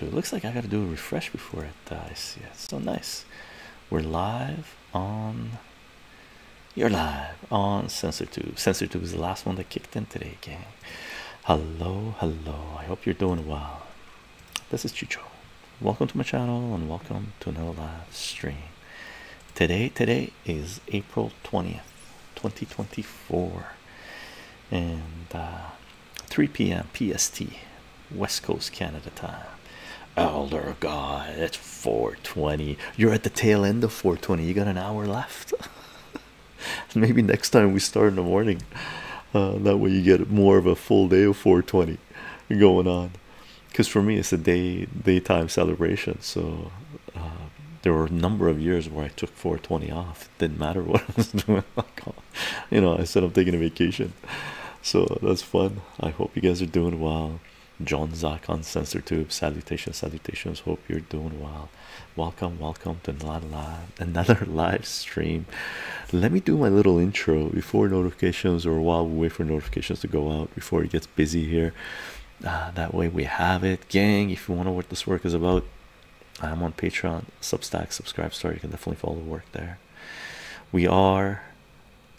it looks like I got to do a refresh before it dies. Yeah, so nice. We're live on. You're live on SensorTube. SensorTube is the last one that kicked in today, gang. Hello, hello. I hope you're doing well. This is Chicho. Welcome to my channel and welcome to another live stream. Today, today is April 20th, 2024. And uh, 3 p.m. PST, West Coast Canada time. Elder God, it's 420. You're at the tail end of 420. You got an hour left. Maybe next time we start in the morning. Uh, that way you get more of a full day of 420 going on. Because for me, it's a day daytime celebration. So uh, there were a number of years where I took 420 off didn't matter what I was doing. you know, I said I'm taking a vacation, so that's fun. I hope you guys are doing well. John Zach on Sensor Tube, salutations, salutations. Hope you're doing well. Welcome, welcome to another live, another live stream. Let me do my little intro before notifications, or while we wait for notifications to go out before it gets busy here. Uh, that way we have it, gang. If you want to know what this work is about, I am on Patreon, Substack, Subscribe Store. You can definitely follow the work there. We are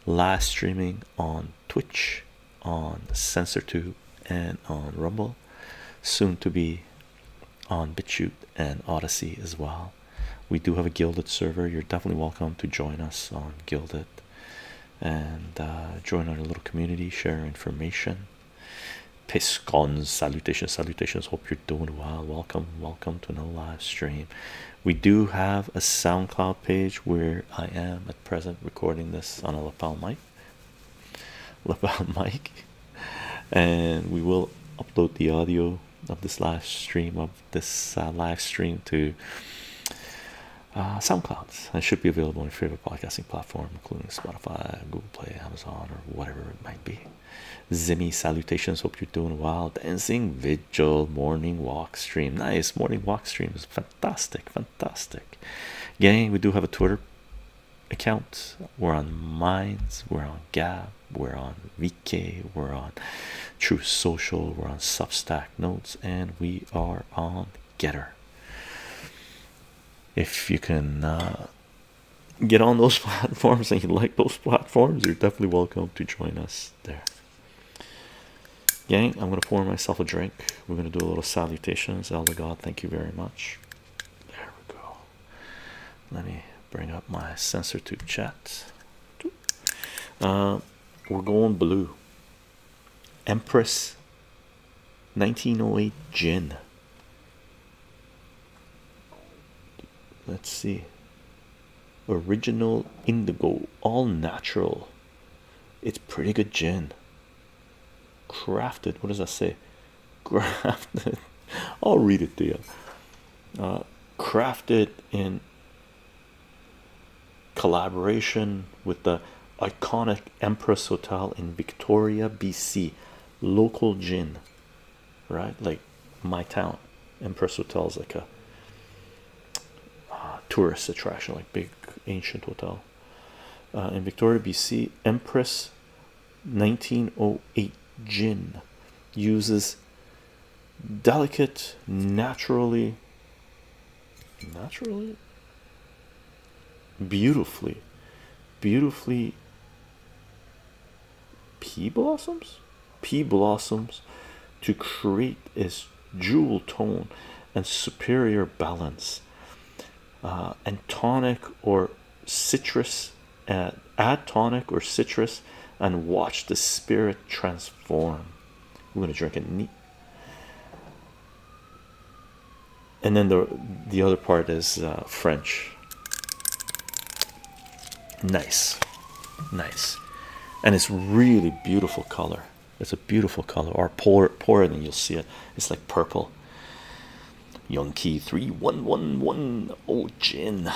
live streaming on Twitch, on SensorTube, and on Rumble. Soon to be on BitChute and Odyssey as well. We do have a Gilded server. You're definitely welcome to join us on Gilded and uh, join our little community, share information. Piscons, salutations, salutations. Hope you're doing well welcome welcome to another live stream we do have a soundcloud page where i am at present recording this on a lapel mic lapel mic and we will upload the audio of this live stream of this uh, live stream to uh, SoundCloud and should be available on your favorite podcasting platform, including Spotify, Google Play, Amazon, or whatever it might be. Zimmy, salutations. Hope you're doing well. Dancing vigil, morning walk stream. Nice morning walk stream is fantastic, fantastic. Again, we do have a Twitter account. We're on Minds, we're on Gab, we're on VK, we're on True Social, we're on Substack Notes, and we are on Getter. If you can uh, get on those platforms and you like those platforms, you're definitely welcome to join us there. Gang, I'm gonna pour myself a drink. We're gonna do a little salutations. Elder God, thank you very much. There we go. Let me bring up my sensor to chat. Uh, we're going blue. Empress 1908 gin Let's see. Original indigo, all natural. It's pretty good gin. Crafted. What does that say? Crafted. I'll read it to you. Uh, crafted in collaboration with the iconic Empress Hotel in Victoria, BC. Local gin right? Like my town, Empress Hotel is like a tourist attraction, like big ancient hotel uh, in Victoria, BC. Empress 1908 gin uses delicate, naturally, naturally, beautifully, beautifully pea blossoms pea blossoms to create its jewel tone and superior balance uh, and tonic or citrus uh, add tonic or citrus and watch the spirit transform We're going to drink it neat and then the the other part is uh, french Nice, nice, and it's really beautiful color. It's a beautiful color. Or pour pour it, and you'll see it. It's like purple. Young Yonkey three one one one. Oh gin,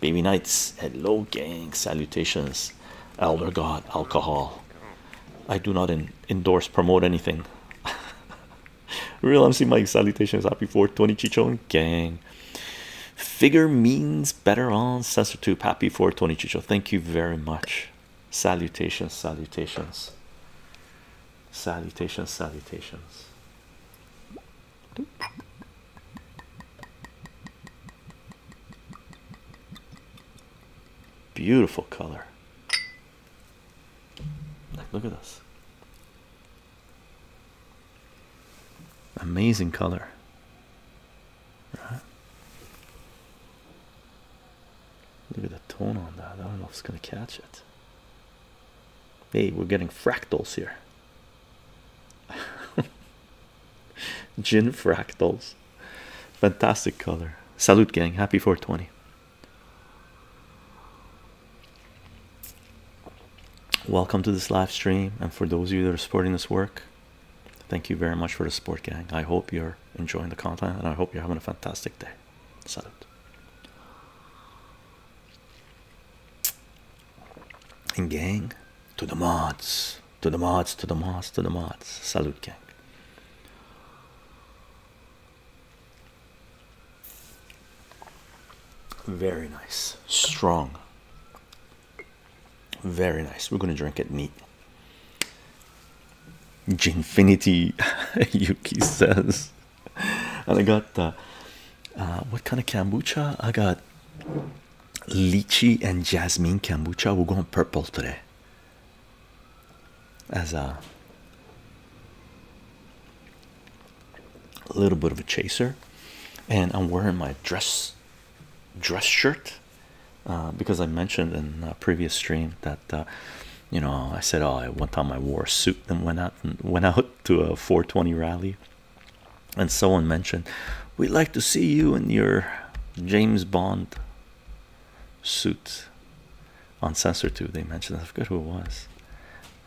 baby nights. Hello gang. Salutations, elder god. Alcohol. I do not endorse promote anything. Real MC Mike. Salutations. Happy 420 Chichon gang. Figure means better on sensor tube. Happy 420 Chicho. Thank you very much. Salutations, salutations, salutations, salutations. Beautiful color. Like, look at this. Amazing color. Right? Look at the tone on that. I don't know if it's going to catch it. Hey, we're getting fractals here. Gin fractals. Fantastic color. Salute, gang. Happy 420. Welcome to this live stream, and for those of you that are supporting this work, thank you very much for the support, gang. I hope you're enjoying the content, and I hope you're having a fantastic day. Salute. And gang, to the mods, to the mods, to the mods, to the mods. Salute, gang. Very nice, strong. Very nice. We're going to drink it neat. Ginfinity, Yuki says. And I got uh, uh, what kind of kombucha? I got lychee and jasmine kombucha. We're going purple today. As a uh, a little bit of a chaser and i'm wearing my dress dress shirt uh, because i mentioned in a previous stream that uh, you know i said oh I, one time i wore a suit and went out and went out to a 420 rally and so on. mentioned we'd like to see you in your james bond suit on sensor 2 they mentioned i forgot who it was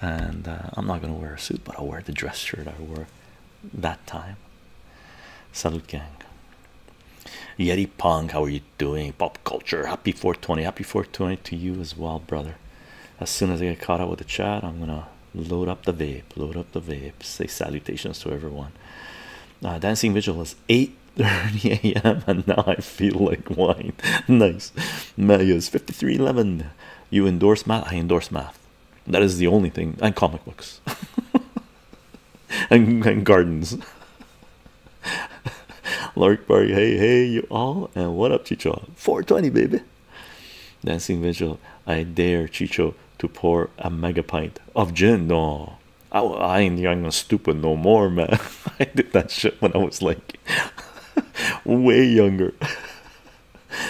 and uh, i'm not going to wear a suit but i'll wear the dress shirt i wore that time. Salute gang. Yeti Pong, how are you doing? Pop culture, happy 420, happy 420 to you as well, brother. As soon as I get caught up with the chat, I'm gonna load up the vape, load up the vape, say salutations to everyone. Uh, Dancing Vigil is 8 30 a.m. and now I feel like wine. nice. Maya's 5311. You endorse math? I endorse math. That is the only thing, and comic books, and, and gardens. Larkberry, hey, hey, you all, and what up, Chicho? 420, baby. Dancing Vigil, I dare Chicho to pour a mega pint of gin. No, I, I ain't young and stupid no more, man. I did that shit when I was like way younger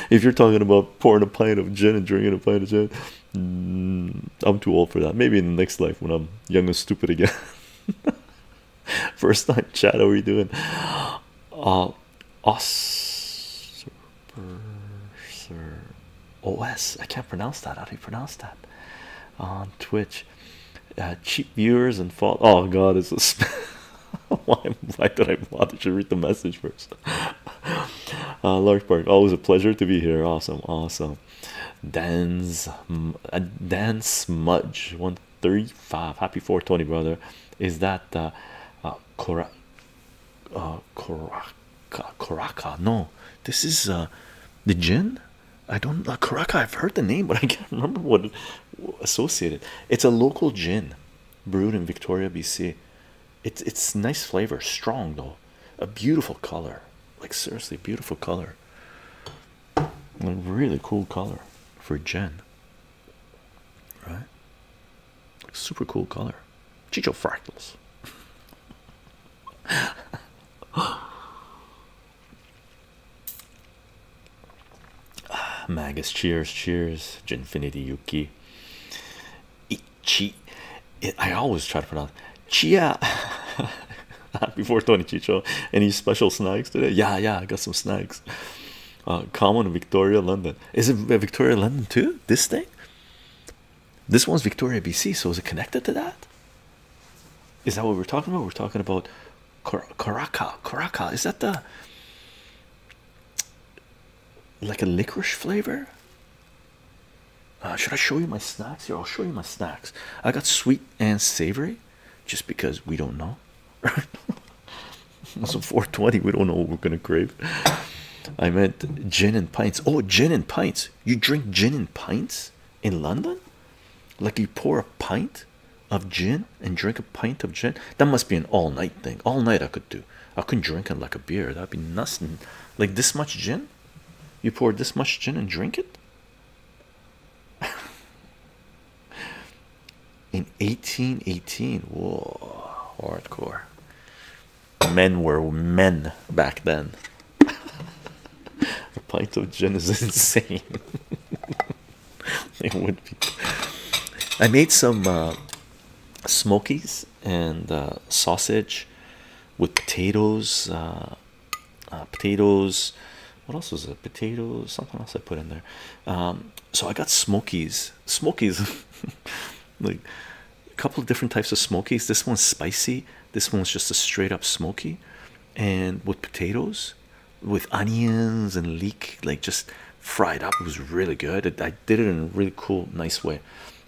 if you're talking about pouring a pint of gin and drinking a pint of gin, mm, I'm too old for that. Maybe in the next life when I'm young and stupid again. First time chat, how are you doing? Uh, os, os. I can't pronounce that. How do you pronounce that? On Twitch, uh, cheap viewers and fall. Oh God, it's a. Why, why did I bother to read the message first? uh, large park always a pleasure to be here awesome awesome Dance, a uh, dan smudge 135 happy 420 brother is that Cora? Uh, uh Cora uh no this is uh, the gin I don't uh, Coraka I've heard the name but I can't remember what associated it's a local gin brewed in Victoria BC it's it's nice flavor, strong though, a beautiful color. Like seriously, beautiful color. A really cool color for Jen, Right? super cool color. Chicho fractals. Ah, Magus, cheers, cheers. Infinity Yuki. Chi. I always try to pronounce Chia. Before Tony Chicho, any special snacks today? Yeah, yeah, I got some snacks. Uh, common Victoria, London. Is it Victoria, London too? This thing? This one's Victoria, BC. So is it connected to that? Is that what we're talking about? We're talking about Caraca. Caraca. Is that the like a licorice flavor. Uh, should I show you my snacks here? I'll show you my snacks. I got sweet and savory just because we don't know. It's 420, we don't know what we're gonna crave. I meant gin and pints. Oh, gin and pints. You drink gin and pints in London? Like you pour a pint of gin and drink a pint of gin? That must be an all night thing. All night I could could I couldn't drink it like a beer. That'd be nothing. Like this much gin, you pour this much gin and drink it. In 1818, whoa, hardcore. Men were men back then. a pint of gin is insane. it would be. I made some uh, smokies and uh, sausage with potatoes, uh, uh, potatoes. What else was it? Potatoes, something else I put in there. Um, so I got smokies, smokies, like a couple of different types of smokies. This one's spicy, this one's just a straight up smoky, and with potatoes, with onions and leek, like just fried up. It was really good did it in a really cool, nice way.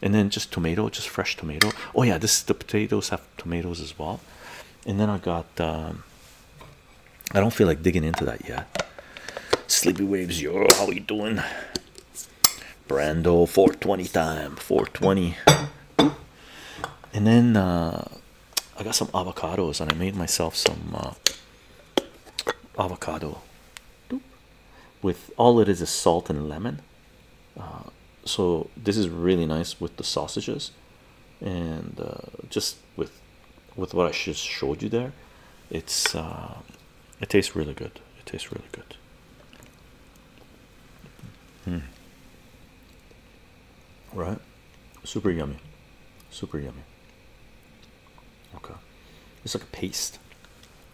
And then just tomato, just fresh tomato. Oh, yeah, this the potatoes have tomatoes as well. And then I got, um, I don't feel like digging into that yet. Sleepy Waves, yo, how you doing? Brando, 420 time, 420. And then uh, I got some avocados and I made myself some uh, avocado with all it is is salt and lemon. Uh, so this is really nice with the sausages, and uh, just with with what I just showed you there, it's uh, it tastes really good. It tastes really good. Mm. Right, super yummy, super yummy. Okay, it's like a paste.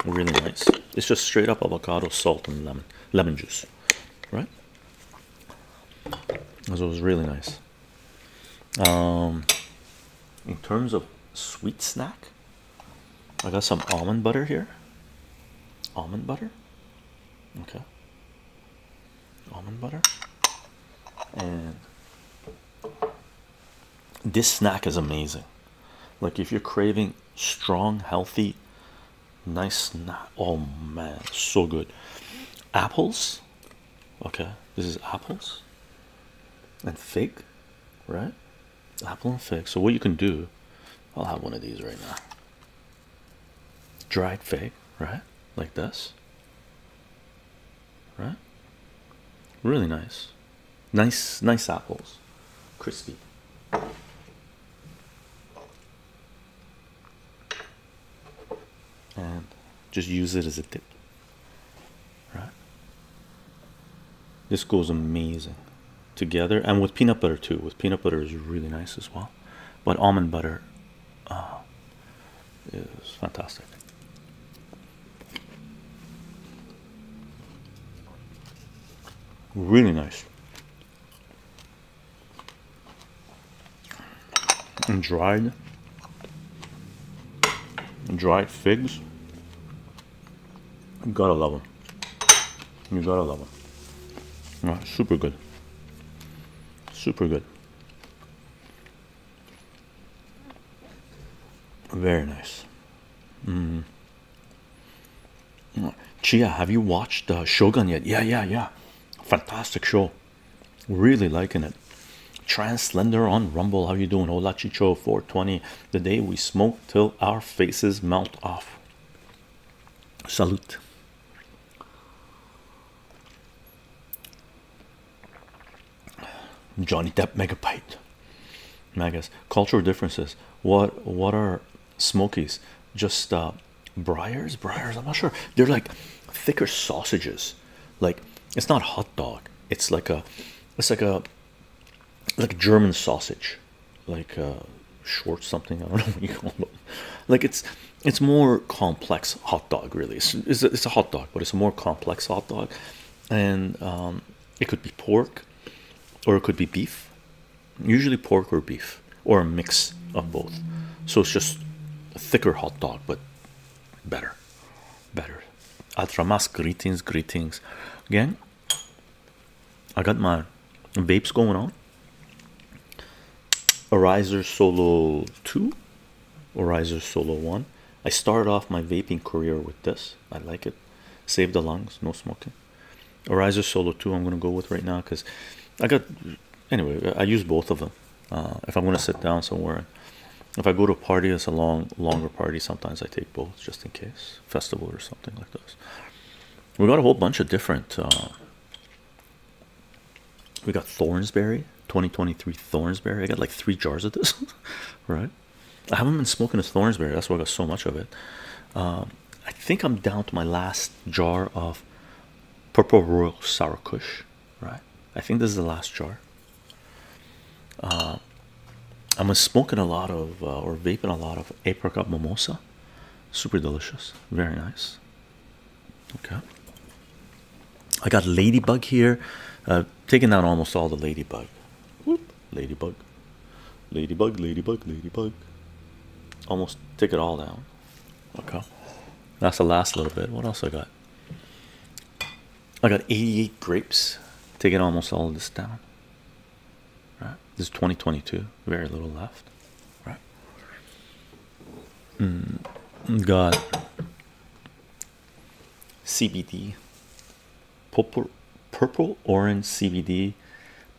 Really nice. It's just straight up avocado, salt, and lemon lemon juice, right? So it was really nice. Um, in terms of sweet snack, I got some almond butter here. Almond butter. Okay. Almond butter and this snack is amazing. Like if you're craving strong, healthy, nice Oh man, so good. Apples. Okay, this is apples and fig, right? Apple and fig. So what you can do, I'll have one of these right now. Dried fig, right? Like this. Right? Really nice. Nice, nice apples, crispy. And just use it as a dip. Right? This goes amazing together and with peanut butter too. With peanut butter is really nice as well. But almond butter uh, is fantastic. Really nice. And dried, dried figs. You gotta love them. You gotta love them. super good. Super good. Very nice. Mm. Chia, have you watched uh, Shogun yet? Yeah, yeah, yeah. Fantastic show. Really liking it. Translender on Rumble. How you doing? Hola Chicho 420. The day we smoke till our faces melt off. Salute. Johnny Depp Megabyte. Magus cultural differences. What what are Smokies? Just uh, briars, briars. I'm not sure. They're like thicker sausages. Like it's not hot dog. It's like a it's like a like a German sausage, like uh, short something. I don't know what you call them. Like it's it's more complex hot dog really. It's it's a, it's a hot dog, but it's a more complex hot dog, and um, it could be pork or it could be beef, usually pork or beef, or a mix of both. So it's just a thicker hot dog, but better. Better. Altramas greetings, greetings. Gang, I got my vapes going on. Arizer Solo 2, Arizer Solo 1. I started off my vaping career with this. I like it. Save the lungs, no smoking. Arizer Solo 2 I'm going to go with right now because I got anyway I use both of them uh, if I'm going to sit down somewhere if I go to a party it's a long longer party sometimes I take both just in case festival or something like this we got a whole bunch of different uh, we got Thornsberry 2023 Thornsberry I got like three jars of this right I haven't been smoking this Thornsberry. That's why I got so much of it. Um, I think I'm down to my last jar of Purple Royal Sour Kush. Right. I think this is the last jar. Uh, I'm smoking a lot of uh, or vaping a lot of apricot mimosa. Super delicious. Very nice. Okay. I got ladybug here. Uh, taking down almost all the ladybug. Ladybug. Ladybug, ladybug, ladybug. Almost took it all down. Okay. That's the last little bit. What else I got? I got 88 grapes. it almost all of this down. Right. This is 2022. Very little left. Right. Mm, got CBD purple purple orange CBD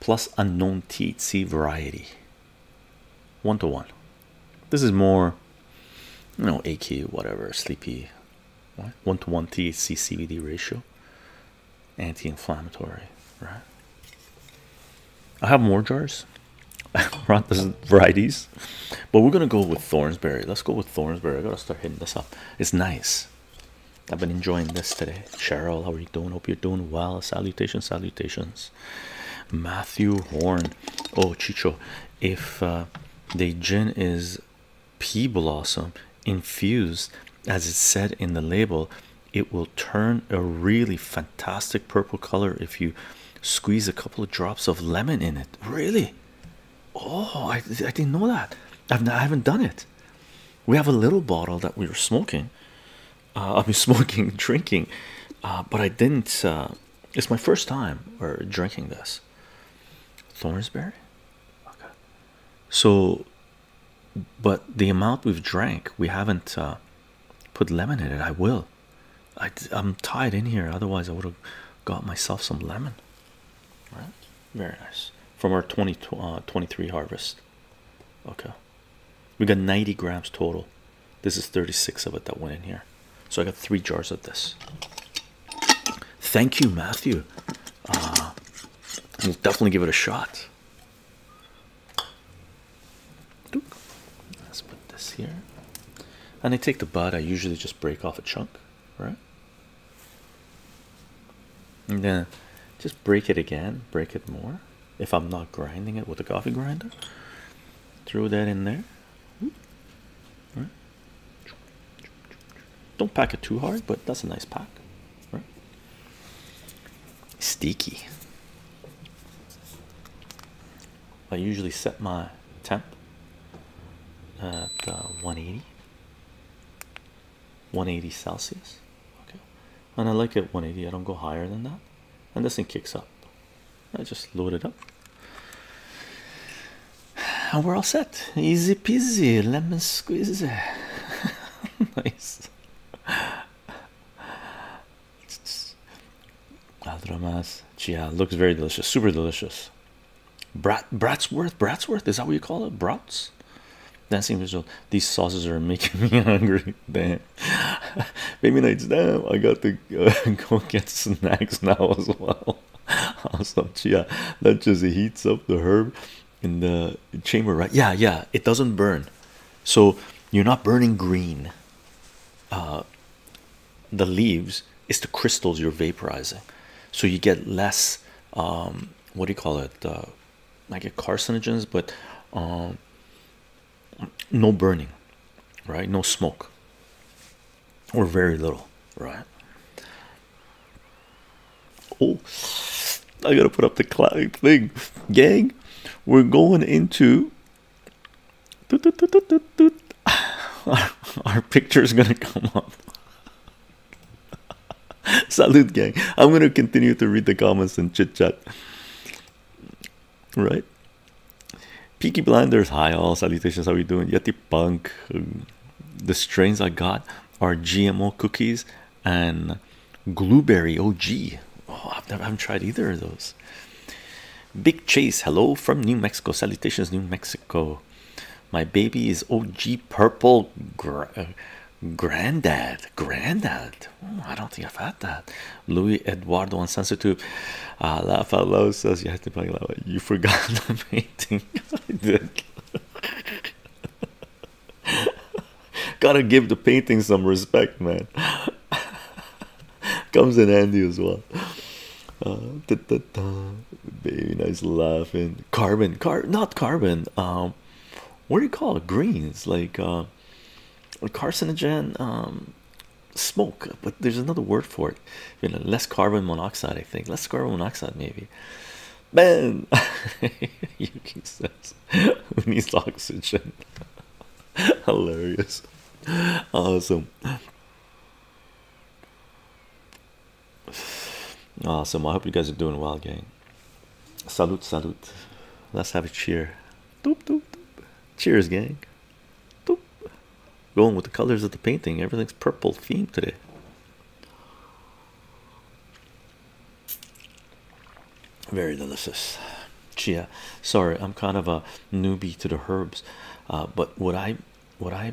plus unknown THC variety one to one this is more you know AQ whatever sleepy one to one THC CBD ratio anti-inflammatory right I have more jars brought this varieties but we're gonna go with Thornsberry let's go with Thornsberry I gotta start hitting this up it's nice I've been enjoying this today. Cheryl, how are you doing? Hope you're doing well. Salutations, salutations. Matthew Horn. Oh, Chicho, if uh, the gin is pea blossom infused, as it's said in the label, it will turn a really fantastic purple color if you squeeze a couple of drops of lemon in it. Really? Oh, I didn't know that. I've I haven't done it. We have a little bottle that we were smoking. Uh, I've been smoking, drinking, uh, but I didn't. Uh, it's my first time or drinking this. Thornsberry. Okay. So, but the amount we've drank, we haven't put lemon in it. I will. I, I'm tied in here. Otherwise, I would have got myself some lemon. All right. Very nice. From our 20, 23 harvest. Okay, we got 90 grams total. This is 36 of it that went in here. So I got three jars of this. Thank you, Matthew. Uh, we'll definitely give it a shot. Let's put this here. And I take the bud, I usually just break off a chunk, right? And just break it again, break it more. If I'm not grinding it with a coffee grinder, throw that in there. Don't pack it too hard, but that's a nice pack. Right? Sticky. I usually set my temp at uh, 180, 180 Celsius. Okay, and I like it 180. I don't go higher than that, and this thing kicks up. I just load it up, and we're all set. Easy peasy, lemon squeezy. nice. Aldramas, yeah, looks very delicious, super delicious. Brat, Bratsworth, Bratsworth, is that what you call it? Brats, Dancing visual. These sauces are making me hungry. Damn. Baby nights. Damn. I got to uh, go get snacks now as well. awesome. Chia. That just heats up the herb in the chamber, right? Yeah, yeah. It doesn't burn. So you're not burning green. Uh, the leaves it's the crystals you're vaporizing, so you get less. Um, what do you call it? Uh, like a carcinogens but um, no burning right no smoke or very little right oh i gotta put up the cloud thing gang we're going into our, our picture is gonna come up Salute, gang. I'm going to continue to read the comments and chit chat. Right? Peaky Blinders, hi all. Salutations, how we doing? Yeti Punk. Um, the strains I got are GMO cookies and blueberry OG. Oh, i I haven't tried either of those. Big Chase, hello from New Mexico. Salutations, New Mexico. My baby is OG purple. Granddad, granddad. Hmm, I don't think I've had that. Luis Eduardo on Sensor Tube. Uh, ah, laugh out loud you have to buy it. You forgot the painting. I did. Gotta give the painting some respect, man. Comes in handy as well. Uh, da, da, Baby, nice laughing. Carbon, car, not carbon. Um, what do you call it? Greens like uh, carcinogen um, smoke, but there's another word for it. You know, less carbon monoxide, I think. Less carbon monoxide, maybe. Man, Yuki says, "Who needs oxygen?" Hilarious, awesome. Awesome. I hope you guys are doing well, gang. Salute, salute. Let's have a cheer. Doop, doop, doop. Cheers, gang. Doop. Going with the colors of the painting. Everything's purple theme today. Very delicious. Chia. Sorry, I'm kind of a newbie to the herbs, uh, but would I would I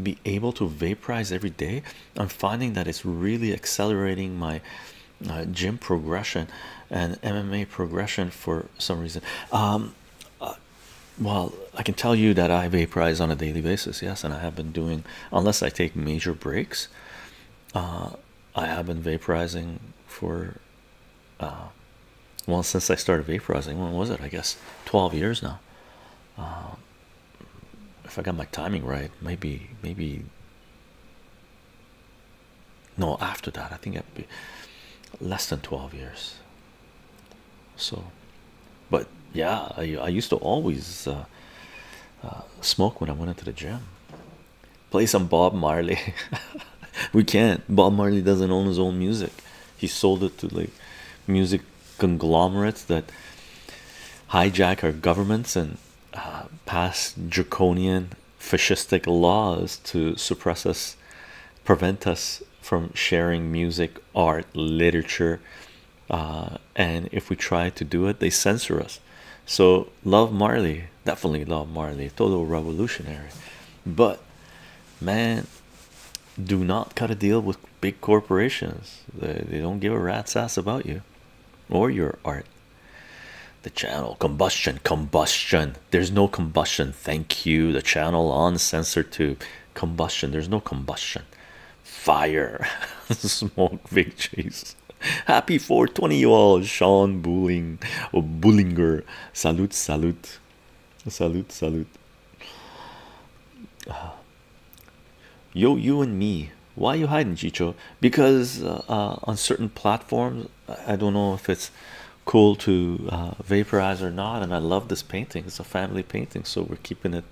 be able to vaporize every day? I'm finding that it's really accelerating my uh, gym progression and MMA progression for some reason. Um, uh, well, I can tell you that I vaporize on a daily basis, yes, and I have been doing, unless I take major breaks, uh, I have been vaporizing for, well, since I started vaporizing, when was it? I guess 12 years now. Um, if I got my timing right, maybe, maybe no after that i think it'd be less than 12 years so but yeah i, used to always uh, uh, smoke when i went into the gym play some bob marley we can't bob marley doesn't own his own music he sold it to like music conglomerates that hijack our governments and uh, pass draconian fascistic laws to suppress us prevent us from sharing music art literature uh, and if we try to do it they censor us so love marley definitely love marley total revolutionary but man do not cut a deal with big corporations they, they don't give a rat's ass about you or your art the channel combustion, combustion. There's no combustion. Thank you. The channel on sensor tube. Combustion. There's no combustion. Fire. Smoke big cheese. Happy 420 you all. Sean Bulling or oh, Bullinger. Salute, salute. Salute, salute. Uh, yo, you and me why are you hiding chicho because uh, uh, on certain platforms i don't know if it's cool to uh, vaporize or not and i love this painting it's a family painting so we're keeping it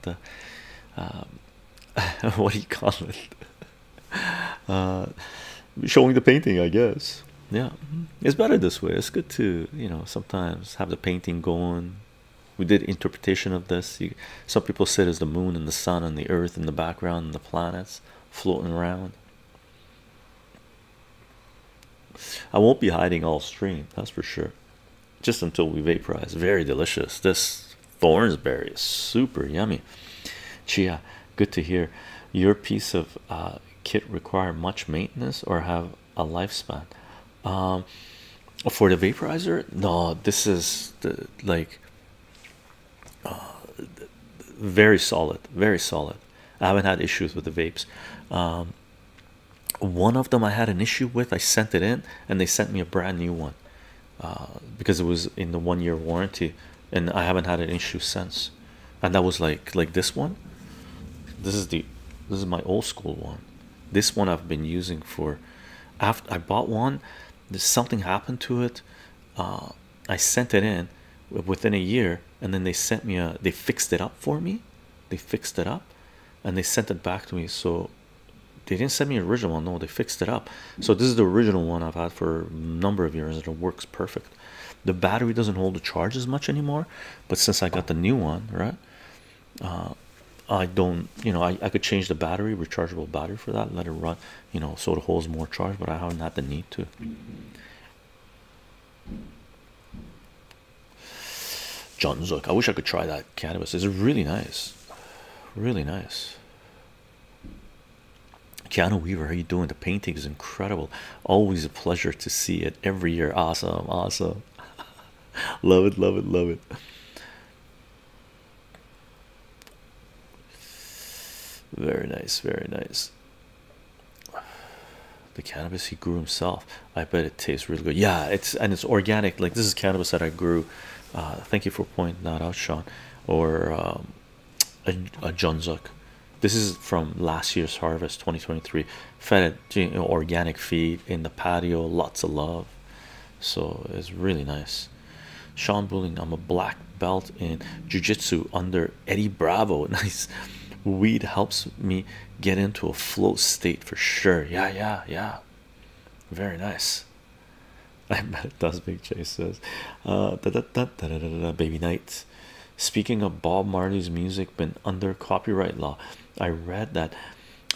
um, what do you call it showing the painting i guess yeah mm-hmm. it's better this way it's good to you know sometimes have the painting going we did interpretation of this some people said is the moon and the sun and the earth in the background and the planets floating around. I won't be hiding all stream, that's for sure. Just until we vaporize. Very delicious. This thorns berry is super yummy. Chia, good to hear. Your piece of uh, kit require much maintenance or have a lifespan. Um, for the vaporizer, no, this is the like very solid, very solid. I haven't had issues with the vapes. Um, one of them I had an issue with. I sent it in, and they sent me a brand new one uh, because it was in the one-year warranty, and I haven't had an issue since. And that was like like this one. This is the this is my old school one. This one I've been using for. After I bought one, something happened to it. Uh, I sent it in within a year, and then they sent me a they fixed it up for me. They fixed it up and they sent it back to me. So they didn't send me the original one, no, they fixed it up. So this is the original one I've had for a number of years, and it works perfect. The battery doesn't hold the charge as much anymore, but since I got the new one, right? Uh, I don't you know I, I could change the battery rechargeable battery for that let it run you know, sort of holds more charge, but I haven't had the need to. John's look. I wish I could try that cannabis. It's really nice, really nice. Keanu Weaver, how you doing? The painting is incredible. Always a pleasure to see it every year. Awesome, awesome. love it, love it, love it. Very nice, very nice. The cannabis he grew himself. I bet it tastes really good. Yeah, it's and it's organic. Like this is cannabis that I grew. Uh, thank you for pointing that out, Sean. Or um, a, a This is from last year's harvest, 2023. Fed organic feed in the patio. Lots of love. So it's really nice. Sean Bulling, I'm a black belt in jujitsu under Eddie Bravo. Nice weed helps me get into a flow state for sure. Yeah, yeah, yeah. Very nice. I bet it does. Big Chase says, uh, da, da, Baby Night. Speaking of Bob Marley's music been under copyright law, I read that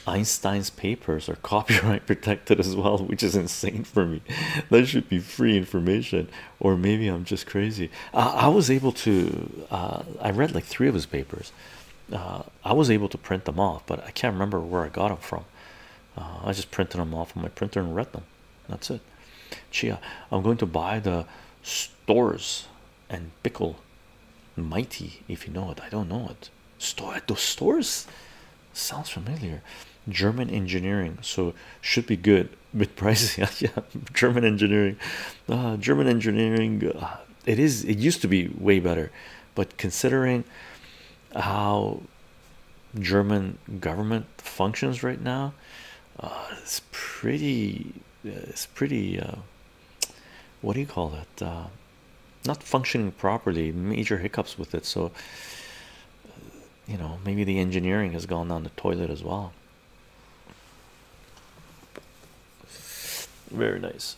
Einstein's papers are copyright protected as well, which is insane for me. That should be free information or maybe I'm just crazy. Uh, I was able to, uh, I read like three of his papers. Uh, I was able to print them off, but I can't remember where I got them from. Uh, I just printed them off on my printer and read them. That's it. Chia, I'm going to buy the stores and pickle mighty if you know it. I don't know it. Store those stores sounds familiar. German engineering, so should be good with price yeah, german engineering uh, german engineering uh, it is it used to be way better but considering how german government functions right now uh, it's pretty it's pretty what do you call that? not functioning properly major hiccups with it so you know, maybe the engineering has gone down the toilet as well. Very nice.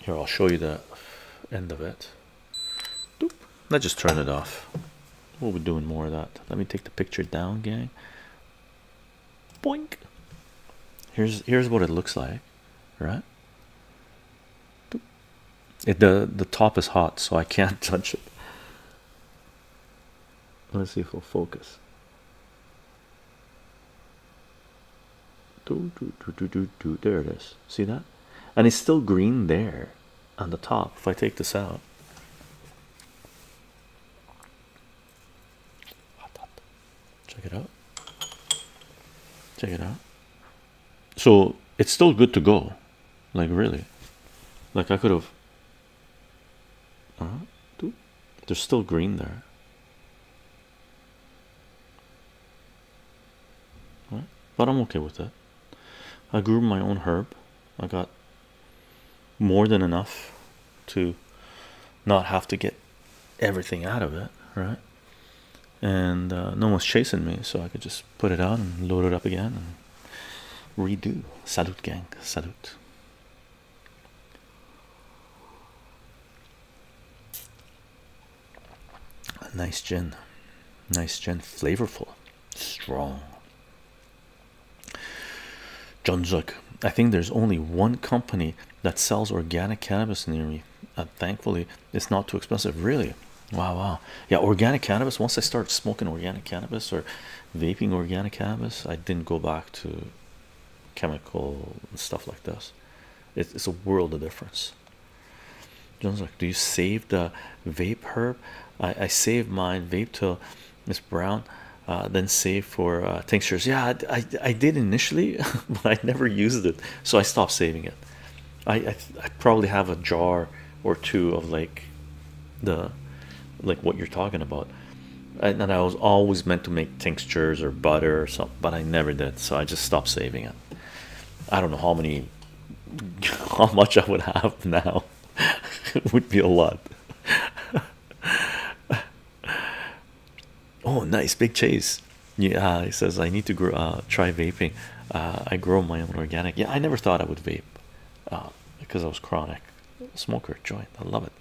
Here, I'll show you the end of it. Let's just turn it off. We'll be doing more of that. Let me take the picture down, gang. Boink. Here's here's what it looks like, right? the the top is hot, so I can't touch it. Let's see if we'll focus. Do, do, do, do, do, do. There it is. See that? And it's still green there on the top. If I take this out, check it out. Check it out so it's still good to go like really like i could have there's still green there right? but i'm okay with it. i grew my own herb i got more than enough to not have to get everything out of it right and uh, no one's chasing me so i could just put it on and load it up again and redo. Salute, gang. Salute. A nice gin. Nice gin. Flavorful. Strong. John Zuck. I think there's only one company that sells organic cannabis near me. And thankfully, it's not too expensive. Really? Wow, wow, yeah. Organic cannabis. Once I started smoking organic cannabis or vaping organic cannabis, I didn't go back to chemical and stuff like this. It's, a world of difference. John's like, do you save the vape herb? I, I save mine vape till it's brown, uh, then save for uh, tinctures. Yeah, I, I, did initially, but I never used it, so I stopped saving it. I, I probably have a jar or two of like the like what you're talking about and, and i was always meant to make tinctures or butter or something but i never did so i just stopped saving it i don't know how many how much i would have now it would be a lot oh nice big chase yeah he says i need to grow uh, try vaping uh, i grow my own organic yeah i never thought i would vape uh, because I was chronic smoker joint. I love it.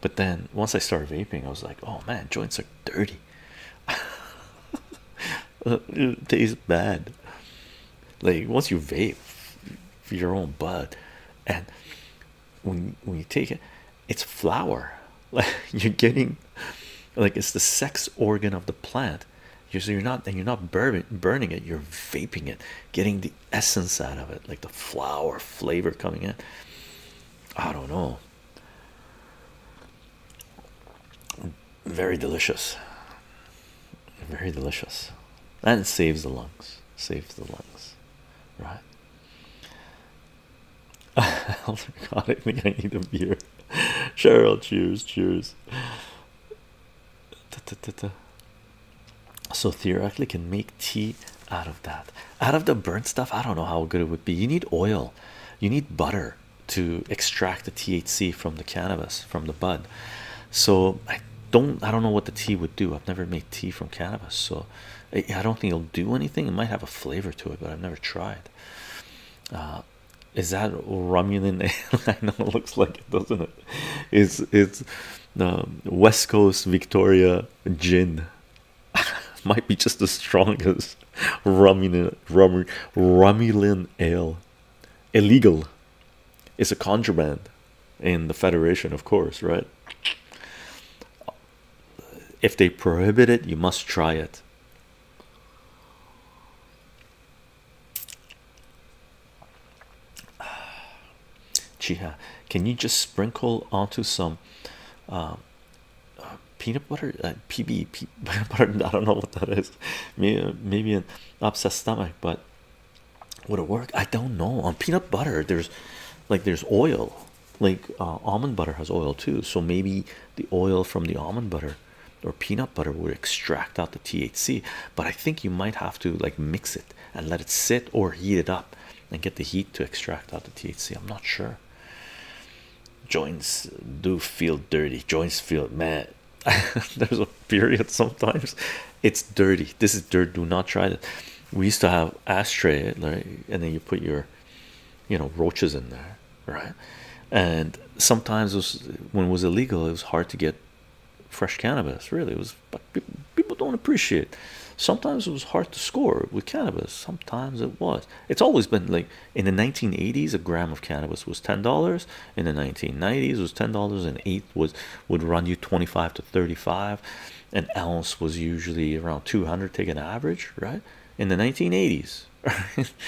But then once I started vaping, I was like, oh man, joints are dirty. it tastes bad. Like once you vape your own bud, and when when you take it, it's flower. Like you're getting, like it's the sex organ of the plant you're, so you're not and you're not burning it. You're vaping it, getting the essence out of it, like the flower flavor coming in. I don't know. Very delicious. Very delicious, That saves the lungs. Saves the lungs, right? oh my god, I think I need a beer. Cheryl, cheers, cheers so theoretically can make tea out of that out of the burnt stuff i don't know how good it would be you need oil you need butter to extract the thc from the cannabis from the bud so i don't i don't know what the tea would do i've never made tea from cannabis so i, don't think it'll do anything it might have a flavor to it but i've never tried uh, is that romulan i know it looks like it doesn't it it's it's um, West Coast Victoria gin might be just the strongest rummy rummy rummy ale illegal it's a contraband in the Federation of course right if they prohibit it you must try it Chiha, can you just sprinkle onto some uh, peanut butter? Uh, PB, peanut butter, I don't know what that is. Maybe, an upset stomach, but would it work? I don't know. On peanut butter, there's like there's oil, like uh, almond butter has oil too. So maybe the oil from the almond butter or peanut butter would extract out the THC but I think you might have to like mix it and let it sit or heat it up and get the heat to extract out the THC. I'm not sure. Joints do feel dirty, joints feel mad. There's a period sometimes it's dirty. This is dirt. Do not try it. We used to have ashtray, right? And then you put your you know roaches in there, right? And sometimes when it was illegal, it was hard to get fresh cannabis really was people don't appreciate sometimes it was hard to score with cannabis sometimes it was it's always been like in the 1980s a gram of cannabis was ten dollars in the 1990s was ten dollars and eight was would run you 25 to 35 an ounce was usually around 200 take an average right in the 1980s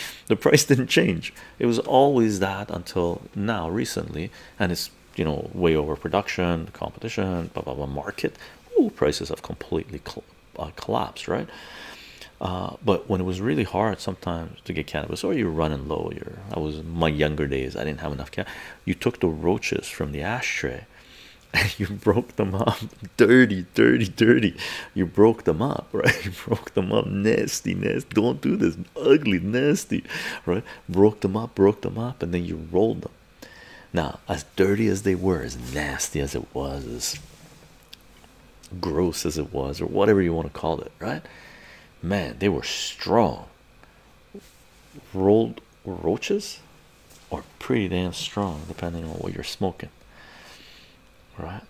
the price didn't change it was always that until now recently and it's you know way overproduction, competition, blah blah blah market. Ooh, prices have completely uh, collapsed, right? Uh, but when it was really hard sometimes to get cannabis, or you're running low, you're I was my younger days, I didn't have enough you took the roaches from the ashtray and you broke them up dirty, dirty, dirty. You broke them up, right? You broke them up nasty, nasty don't do this, ugly, nasty, right? Broke them up, broke them up, and then you rolled them. Now, as dirty as they were, as nasty as it was, as gross as it was, or whatever you want to call it, right? Man, they were strong. Rolled roaches are pretty damn strong, depending on what you're smoking, right?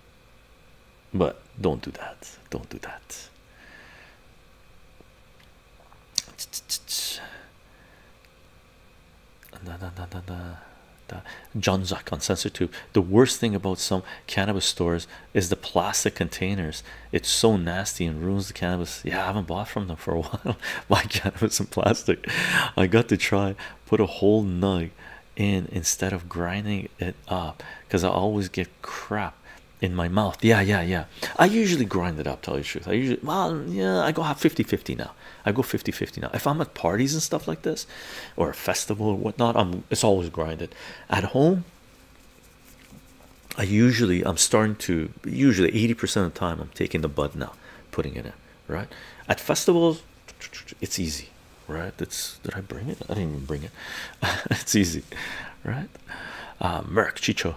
But don't do that, don't do that. Da, da, da, da, da, John Zuck on Sensor Tube. The worst thing about some cannabis stores is the plastic containers. It's so nasty and ruins the cannabis. Yeah, I haven't bought from them for a while. My cannabis in plastic. I got to try put a whole nug in instead of grinding it up because I always get crap in my mouth. Yeah, yeah, yeah. I usually grind it up, tell you the truth. I usually, well, yeah, I go have 50 50 now. I go 50 50 now. If I'm at parties and stuff like this, or a festival or whatnot, I'm it's always grinded. At home, I usually I'm starting to usually 80% of the time I'm taking the bud now, putting it in, right? At festivals, it's easy, right? It's did I bring it? I didn't even bring it. it's easy, right? uh, Merc Chicho.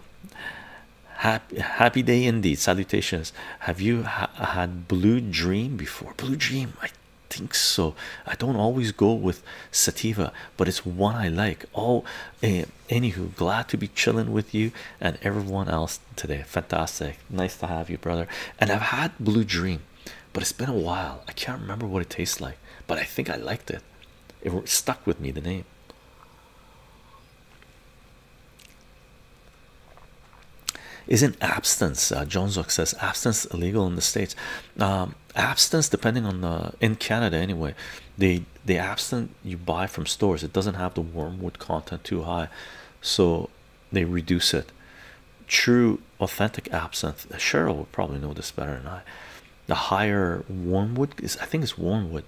Happy, day indeed. Salutations. Have you had Blue Dream before? Blue Dream, I think so. I don't always go with Sativa, but it's one I like. Oh, eh, anywho, glad to be chilling with you and everyone else today. Fantastic. Nice to have you, brother. And I've had Blue Dream, but it's been a while. I can't remember what it tastes like, but I think I liked it. It stuck with me the name. Isn't absinthe? Uh, John Zook says abstinence illegal in the states. Um, absinthe, depending on the in Canada anyway, they the absinthe you buy from stores. It doesn't have the wormwood content too high, so they reduce it. True, authentic absinthe. Cheryl would probably know this better than I the higher wormwood is i think it's wormwood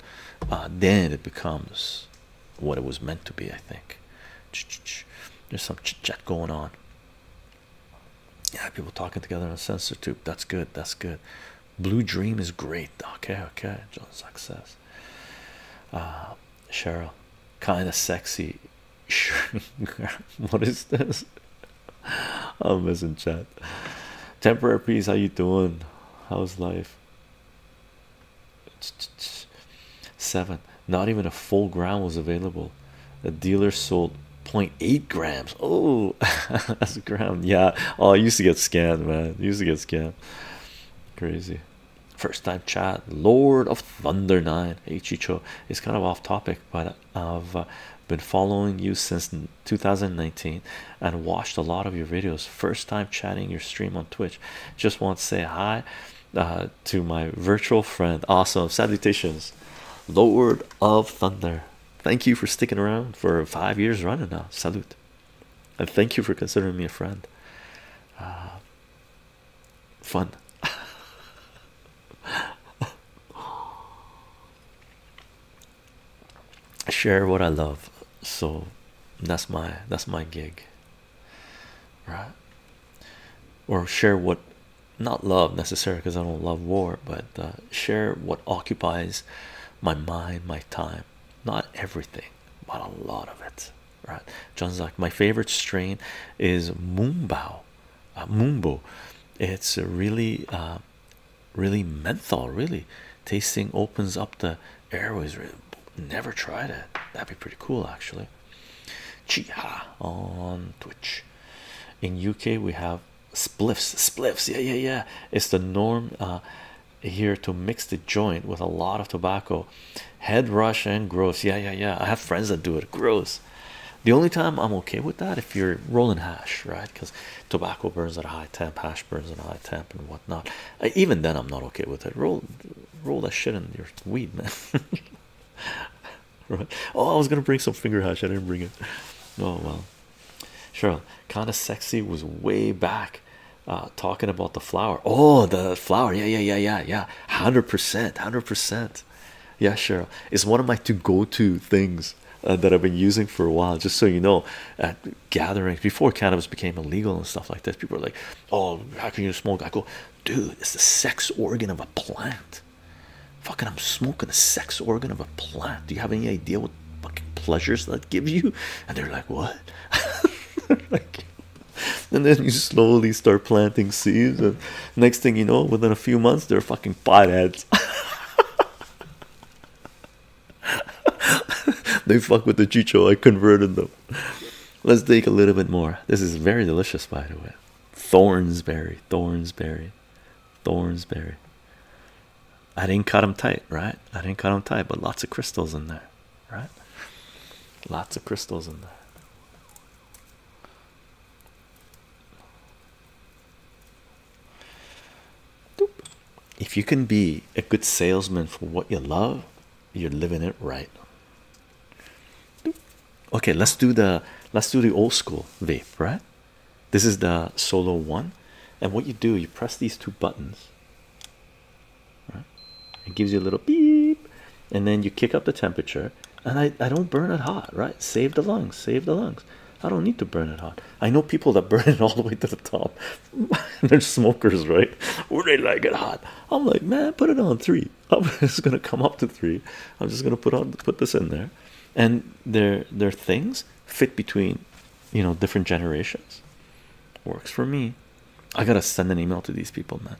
uh, then it becomes what it was meant to be i think there's some chitchat going on yeah people talking together on a sensor tube that's good that's good blue dream is great okay okay john success. Uh, cheryl kind of sexy what is this I'm missing chat. Temporary peace. how you doing? How's life? Seven. Not even a full gram was available. The dealer sold 0.8 grams. Oh, that's a gram. Yeah. Oh, used to get scammed, man. used to get scammed. Crazy. First time chat. Lord of Thunder Nine. Hey Chicho. It's kind of off topic, but of. Uh, been following you since 2019 and watched a lot of your videos first time chatting your stream on twitch just want to say hi uh, to my virtual friend awesome salutations lord of thunder thank you for sticking around for five years running now salute and thank you for considering me a friend uh, fun share what I love. So that's my that's my gig. Right? Or share what not love necessarily because I don't love war, but uh, share what occupies my mind, my time. Not everything, but a lot of it. Right? John's like my favorite strain is Moombao, uh, It's really uh, really menthol really tasting opens up the airways really. never tried it that'd be pretty cool actually chiha on twitch in uk we have spliffs spliffs yeah yeah yeah it's the norm uh, here to mix the joint with a lot of tobacco head rush and gross yeah yeah yeah i have friends that do it gross the only time i'm okay with that if you're rolling hash right because tobacco burns at a high temp, hash burns at a high temp, and whatnot. even then, I'm not okay with it. Roll, roll that shit in your weed, man. right. Oh, I was gonna bring some finger hash. I didn't bring it. Oh well. Sure. Kind of sexy was way back. Uh, talking about the flower. Oh, the flower. Yeah, yeah, yeah, yeah, yeah. Hundred percent, hundred percent. Yeah, sure. It's one of my two go-to things uh, that I've been using for a while. Just so you know, gatherings before cannabis became illegal and stuff like this. People are like, "Oh, how can you smoke?" I go, "Dude, it's the sex organ of a plant. Fucking, I'm smoking the sex organ of a plant. Do you have any idea what fucking pleasures that gives you?" And they're like, "What?" like, and then you slowly start planting seeds, and next thing you know, within a few months, they're fucking potheads. they fuck with the chicho. I converted them. Let's take a little bit more. This is very delicious, by the way. Thornsberry, Thornsberry, Thornsberry. I didn't cut them tight, right? I didn't cut them tight, but lots of crystals in there, right? Lots of crystals in there. If you can be a good salesman for what you love, you're living it right. Okay, let's do the let's do the old school vape, right? This is the solo one, and what you do, you press these two buttons. Right? It gives you a little beep, and then you kick up the temperature. And I, I don't burn it hot, right? Save the lungs, save the lungs. I don't need to burn it hot. I know people that burn it all the way to the top. they're smokers, right? Or they like it hot. I'm like, man, put it on 3 It's gonna come up to three. I'm just gonna put on put this in there, and their their things fit between, you know, different generations. Works for me. I gotta send an email to these people, man.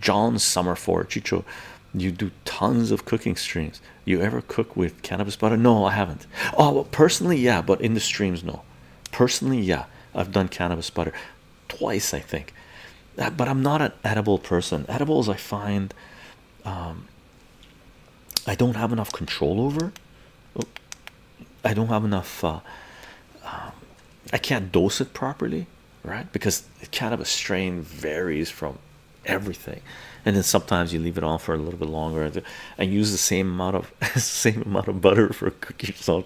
John Summerford, Chicho, you do tons of cooking streams. You ever cook with cannabis butter? No, I haven't. Oh, well, personally, yeah, but in the streams, no. Personally, yeah, I've done cannabis butter twice, I think. Uh, but I'm not an edible person. Edibles, I find um, I don't have enough control over. I don't have enough. Uh, um, I can't dose it properly, right? Because the cannabis strain varies from everything, and then sometimes you leave it on for a little bit longer and use the same amount of same amount of butter for a cookie or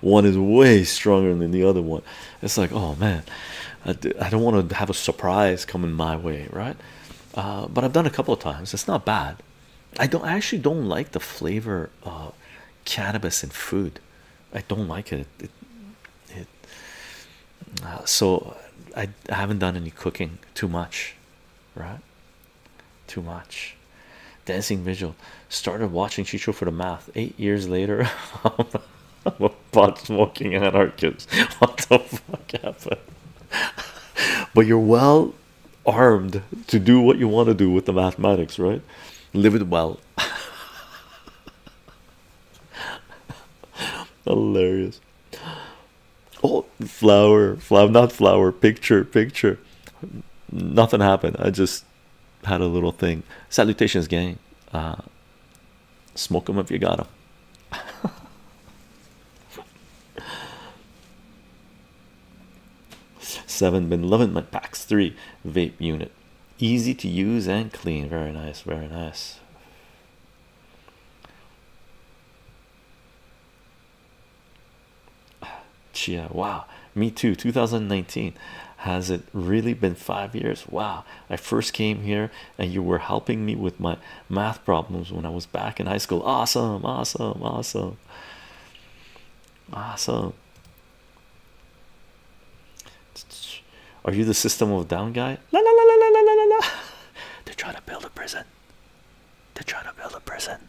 one is way stronger than the other one it's like oh man i, don't want to have a surprise coming my way right uh, but i've done a couple of times it's not bad i don't I actually don't like the flavor of cannabis in food i don't like it, uh, so I haven't done any cooking too much right too much. Dancing Vigil started watching Chicho for the math eight years later. I'm a pot smoking anarchist. What the fuck happened? But you're well armed to do what you want to do with the mathematics, right? Live it well. Hilarious oh flower flower not flower picture picture nothing happened i just had a little thing salutations gang uh, smoke them if you got them seven been loving my packs three vape unit easy to use and clean very nice very nice Chia, wow, me too. 2019 has it really been five years? Wow, I first came here and you were helping me with my math problems when I was back in high school. Awesome, awesome, awesome, awesome. Are you the system of down guy? La la la la la la la la. They're trying to build a prison. They're trying to build a prison.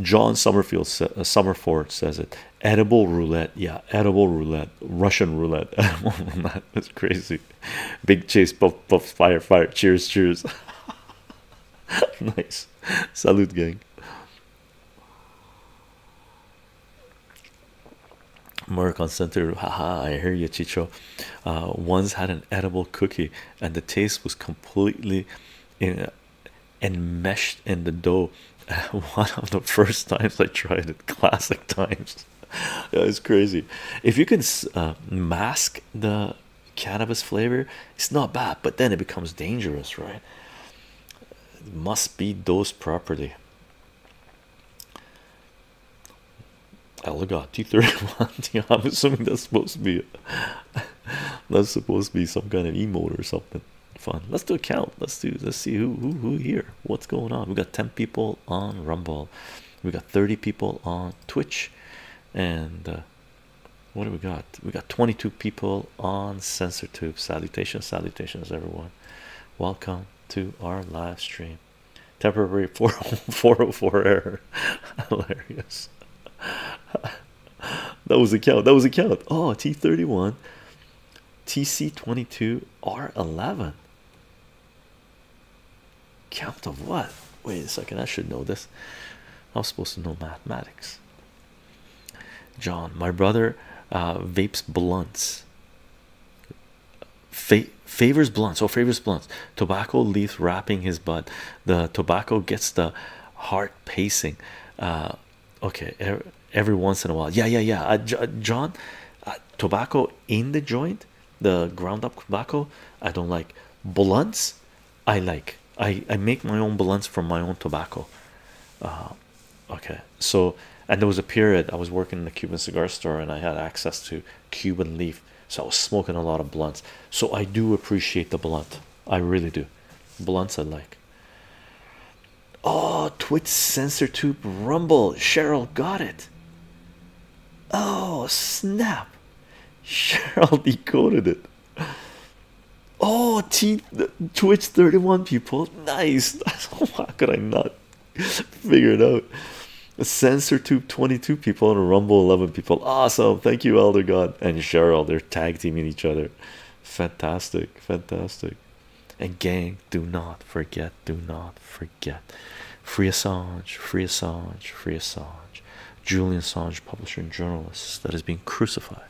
John Summerfield sa uh, says it edible roulette. Yeah, edible roulette, Russian roulette. That's crazy. Big chase, puff, puff, fire, fire. Cheers, cheers. nice. Salute, gang. Merc on center. Haha, I hear you, Chicho. Uh, once had an edible cookie, and the taste was completely in, enmeshed in the dough. One of the first times I tried it, classic times. It's crazy. If you can uh, mask the cannabis flavor, it's not bad, but then it becomes dangerous, right? It must be dosed properly. Elegant T31. I'm assuming that's supposed to be that's supposed to be some kind of emote or something fun. Let's do a count. Let's do let's see who who who here. What's going on? We got 10 people on Rumble. We got 30 people on Twitch and uh, what do we got? We got 22 people on SensorTube. Salutations, salutations everyone. Welcome to our live stream. Temporary 404 error. Hilarious. that was a count. That was a count. Oh, T31, TC22, R11. Count of what? Wait a second. I should know this. I'm supposed to know mathematics. John, my brother uh, vapes blunts. Fa favors blunts so oh, favors blunts tobacco leaf wrapping his butt the tobacco gets the heart pacing uh, okay every, once in a while yeah yeah yeah uh, uh, john tobacco in the joint the ground up tobacco i don't like blunts i like i i make my own blunts from my own tobacco okay so and there was a period i was working in the cuban cigar store and i had access to cuban leaf so I was smoking a lot of blunts. So I do appreciate the blunt. I really do. Blunts I like. Oh, Twitch sensor tube rumble. Cheryl got it. Oh, snap. Cheryl decoded it. Oh, Twitch 31 people. Nice. How could I not figure it out? A censor Tube 22 people and a Rumble 11 people. Awesome. Thank you, Elder God and Cheryl. They're tag teaming each other. Fantastic. Fantastic. And gang, do not forget, do not forget. Free Assange, free Assange, free Assange. Julian Assange, publisher and journalist that is being crucified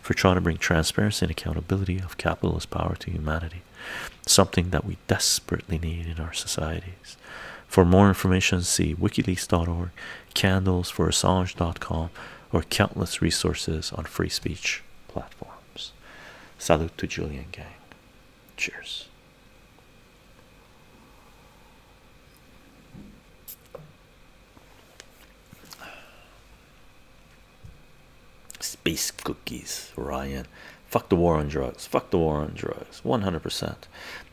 for trying to bring transparency and accountability of capitalist power to humanity. Something that we desperately need in our societies. For more information, see wikileaks.org, candles for Assange.com, or countless resources on free speech platforms. Salute to Julian Gang. Cheers. Space cookies, Ryan. Fuck the war on drugs. Fuck the war on drugs. 100%.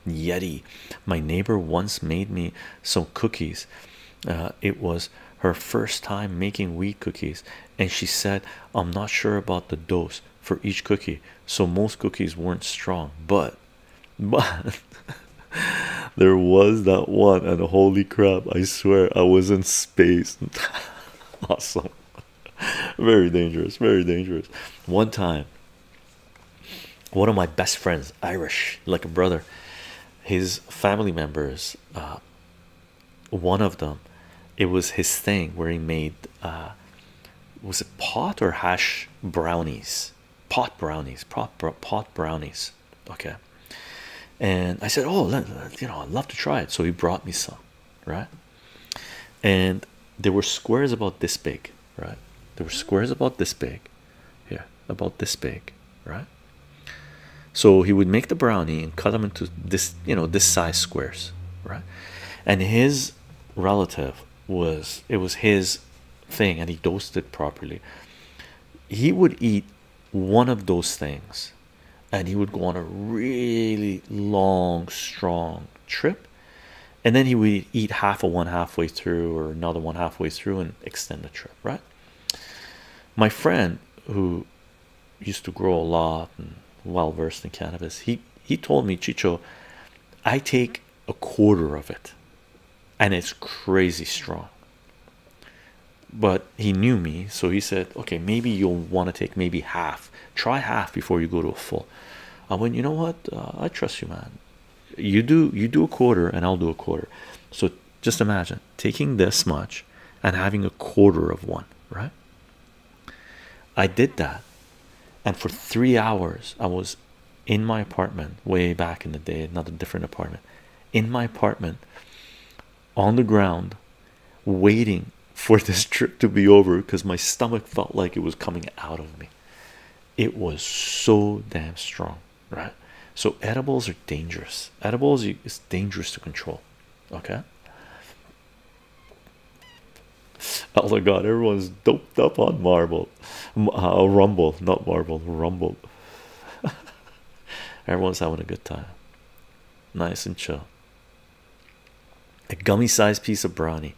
Yeti. My neighbor once made me some cookies. Uh, it was her first time making wheat cookies, and she said, I'm not sure about the dose for each cookie, so most cookies weren't strong, but but there was that one, and holy crap, I swear I was in space. awesome, very dangerous, very dangerous. One time, one of my best friends, Irish, like a brother, his family members, uh, one of them, it was his thing where he made uh, was it pot or hash brownies, pot brownies, pot, brownies. Okay, and I said, Oh, you know, I'd love to try it. So he brought me some, right? And there were squares about this big, right? There were squares about this big here, about this big, right? So he would make the brownie and cut them into this, you know, this size squares, right? And his relative was it was his thing, and he dosed it properly. He would eat one of those things, and he would go on a really long, strong trip, and then he would eat half of one halfway through or another one halfway through and extend the trip right my friend who used to grow a lot and well versed in cannabis he he told me chicho i take a quarter of it and it's crazy strong but he knew me so he said okay maybe you'll want to take maybe half try half before you go to a full i went you know what uh, i trust you man you do you do a quarter and I'll do a quarter so just imagine taking this much and having a quarter of one right I did that and for three hours I was in my apartment way back in the day not a different apartment in my apartment on the ground waiting for this trip to be over because my stomach felt like it was coming out of me it was so damn strong right so edibles are dangerous edibles is dangerous to control okay oh my god everyone's doped up on marble uh, rumble not marble rumble everyone's having a good time nice and chill a gummy sized piece of brownie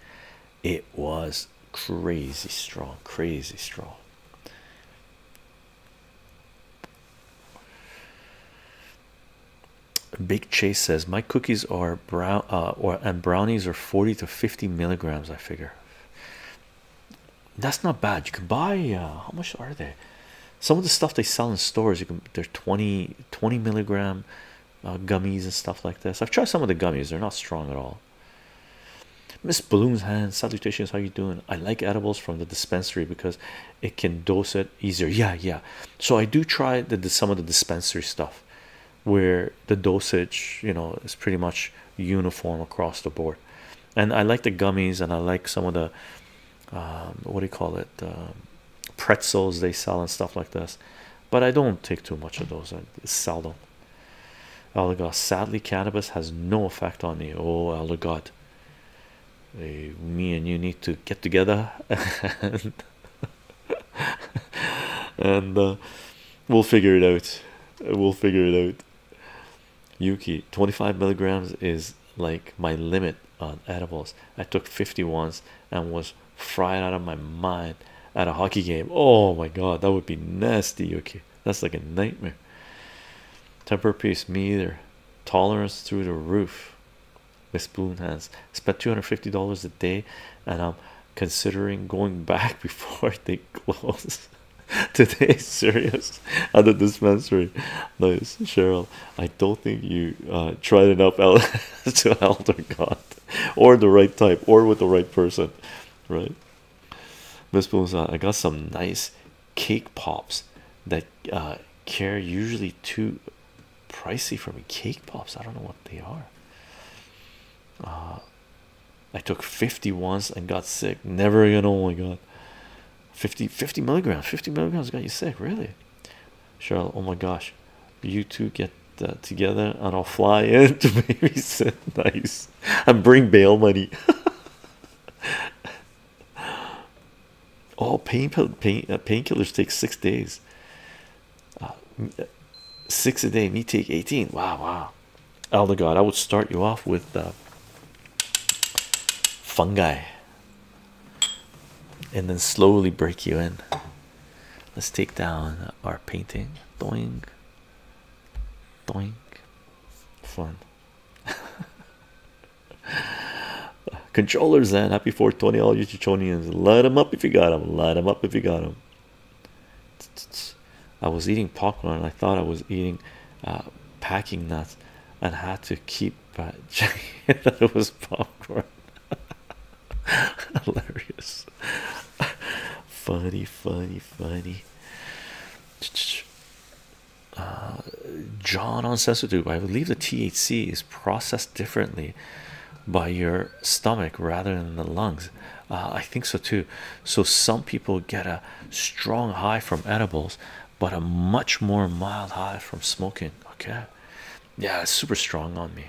it was crazy strong, crazy strong. Big Chase says my cookies are brown uh, and brownies are 40 to 50 milligrams. I figure that's not bad. You can buy uh, how much are they? Some of the stuff they sell in stores, you can they're 20 milligram uh, gummies and stuff like this. I've tried some of the gummies, they're not strong at all. Miss Bloom's hand, salutations, how you doing? I like edibles from the dispensary because it can dose it easier. Yeah, yeah. So I do try some of the dispensary stuff where the dosage, you know, is pretty much uniform across the board. And I like the gummies and I like some of the um, what do you call it? pretzels they sell and stuff like this, but I don't take too much of those. It's seldom. Elder sadly, cannabis has no effect on you. Oh, Elder God, hey, me and you need to get together and, uh, we'll figure it out. We'll figure it out. Yuki, 25 milligrams is like my limit on edibles. I took 50 once and was fried out of my mind at a hockey game. Oh my god, that would be nasty, Yuki. That's like a nightmare. Temper piece, me either. Tolerance through the roof. Miss spoon has spent $250 a day, and I'm considering going back before they close. Today, serious at the dispensary. Nice, Cheryl. I don't think you uh, tried enough el to elder God or the right type or with the right person, right? Miss Bones, uh, I got some nice cake pops that uh, care usually too pricey for me. Cake pops, I don't know what they are. Uh, I took 50 once and got sick. Never again. Oh my god, 50 milligrams, 50 milligrams got you sick, really. Cheryl, oh my gosh, you two get uh, together and I'll fly in to babysit. Nice. I'm bring bail money. oh, pain pain uh, painkillers take six days. Uh, six a day. Me take eighteen. Wow, wow. Elder God, I would start you off with uh, fungi, and then slowly break you in. Let's take down our painting. Doing Doink. Fun. Controllers then. happy 420 all you Chichonians. Light them up if you got them. Light them up if you got them. I was eating popcorn. I thought I was eating uh, packing nuts and had to keep uh, checking that it was popcorn. Hilarious funny, funny, funny. Uh, John on Sensitube, I believe the THC is processed differently by your stomach rather than the lungs. Uh, I think so too. So some people get a strong high from edibles, but a much more mild high from smoking. Okay, yeah, it's super strong on me.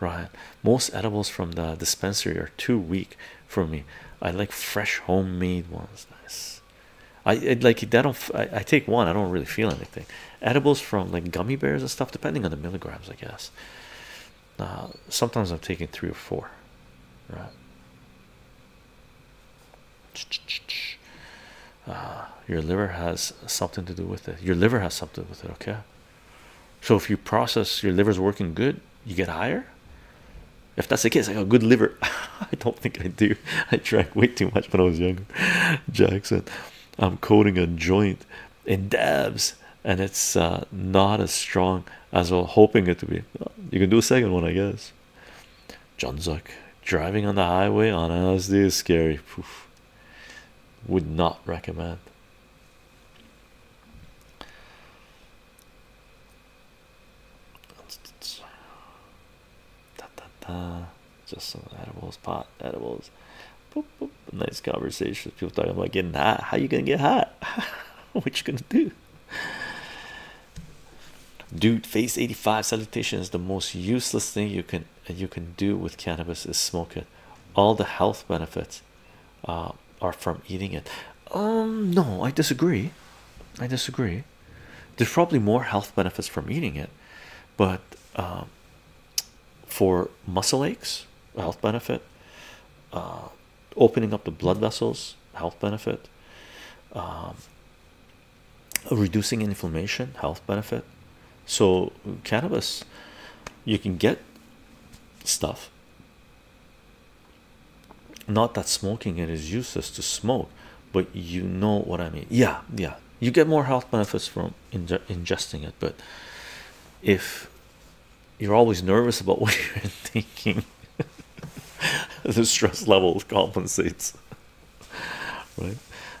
Right, most edibles from the dispensary are too weak for me. I like fresh homemade ones. Nice. I like that. I, take one? I don't really feel anything. Edibles from like gummy bears and stuff, depending on the milligrams, I guess. sometimes I'm taking three or four, right? Ah, your liver has something to do with it. Your liver has something with it, okay? So if you process, your liver's working good, you get higher? If that's the case, I got a good liver. I don't think I do. I drank way too much when I was younger. Jackson, I'm coating a joint in dabs, and it's uh, not as strong as I'm hoping it to be. You can do a second one, I guess. John Zuck, driving on the highway on LSD is scary. Poof. Would not recommend. Da, da, da. Just some edibles, pot edibles. Nice conversation people talking about getting hot. How you gonna get hot? what you gonna do? Dude, Phase 85 salutation is the most useless thing you can you can do with cannabis is smoke it. All the health benefits uh, are from eating it. Um, no, I disagree. I disagree. There's probably more health benefits from eating it, but um, for muscle aches, health benefit, uh, opening up the blood vessels, health benefit, um, reducing inflammation, health benefit. So, cannabis, you can get stuff not that smoking it is useless to smoke, but you know what I mean. Yeah, yeah. You get more health benefits from ingesting it, but if you're always nervous about what you're thinking, the stress levels compensates. Right?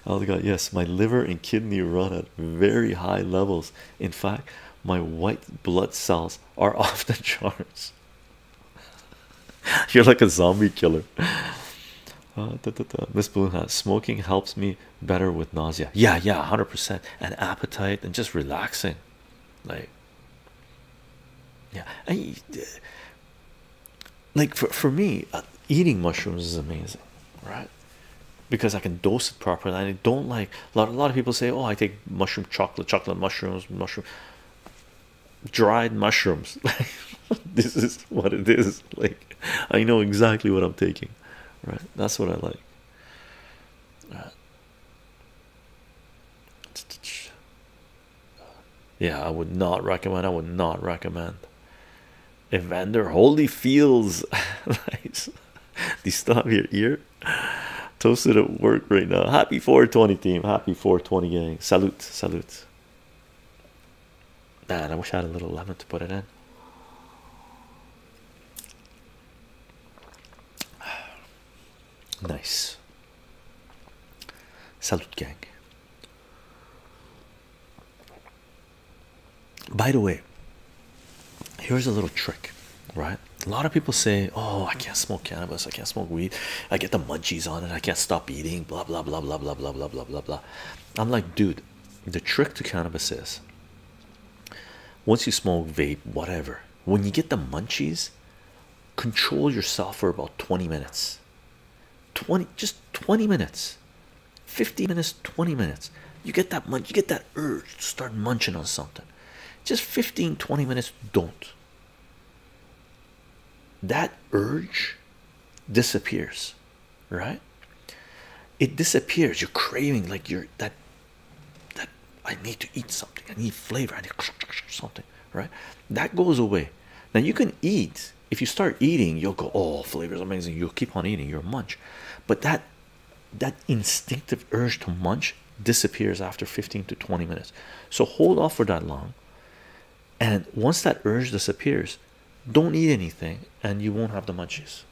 Oh my god, yes, my liver and kidney run at very high levels. In fact, my white blood cells are off the charts. You're like a zombie killer. Uh, Miss Blue Hat. Smoking helps me better with nausea. Yeah, yeah, hundred percent. And appetite and just relaxing, like yeah. I, like for for me, uh, eating mushrooms is amazing, right? Because I can dose it properly. And I don't like a lot, of people say oh i take mushroom chocolate chocolate mushrooms mushroom dried mushrooms this is what it is like i know exactly what i'm taking right that's what i like yeah i would not recommend i would not recommend evander holyfield's nice do you still have your ear Toasted at work right now. Happy 420 team. Happy 420 gang. Salute, salute. Man, I wish I had a little lemon to put it in. Nice. Salute, gang. By the way, here's a little trick, right? a lot of people say, Oh, I can't smoke cannabis, I can't smoke weed, I get the munchies on it, I can't stop eating, blah blah blah blah blah blah blah blah blah blah. I'm like, dude, the trick to cannabis is once you smoke vape, whatever, when you get the munchies, control yourself for about 20 minutes. 20 just 20 minutes, 50 minutes, 20 minutes. You get that munch, you get that urge to start munching on something. Just 15, 20 minutes, don't that urge disappears right it disappears you're craving like you're that that i need to eat something i need flavor i need something right that goes away now you can eat if you start eating you'll go oh flavor is amazing you'll keep on eating you munch but that that instinctive urge to munch disappears after 15 to 20 minutes. So hold off for that long. And once that urge disappears, don't eat anything and you won't have the munchies.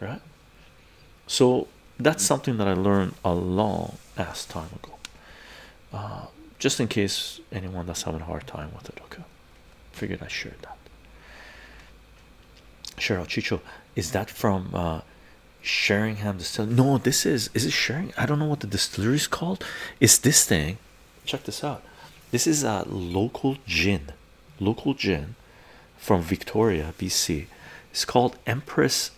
Right? So that's something that I learned a long ass time ago. Uh, just in case anyone that's having a hard time with it, okay? Figured I shared that. Cheryl Chicho, is that from uh, Sheringham distillery. No, this is is it Shering? I don't know what the distillery is called. It's this thing. Check this out. This is a local gin, local gin from Victoria, BC. It's called Empress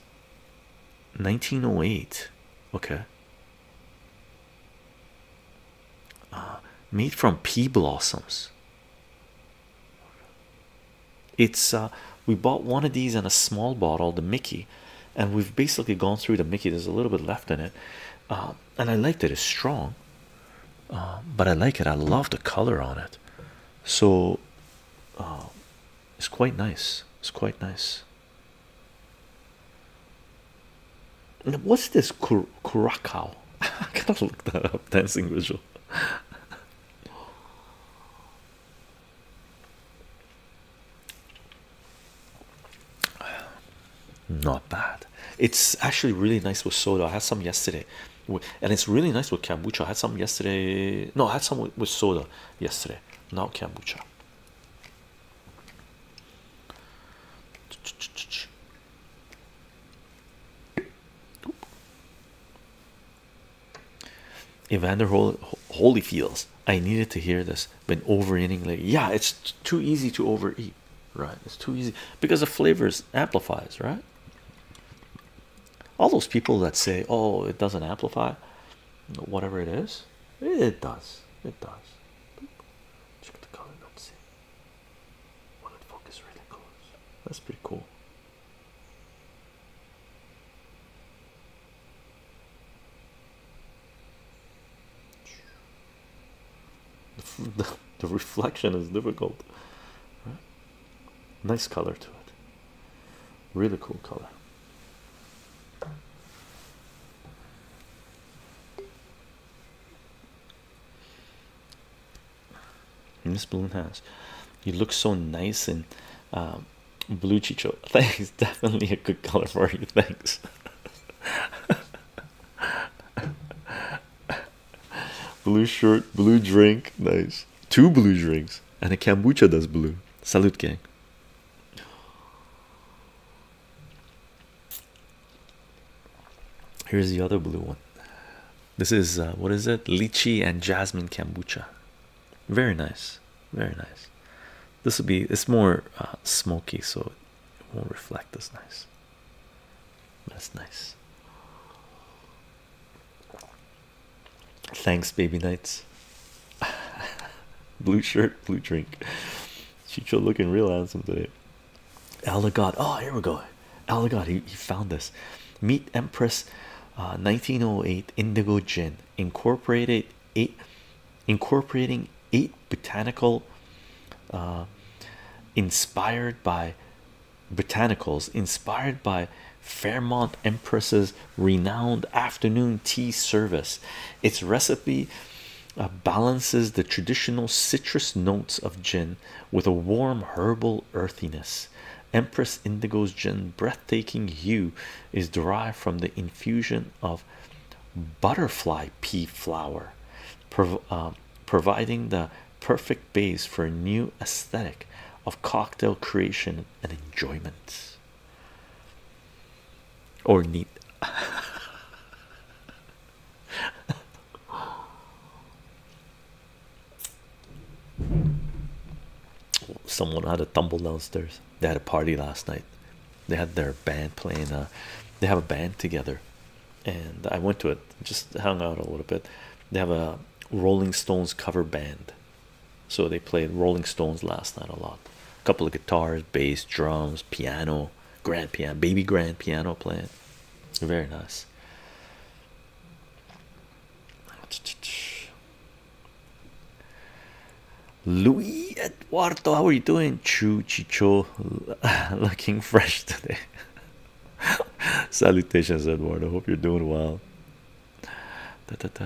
1908. Okay. Uh, made from pea blossoms. It's uh, we bought one of these in a small bottle, the Mickey, and we've basically gone through the Mickey. There's a little bit left in it, uh, and I liked it. It's strong, uh, but I like it. I love the color on it, so uh, it's quite nice. It's quite nice. What's this Cur I gotta look that up. Dancing visual. Not bad. It's actually really nice with soda. I had some yesterday, and it's really nice with kombucha. I had some yesterday. No, I had some with soda yesterday, not kombucha. Evander Hol Holyfields. I needed to hear this. Been overeating like Yeah, it's too easy to overeat, right? It's too easy because the flavors amplifies, right? All those people that say, "Oh, it doesn't amplify," whatever it is, it does. It does. Check the color. let see. Well, it focus really close. That's pretty cool. The, reflection is difficult. Nice color to it. Really cool color. Miss Balloon has. You look so nice and um, Blue Chicho, thanks. Definitely a good color for you. Thanks. blue shirt, blue drink. Nice. Two blue drinks and a kombucha does blue. Salute, gang. Here's the other blue one. This is uh, what is it? Lychee and jasmine kombucha. Very nice, very nice. This will be it's more uh, smoky, so it won't reflect as nice. That's nice. Thanks, baby knights. blue shirt, blue drink. She's looking real handsome today. Elagod. Oh, here we go. Elagod, he, he found this. Meet Empress 1908 uh, Indigo Gin incorporated eight incorporating eight botanical uh, inspired by botanicals inspired by Fairmont Empress's renowned afternoon tea service. Its recipe uh, balances the traditional citrus notes of gin with a warm herbal earthiness. Empress Indigo's gin breathtaking hue is derived from the infusion of butterfly pea flower, um, providing the perfect base for a new aesthetic of cocktail creation and enjoyment. Or need Someone had a tumble downstairs. They had a party last night. They had their band playing. Uh, they have a band together, and I went to it. Just hung out a little bit. They have a Rolling Stones cover band, so they played Rolling Stones last night a lot. A couple of guitars, bass, drums, piano, grand piano, baby grand piano playing. Very nice. Louis Eduardo, how are you doing? Chu Chicho, looking fresh today. Salutations, Eduardo. Hope you're doing well. Ta ta ta.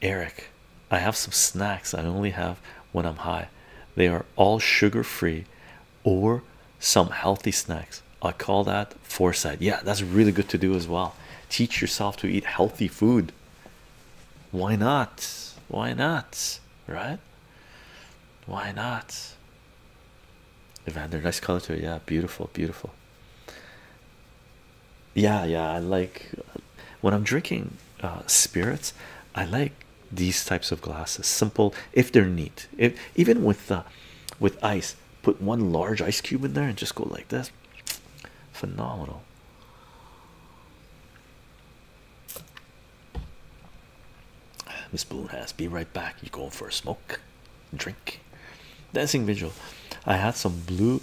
Eric, I have some snacks I only have when I'm high. They are all sugar free or some healthy snacks. I call that foresight. Yeah, that's really good to do as well. Teach yourself to eat healthy food. Why not? Why not? Right? Why not? They're nice color too. Yeah, beautiful, beautiful. Yeah, yeah. I like when I'm drinking uh, spirits. I like these types of glasses. Simple if they're neat. If even with uh, with ice, put one large ice cube in there, and just go like this. Phenomenal. Miss Boone has be right back. You going for a smoke, drink, dancing vigil. I had some blue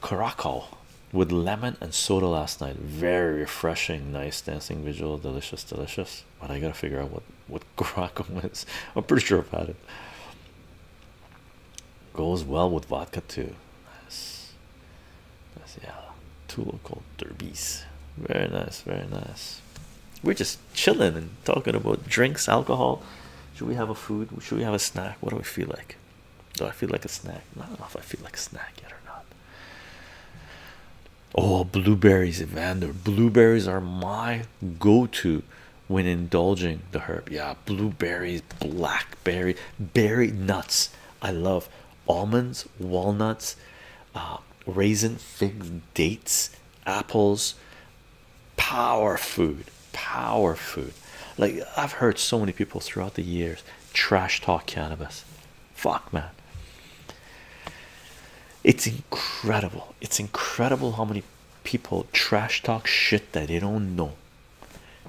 caracal with lemon and soda last night. Very refreshing, nice dancing vigil, delicious, delicious. But I gotta figure out what what caracal is. I'm pretty sure I've had it. Goes well with vodka too. Nice. That's yeah. Two local derbies. Very nice, very nice. We're just chilling and talking about drinks, alcohol. Should we have a food? Should we have a snack? What do we feel like? Do I feel like a snack? I don't know if I feel like a snack yet or not. Oh, blueberries, Evander. Blueberries are my go to when indulging the herb. Yeah, blueberries, blackberry, berry nuts. I love almonds, walnuts, uh, raisin, figs, dates, apples. Power food, power food. Like I've heard so many people throughout the years trash talk cannabis. Fuck, man. It's incredible. It's incredible how many people trash talk shit that they don't know,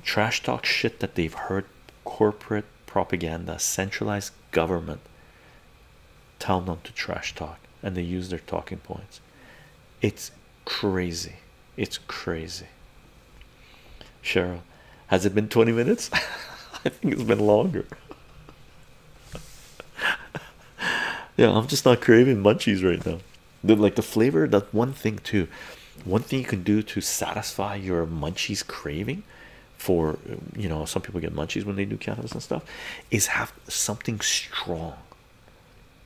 trash talk shit that they've heard corporate propaganda, centralized government tell them to trash talk, and they use their talking points. It's crazy, it's crazy. Cheryl, has it been 20 minutes? I think it's been longer. yeah, I'm just not craving munchies right now the like the flavor that one thing too one thing you can do to satisfy your munchies craving for you know some people get munchies when they do cannabis and stuff is have something strong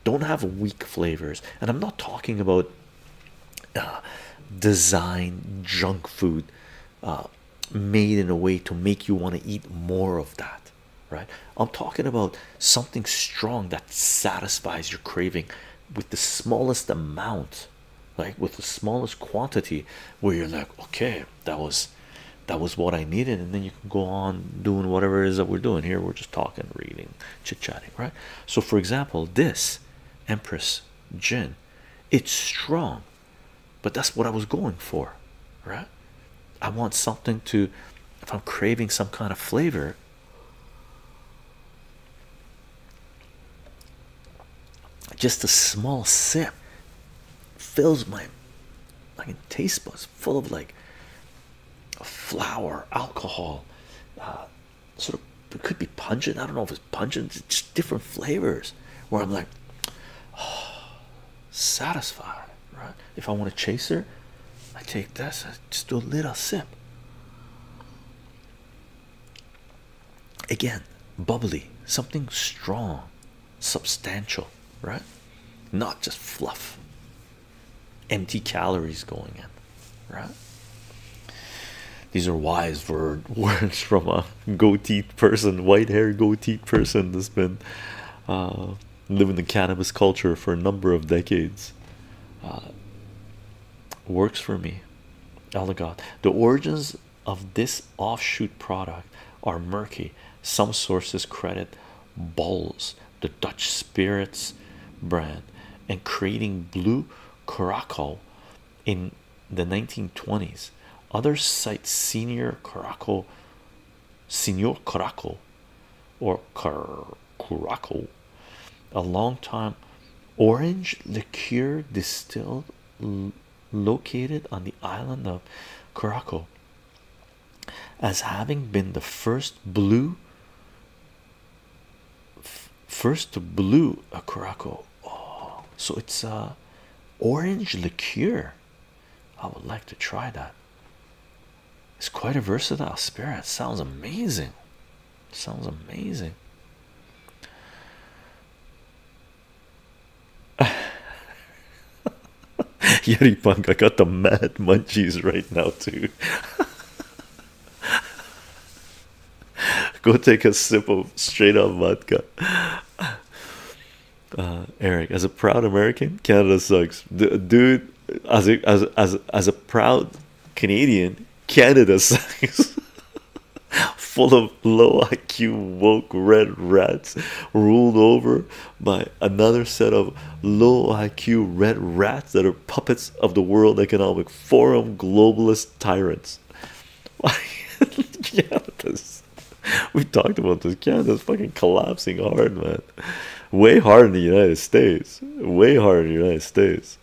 don't have weak flavors and i'm not talking about uh, design junk food uh, made in a way to make you want to eat more of that right? I'm talking about something strong that satisfies your craving with the smallest amount, like with the smallest quantity, where you're like, okay, that was that was what I needed, and then you can go on doing whatever it is that we're doing here. We're just talking, reading, chit-chatting, right? So, for example, this Empress Gin, it's strong, but that's what I was going for, right? I want something to if I'm craving some kind of flavor, just a small sip fills my taste buds full of like flour, alcohol, uh, sort of it could be pungent. I don't know if it's pungent, it's just different flavors where I'm like oh, satisfied, right? If I want a chaser, I take this just a little sip. Again, bubbly, something strong, substantial, right? Not just fluff, empty calories going in, right? These are wise words from a goatee person, white hair goatee person that's been uh, Living in the cannabis culture for a number of decades. Uh, works for me. Oh God. The origins of this offshoot product are murky. Some sources credit Balls, the Dutch spirits brand, and creating blue Caraco in the 1920s. Others cite senior Caraco, Senor Caraco, or Car Curaco, a long time orange liqueur distilled located on the island of Curaco, as having been the first blue first to blue a Curaco. Oh, so it's a orange liqueur. I would like to try that. It's quite a versatile spirit. Sounds amazing. Sounds amazing. Yeti Punk, I got the mad munchies right now, too. Go take a sip of straight up vodka. Uh, Eric, as a proud American, Canada sucks. dude, as a, as as as a proud Canadian, Canada sucks. Full of low IQ woke red rats, ruled over by another set of low IQ red rats that are puppets of the World Economic Forum globalist tyrants. Canada's, we talked about this. Canada's fucking collapsing hard, man. Way hard in the United States. Way hard in the United States.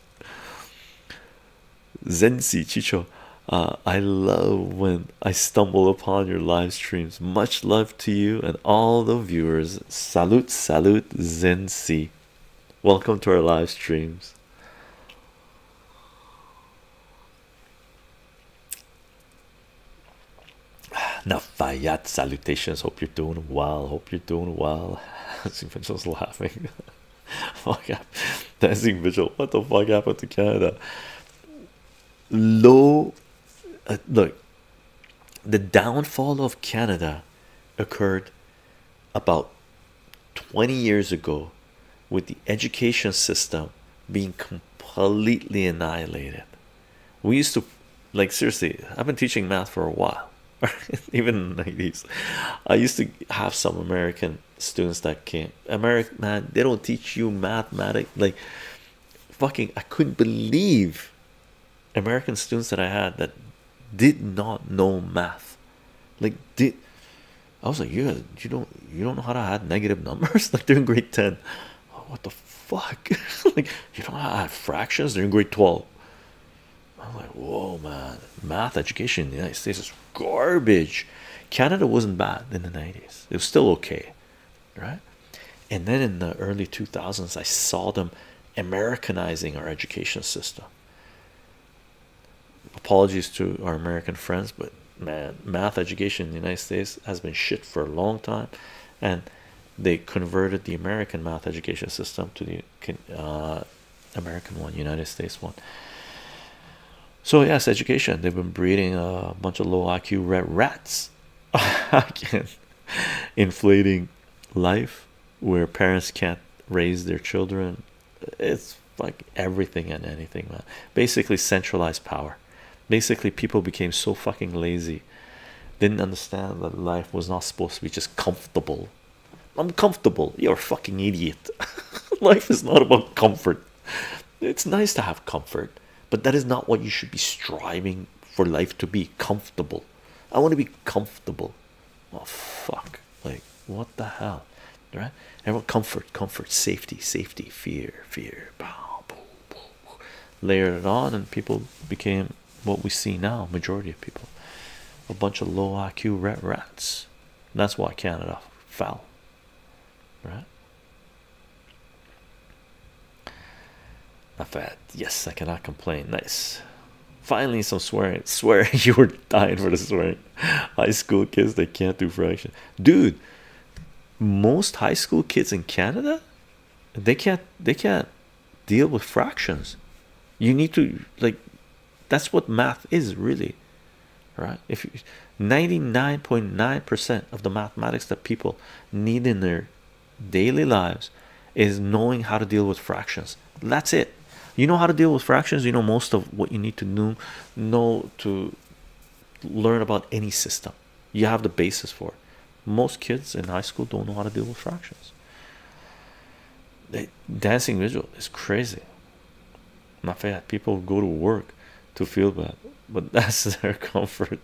Zensi Chicho, uh, I love when I stumble upon your live streams. Much love to you and all the viewers. Salute, salute, Zensi. Welcome to our live streams. Now, Rafayat salutations. Hope you're doing well. Hope you're doing well. Dancing Vigil's laughing. fuck up. Dancing Vigil. What the fuck happened to Canada? Low. Uh, look, the downfall of Canada occurred about 20 years ago with the education system being completely annihilated. We used to, like, seriously, I've been teaching math for a while. even in the 90s i used to have some american students that came american man they don't teach you mathematics like fucking i couldn't believe american students that i had that did not know math like did i was like you you don't you don't know how to add negative numbers like they're in grade 10 what the fuck like you don't know how to add fractions they're in grade 12 I'm like, whoa, man, math education in the United States is garbage. Canada wasn't bad in the 90s, it was still okay, right? And then in the early 2000s, I saw them Americanizing our education system. Apologies to our American friends, but man, math education in the United States has been shit for a long time, and they converted the American math education system to the uh, American one, United States one. So yes, education. They've been breeding a bunch of low IQ red rats, inflating life where parents can't raise their children. It's like everything and anything, man. Basically, centralized power. Basically, people became so fucking lazy, didn't understand that life was not supposed to be just comfortable I'm comfortable. You're a fucking idiot. Life is not about comfort. It's nice to have comfort, but that is not what you should be striving for life to be comfortable. I want to be comfortable. Oh fuck. Like what the hell? Right? Everyone comfort, comfort, safety, safety, fear, fear, boom, boom, boom. Layered it on and people became what we see now majority of people a bunch of low iq rat rats that's why canada fell right not bad yes i cannot complain nice finally some swearing swearing you were dying for the swearing high school kids they can't do fractions, dude most high school kids in canada they can't they can't deal with fractions you need to like that's what math is really right if you, 99.9 percent of the mathematics that people need in their daily lives is knowing how to deal with fractions that's it you know how to deal with fractions you know most of what you need to know to learn about any system you have the basis for most kids in high school don't know how to deal with fractions the dancing visual is crazy. My favorite people go to work to feel bad, but that's their comfort.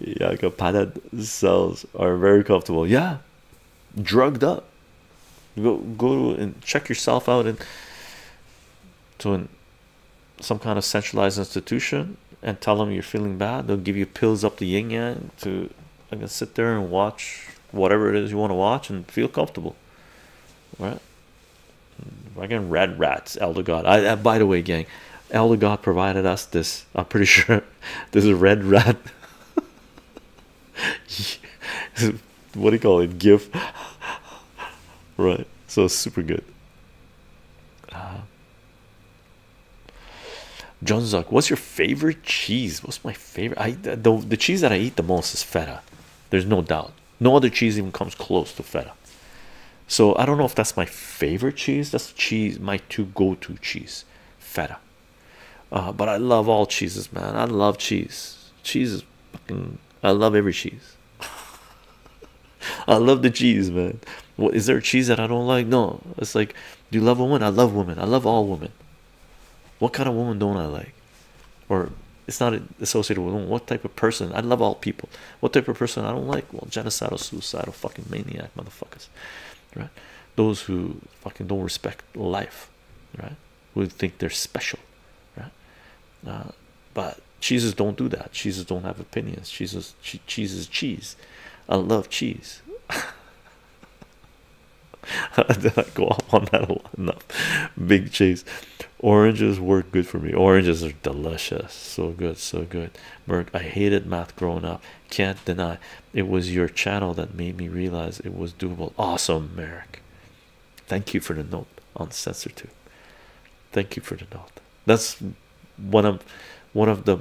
yeah, Capada uh, cells are very comfortable. Yeah, drugged up. Go go and check yourself out and to some kind of centralized institution and tell them you're feeling bad. They'll give you pills up the yin yang to I can sit there and watch whatever it is you want to watch and feel comfortable, right? I can red rats, Elder God. I, uh, by the way, gang, Elder God provided us this. I'm pretty sure this is red rat. what do you call it? GIF, right? So super good. Uh, John Zuck, what's your favorite cheese? What's my favorite? I the, the cheese that I eat the most is feta. There's no doubt. No other cheese even comes close to feta. So I don't know if that's my favorite cheese. That's cheese, my two go-to cheese, feta. Uh, but I love all cheeses, man. I love cheese. Cheese is fucking. I love every cheese. I love the cheese, man. What is there a cheese that I don't like? No, it's like, do you love a woman? I love women. I love all women. What kind of woman don't I like? Or it's not associated with What type of person? I love all people. What type of person I don't like? Well, genocidal, suicidal, fucking maniac motherfuckers, right? Those who fucking don't respect life, right? Who think they're special, right? Uh, but cheeses don't do that. Cheeses don't have opinions. Cheeses, che cheese. I love cheese. I Did not go up on that a lot enough? Big cheese. Oranges work good for me. Oranges are delicious. So good, so good. Merc, I hated math growing up. Can't deny it was your channel that made me realize it was doable. Awesome, Merrick. Thank you for the note on too. Thank you for the note. That's one of one of the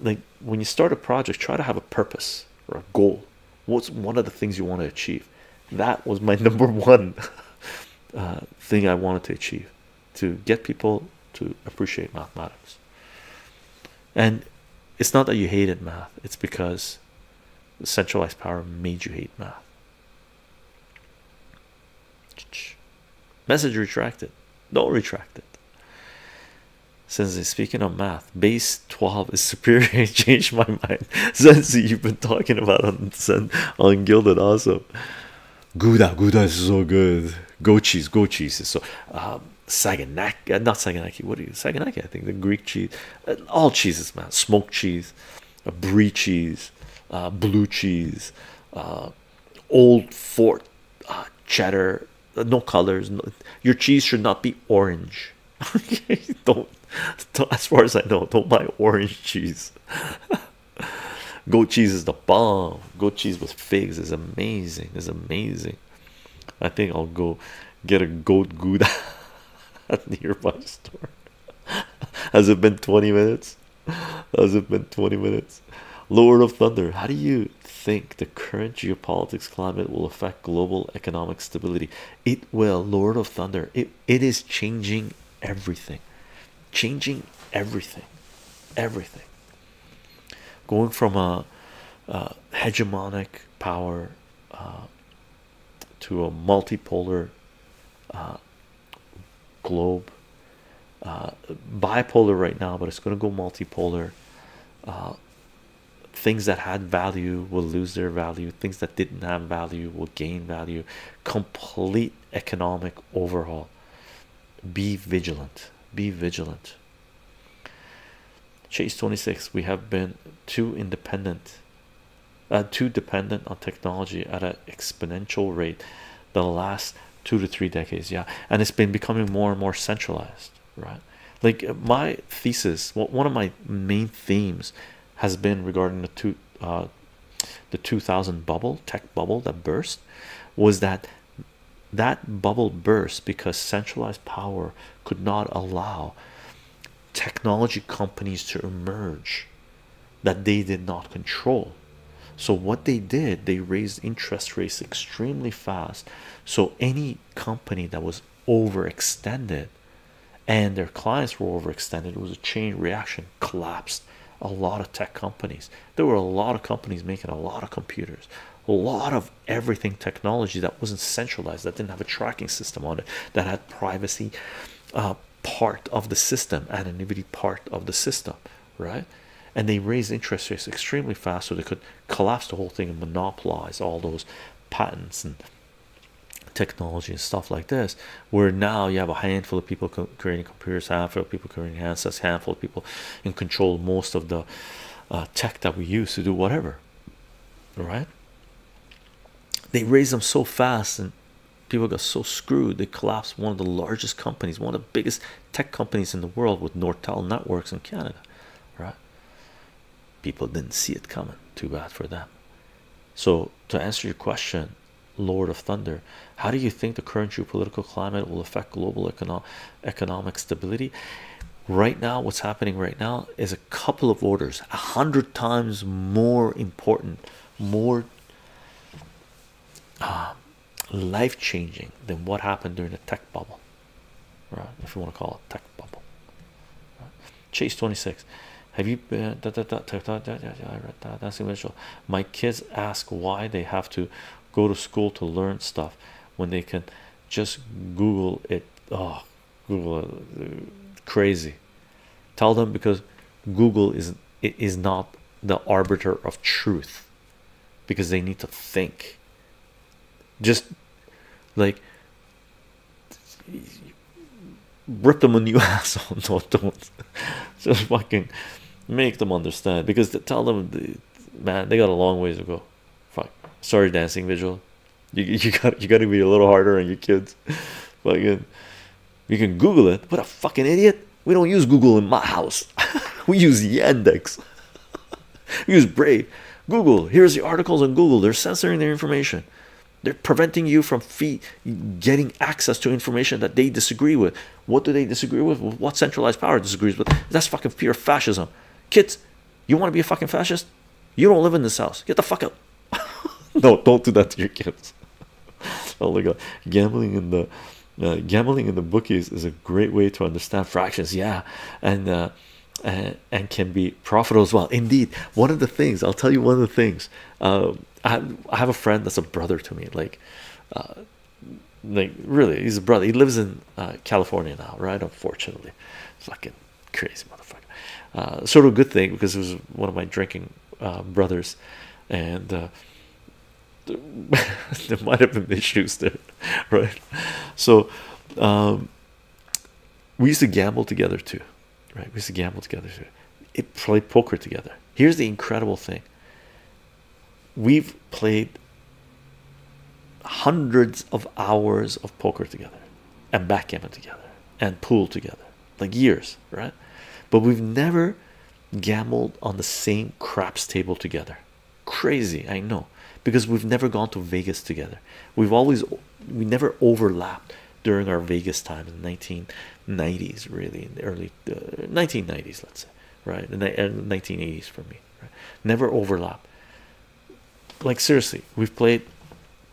like when you start a project, try to have a purpose or a goal. What's one of the things you want to achieve? That was my number one uh, thing I wanted to achieve to get people to appreciate mathematics. And it's not that you hated math, it's because the centralized power made you hate math. Message retracted. Don't retract it. Sensi, speaking of math, base 12 is superior. It changed my mind. Sensi, you've been talking about on, on Gilded. Awesome. Gouda, Gouda is so good. Go cheese, go cheese is so. Um, Saganaki, uh, not Saganaki, What is Saganaki, I think. The Greek cheese. Uh, all cheeses, man. Smoked cheese, brie cheese, uh, blue cheese, old fort cheddar. No colors. your cheese should not be orange. orange. don't, as far as I know, don't buy orange cheese. Goat cheese is the bomb. Goat cheese with figs is amazing. Is amazing. I think I'll go get a goat gouda at nearby store. Has it been 20 minutes? Has it been 20 minutes? Lord of Thunder, how do you think the current geopolitics climate will affect global economic stability? It will, Lord of Thunder. It it is changing everything, changing everything, everything. Going from a, hegemonic power uh, to a multipolar uh, globe, uh, bipolar right now, but it's going to go multipolar things that had value will lose their value things that didn't have value will gain value complete economic overhaul be vigilant be vigilant chase 26 we have been too independent uh, too dependent on technology at an exponential rate the last two to three decades yeah and it's been becoming more and more centralized right like uh, my thesis one of my main themes has been regarding the two uh, the 2000 bubble tech bubble that burst was that that bubble burst because centralized power could not allow technology companies to emerge that they did not control so what they did they raised interest rates extremely fast so any company that was overextended and their clients were overextended it was a chain reaction collapsed a lot of tech companies there were a lot of companies making a lot of computers a lot of everything technology that wasn't centralized that didn't have a tracking system on it that had privacy uh, part of the system anonymity part of the system right and they raised interest rates extremely fast so they could collapse the whole thing and monopolize all those patents and technology and stuff like this where now you have a handful of people creating computers handful of people creating handsets handful of people in control most of the uh, tech that we use to do whatever right they raise them so fast and people got so screwed they collapsed one of the largest companies one of the biggest tech companies in the world with nortel networks in canada right people didn't see it coming. Too bad for them. So, to answer your question, Lord of Thunder, how do you think the current geopolitical climate will affect global economic stability? Right now, what's happening right now is a couple of orders, a hundred times more important, more um, life changing than what happened during the tech bubble right? If you want to call it tech bubble. Right? Chase 26. Have you been that that that I read that that's eventual. My kids ask why they have to go to school to learn stuff when they can just Google it. Oh, Google it. Uh, crazy. Tell them because Google is it is not the arbiter of truth because they need to think just like rip them a new asshole. No, don't just fucking make them understand because tell them, man, they got a long ways to go. Fuck, sorry, dancing visual. You you got you got to be a little harder on your kids. Fucking, you can Google it. What a fucking idiot! We don't use Google in my house. we use Yandex. Use brave. Google, here's the articles on Google. They're censoring their information. They're preventing you from getting access to information that they disagree with. What do they disagree with? What centralized power disagrees with? That's fucking pure fascism. Kids, you want to be a fucking fascist? You don't live in this house. Get the fuck out. no, don't do that to your kids. oh my god, gambling in the uh, gambling in the bookies is a great way to understand fractions. Yeah, and uh, and can be profitable as well. Indeed, one of the things I'll tell you one of the things um, I, have, a friend that's a brother to me, like, uh, like really, he's a brother. He lives in uh, California now, right? Unfortunately, fucking crazy motherfucker. Uh, sort of a good thing because it was one of my drinking brothers, and. there might have been issues there, right? So, um, we used to gamble together too, right? We used to gamble together too. It played poker together. Here's the incredible thing we've played hundreds of hours of poker together and backgammon together and pool together like years right but we've never gambled on the same craps table together crazy i know because we've never gone to vegas together we've always we never overlapped during our Vegas time in the 1990s, really in the early 1990s, uh, let's say, right? And the 1980s uh, for me, never overlap. Like seriously, we've played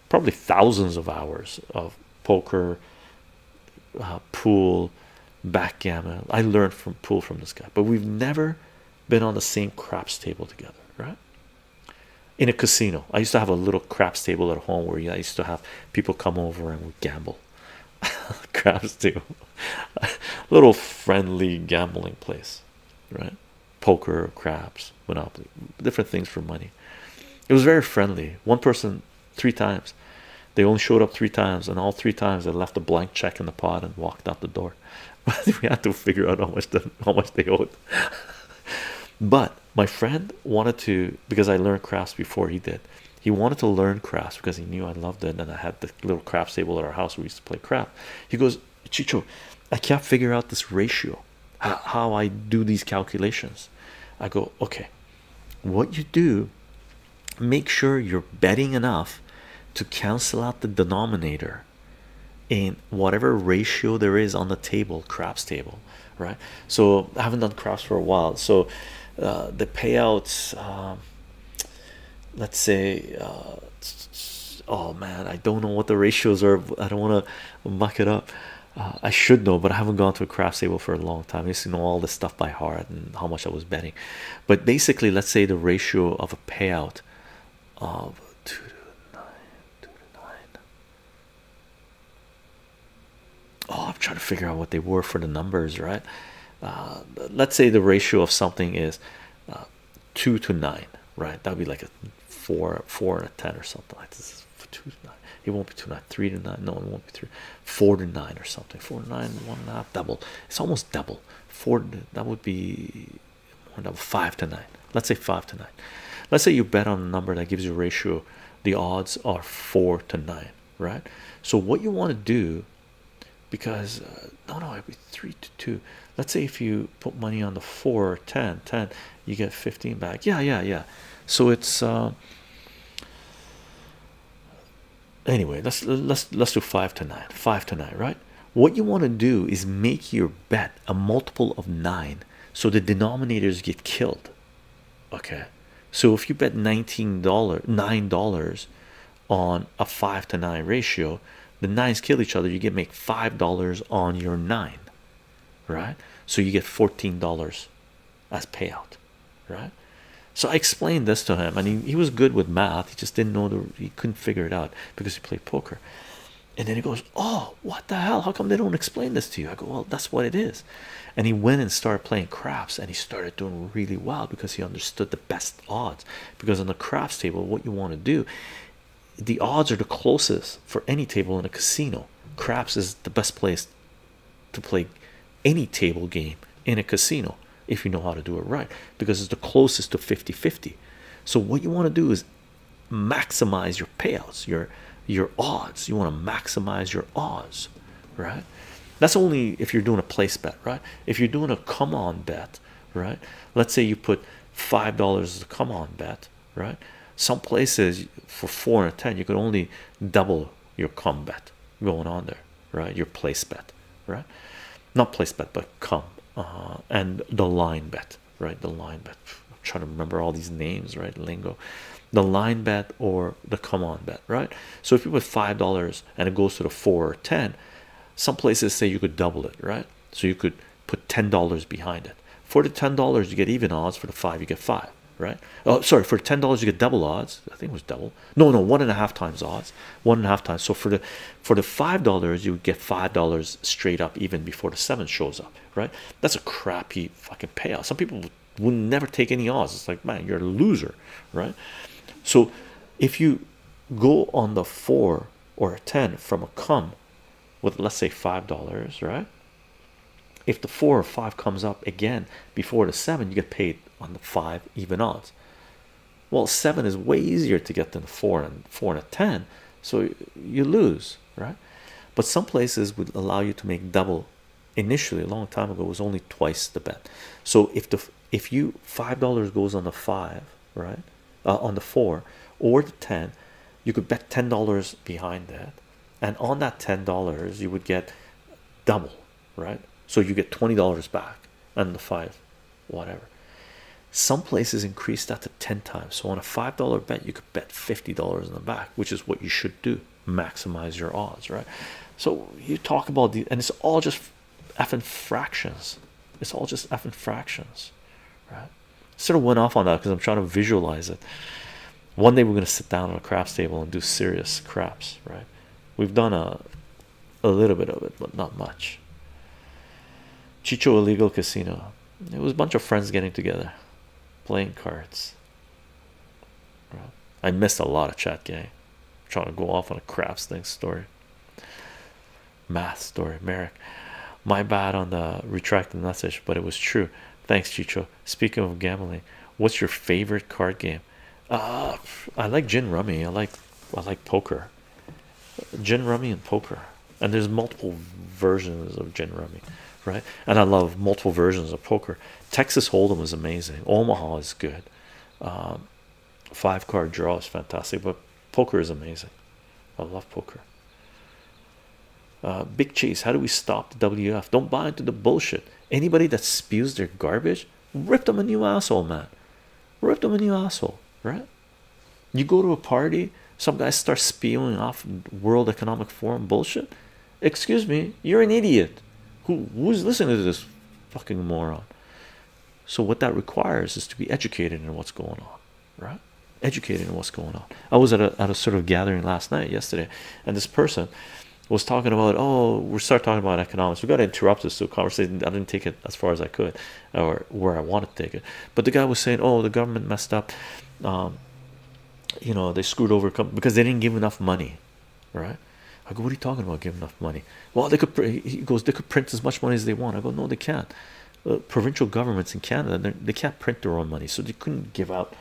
probably thousands of hours of poker, uh, pool, backgammon. I learned from pool from this guy, but we've never been on the same craps table together, right? in a casino. I used to have a little craps table at home where I used to have people come over and we gamble. craps table, little friendly gambling place, right? Poker, craps, monopoly, different things for money. It was very friendly. One person three times. They only showed up three times, and all three times they left a blank check in the pot and walked out the door. we had to figure out how much how much they owed but my friend wanted to because I learned crafts before he did. He wanted to learn crafts because he knew I loved it and I had the little craft table at our house. We used to play craft. He goes, Chicho, I can't figure out this ratio, how I do these calculations. I go, okay, what you do, make sure you're betting enough to cancel out the denominator in whatever ratio there is on the table craps table right so i haven't done craps for a while so uh, the payouts um, let's say uh, oh man i don't know what the ratios are i don't want to muck it up uh, i should know but i haven't gone to a craps table for a long time i used to know all the stuff by heart and how much i was betting but basically let's say the ratio of a payout of two to nine Oh, I'm trying to figure out what they were for the numbers, right? Uh, let's say the ratio of something is uh, two to nine, right? That'd be like a four, four and a ten or something like this. Two to nine. It won't be two to nine, three to nine. No, it won't be three, four to nine or something. Four to nine, one and a half, double. It's almost double. Four. That would be five to nine. Let's say five to nine. Let's say you bet on a number that gives you a ratio, the odds are four to nine, right? So, what you want to do because uh, no, no, it'd be three to two. Let's say if you put money on the four 10, 10, you get 15 back. Yeah, yeah, yeah. So, it's uh, anyway let's let's let's do five to nine five to nine right what you want to do is make your bet a multiple of nine so the denominators get killed okay so if you bet 19 dollar nine dollars on a five to nine ratio the nines kill each other you get make five dollars on your nine right so you get 14 dollars as payout right so i explained this to him and he, he was good with math he just didn't know the he couldn't figure it out because he played poker and then he goes oh what the hell how come they don't explain this to you i go well that's what it is and he went and started playing craps and he started doing really well because he understood the best odds because on the craps table what you want to do the odds are the closest for any table in a casino craps is the best place to play any table game in a casino if you know how to do it right because it's the closest to 50 50 so what you want to do is maximize your payouts, your your odds. You want to maximize your odds, right? That's only if you're doing a place bet, right? If you're doing a come on bet, right? Let's say you put five dollars to come on bet, right? Some places for four and ten, you could only double your come bet going on there, right? Your place bet, right? Not place bet, but come uh, and the line bet right? The line bet. I'm trying to remember all these names, right? Lingo, the line bet or the come on bet, right? So if you put five dollars and it goes to the four or ten, some places say you could double it, right? So you could put ten dollars behind it. For the ten dollars, you get even odds. For the five, you get five, right? Oh, sorry, for ten dollars, you get double odds. I think it was double. No, no, one and a half times odds. One and a half times. So for the for the five dollars, you would get five dollars straight up, even before the seven shows up, right? That's a crappy the fucking payout. Some people will never take any odds. It's like, man, you're a loser, right? So if you go on the four or a ten from a come with let's say five dollars, right? If the four or five comes up again before the seven, you get paid on the five even odds. Well, seven is way easier to get than four and four and a ten, so you lose right but some places would allow you to make double initially a long time ago was only twice the bet so if the if you five dollars goes on the five right uh, on the four or the ten you could bet ten dollars behind that and on that ten dollars you would get double right so you get twenty dollars back and the five whatever some places increase that 10 times. So on a $5 bet, you could bet $50 in the back, which is what you should do. Maximize your odds, right? So you talk about the and it's all just effing fractions. It's all just effing fractions, right? Sort of went off on that because I'm trying to visualize it. One day we're gonna sit down at a craps table and do serious craps, right? We've done a a little bit of it, but not much. Chico illegal casino. It was a bunch of friends getting together playing cards. I missed a lot of chat gang. trying to go off on a craps thing story. Math story, Merrick. My bad on the retracting message, but it was true. Thanks, Chicho. Speaking of gambling, what's your favorite card game? Uh I like gin rummy. I like I like poker. Gin rummy and poker. And there's multiple versions of gin rummy right? And I love multiple versions of poker. Texas Hold'em is amazing. Omaha is good. Um, five card draw is fantastic, but poker is amazing. I love poker. Uh, Big Chase, how do we stop the WF? Don't buy into the bullshit. Anybody that spews their garbage, rip them a new asshole, man. Rip them a new asshole, right? You go to a party, some guy starts spewing off World Economic Forum bullshit excuse me you're an idiot who who's listening to this fucking moron so what that requires is to be educated in what's going on right educated in what's going on i was at a, at a sort of gathering last night yesterday and this person was talking about oh we start talking about economics we got to interrupt this conversation i didn't take it as far as i could or where i wanted to take it but the guy was saying oh the government messed up um you know they screwed over because they didn't give enough money right i go what are you talking about Give enough money well they could he goes they could print as much money as they want i go no they can't uh, provincial governments in canada they can't print their own money so they couldn't give out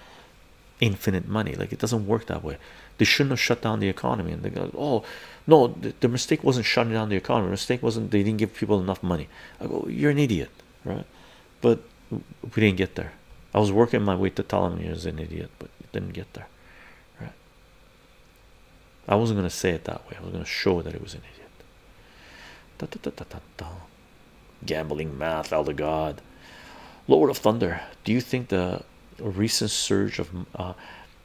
infinite money like it doesn't work that way they shouldn't have shut down the economy and they go oh no the mistake wasn't shutting down the economy the mistake wasn't they didn't give people enough money i go you're an idiot right but we didn't get there. I was working my way to Ptolemy as an idiot, but it didn't get there. Right? I wasn't gonna say it that way. I was gonna show that it was an idiot. Da, da, da, da, da. Gambling math, elder god. Lord of Thunder, do you think the recent surge of uh,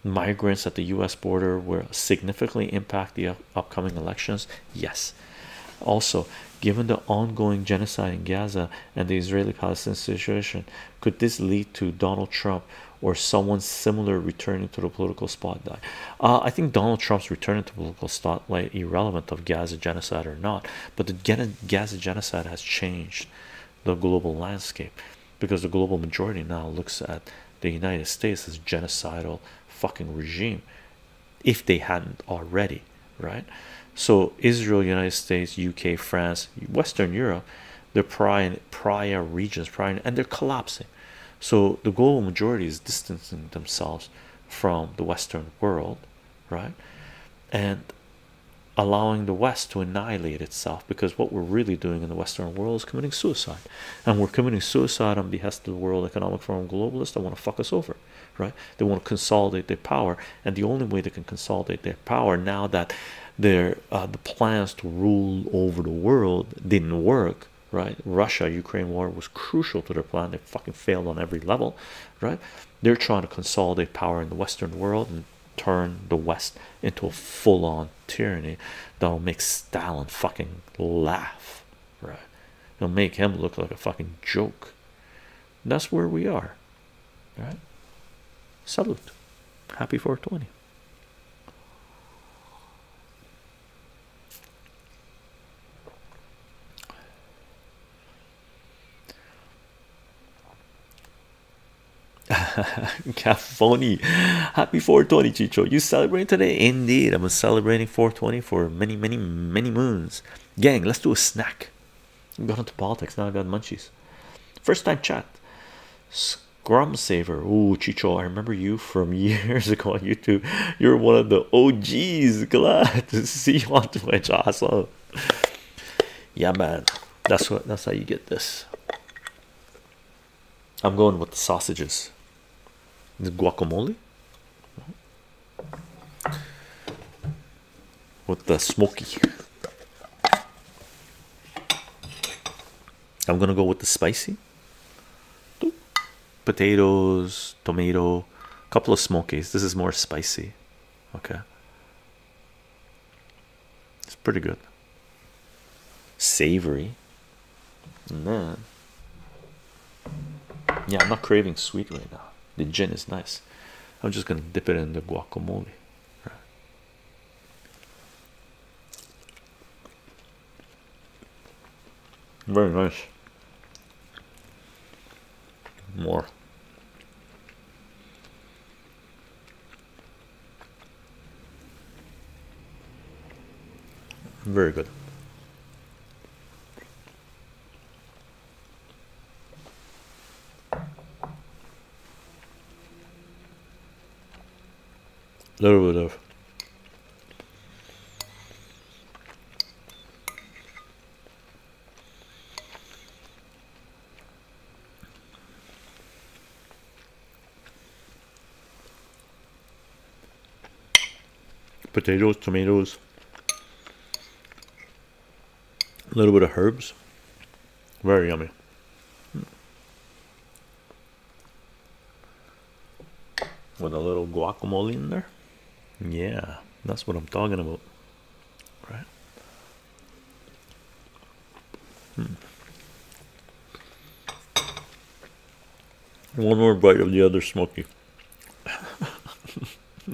migrants at the U.S. border will significantly impact the upcoming elections? Yes also given the ongoing genocide in gaza and the israeli-palestinian situation could this lead to donald trump or someone similar returning to the political spotlight uh, i think donald trump's return to political spotlight irrelevant of gaza genocide or not but the gaza genocide has changed the global landscape because the global majority now looks at the united states as genocidal fucking regime if they hadn't already, right? So Israel, United States, UK, France, Western Europe, the are prior prior regions, prior and they're collapsing. So the global majority is distancing themselves from the Western world, right? And allowing the West to annihilate itself because what we're really doing in the Western world is committing suicide. And we're committing suicide on behalf of the World Economic Forum globalists that want to fuck us over right they want to consolidate their power and the only way they can consolidate their power now that their uh, the plans to rule over the world didn't work right russia ukraine war was crucial to their plan they fucking failed on every level right they're trying to consolidate power in the western world and turn the west into a full-on tyranny that'll make stalin fucking laugh right it'll make him look like a fucking joke that's where we are. Right? Salute. Happy 420. Cafoni, happy 420, Chicho. You celebrating today? Indeed, I'm celebrating 420 for many, many, many moons. Gang, let's do a snack. Got into politics now. I got munchies. First time chat. Scrum Saver. Oh, Chicho, I remember you from years ago on YouTube. You're one of the OGs. Glad to see you on Twitch. Awesome. Yeah, man. That's what. That's how you get this. I'm going with the sausages. The guacamole with the smoky. I'm gonna go with the spicy potatoes, tomato, a couple of smokies. This is more spicy. Okay, it's pretty good, savory, and then yeah, I'm not craving sweet right now. The gin is nice. I'm just gonna dip it in the guacamole. Very nice. More. Very good little bit of potatoes, tomatoes, a little bit of herbs. Very yummy. With a little guacamole in there. Yeah, that's what I'm talking about. Right? Hmm. One more bite of the other smoky.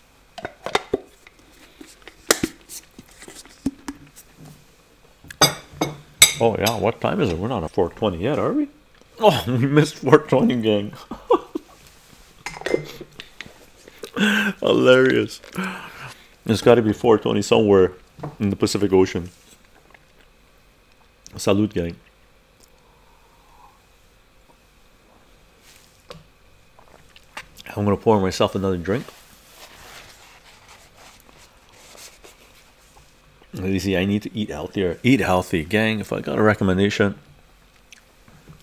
Oh yeah, what time is it? We're not at 420 yet, are we? Oh, we missed 420 gang. Hilarious. It's got to be 420 somewhere in the Pacific Ocean. Salute gang. I'm going to pour myself another drink. Easy, I need to eat healthier. Eat healthy, gang. If I got a recommendation,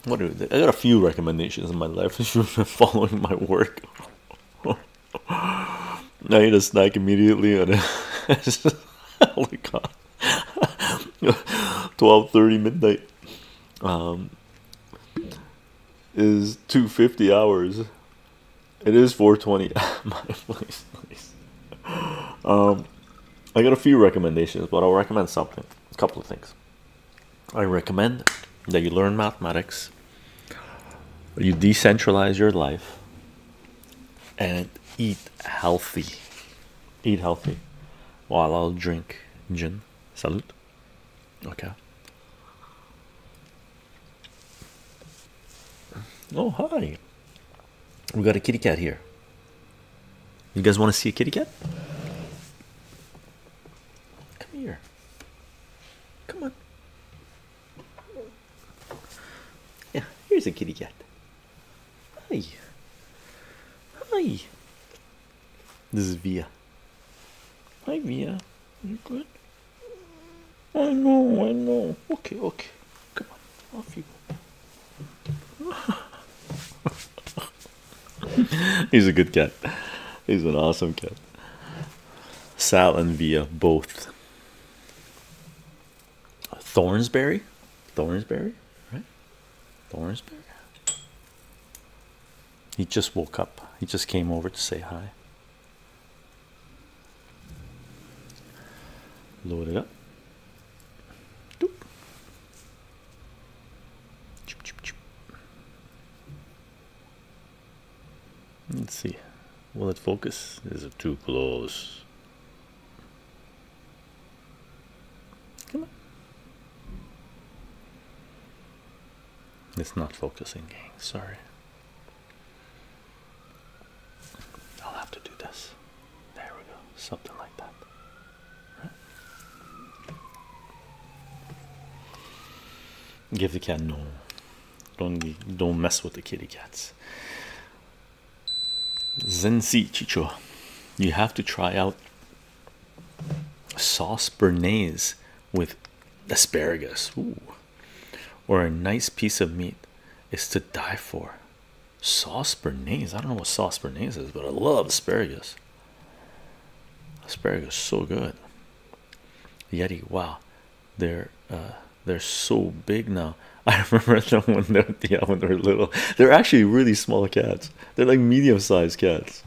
what are they? I got a few recommendations in my life following my work. I ate a snack immediately and oh god. 12 midnight. Um is 250 hours. It is 420. My place, Um, I got a few recommendations, but I'll recommend something. A couple of things. I recommend that you learn mathematics. You decentralize your life and eat healthy. Eat healthy. While I'll drink gin. Salute. Okay. Oh, hi. We got a kitty cat here. You guys want to see a kitty cat? Come here. Come on. Yeah, here's a kitty cat. Hi. Hi. This is Via. Hi Via, you good? I know, I know. Okay, okay. Come on, off you go. He's a good cat. He's an awesome cat. Sal and Via both. Thornsberry? Thornsberry? Right? Thornsberry? He just woke up. He just came over to say hi. Load it up. Doop. Choop, choop, choop. Let's see. Will it focus? Is it too close? Come on. It's not focusing, gang. Sorry. I'll have to do this. There we go. Something like that. Give the cat no. Don't don't mess with the kitty cats. Zensi Chicho, you have to try out sauce bernaise with asparagus Ooh. or a nice piece of meat is to die for. Sauce bernaise. I don't know what sauce bernaise is, but I love asparagus. Asparagus so good. Yeti, wow, they're uh, they're so big now. I remember them when they when they were little. They're actually really small cats. They're like medium-sized cats.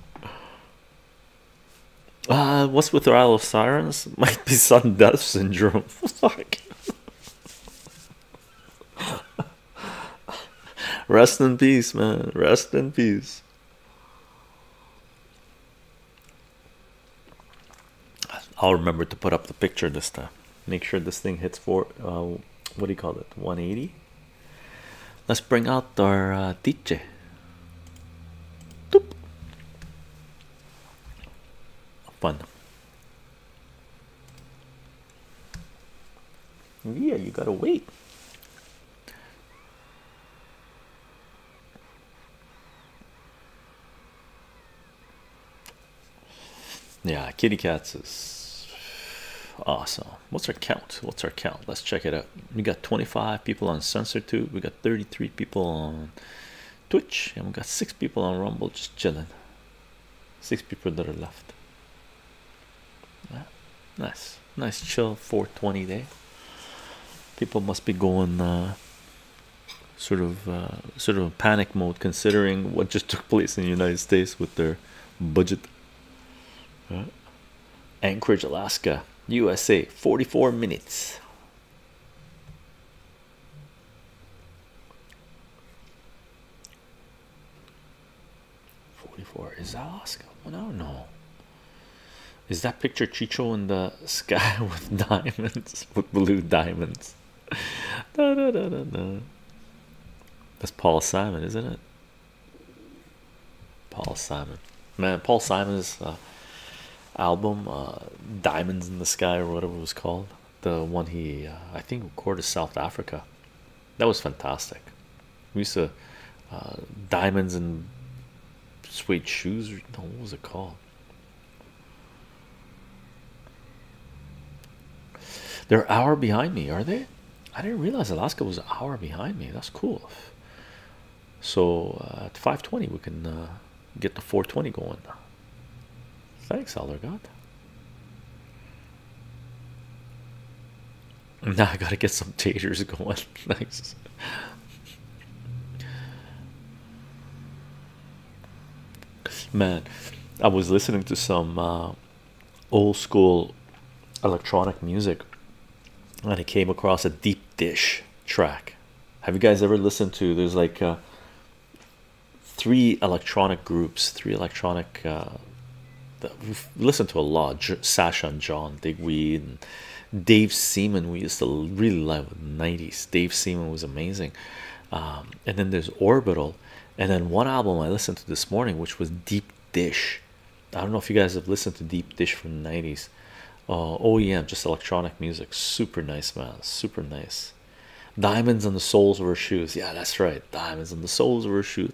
Uh, what's with the Isle of Sirens? Might be sudden death syndrome. Rest in peace, man. Rest in peace. I'll remember to put up the picture this time. Make sure this thing hits for uh, what do you call it? 180. Let's bring up got our DJ. Doop. Fun. Yeah, you gotta wait. Yeah, kitty cats is awesome. What's our count? What's our count? Let's check it out we got 25 people on SensorTube, we got 33 people on Twitch, and we got six people on Rumble just chilling. Six people that are left. Nice, nice chill 420 day. People must be going uh, sort of uh, sort of panic mode considering what just took place in the United States with their budget. Anchorage, Alaska, USA, 44 minutes. 44 is that Oscar? No, no. Is that picture Chicho in the sky with diamonds with blue diamonds? da, da, da, da, da. That's Paul Simon, isn't it? Paul Simon, man, Paul Simon's uh, album, uh, Diamonds in the Sky, or whatever it was called, the one he, uh, I think, recorded South Africa. That was fantastic. We used to, Diamonds and Sweet Shoes, no, what was it called? They're hour behind me, are they? I didn't realize Alaska was an hour behind me. That's cool. So uh, at 520, we can uh, get the 420 going. Thanks, Allergod. Now I gotta get some taters going. Thanks. Man, I was listening to some uh, old school electronic music and I came across a deep dish track have you guys ever listened to there's like uh, three electronic groups, three electronic uh, we've listened to a lot Sasha and John Digweed Dave Seaman. We used to really love the 90s. Dave Seaman was amazing. Um, and then there's Orbital, and then one album I listened to this morning, which was Deep Dish. I don't know if you guys have listened to Deep Dish from the 90s nice uh, OEM, just electronic music. Super nice, man. Super nice. Diamonds on the soles of her shoes. Yeah, that's right. Diamonds on the soles of her shoes.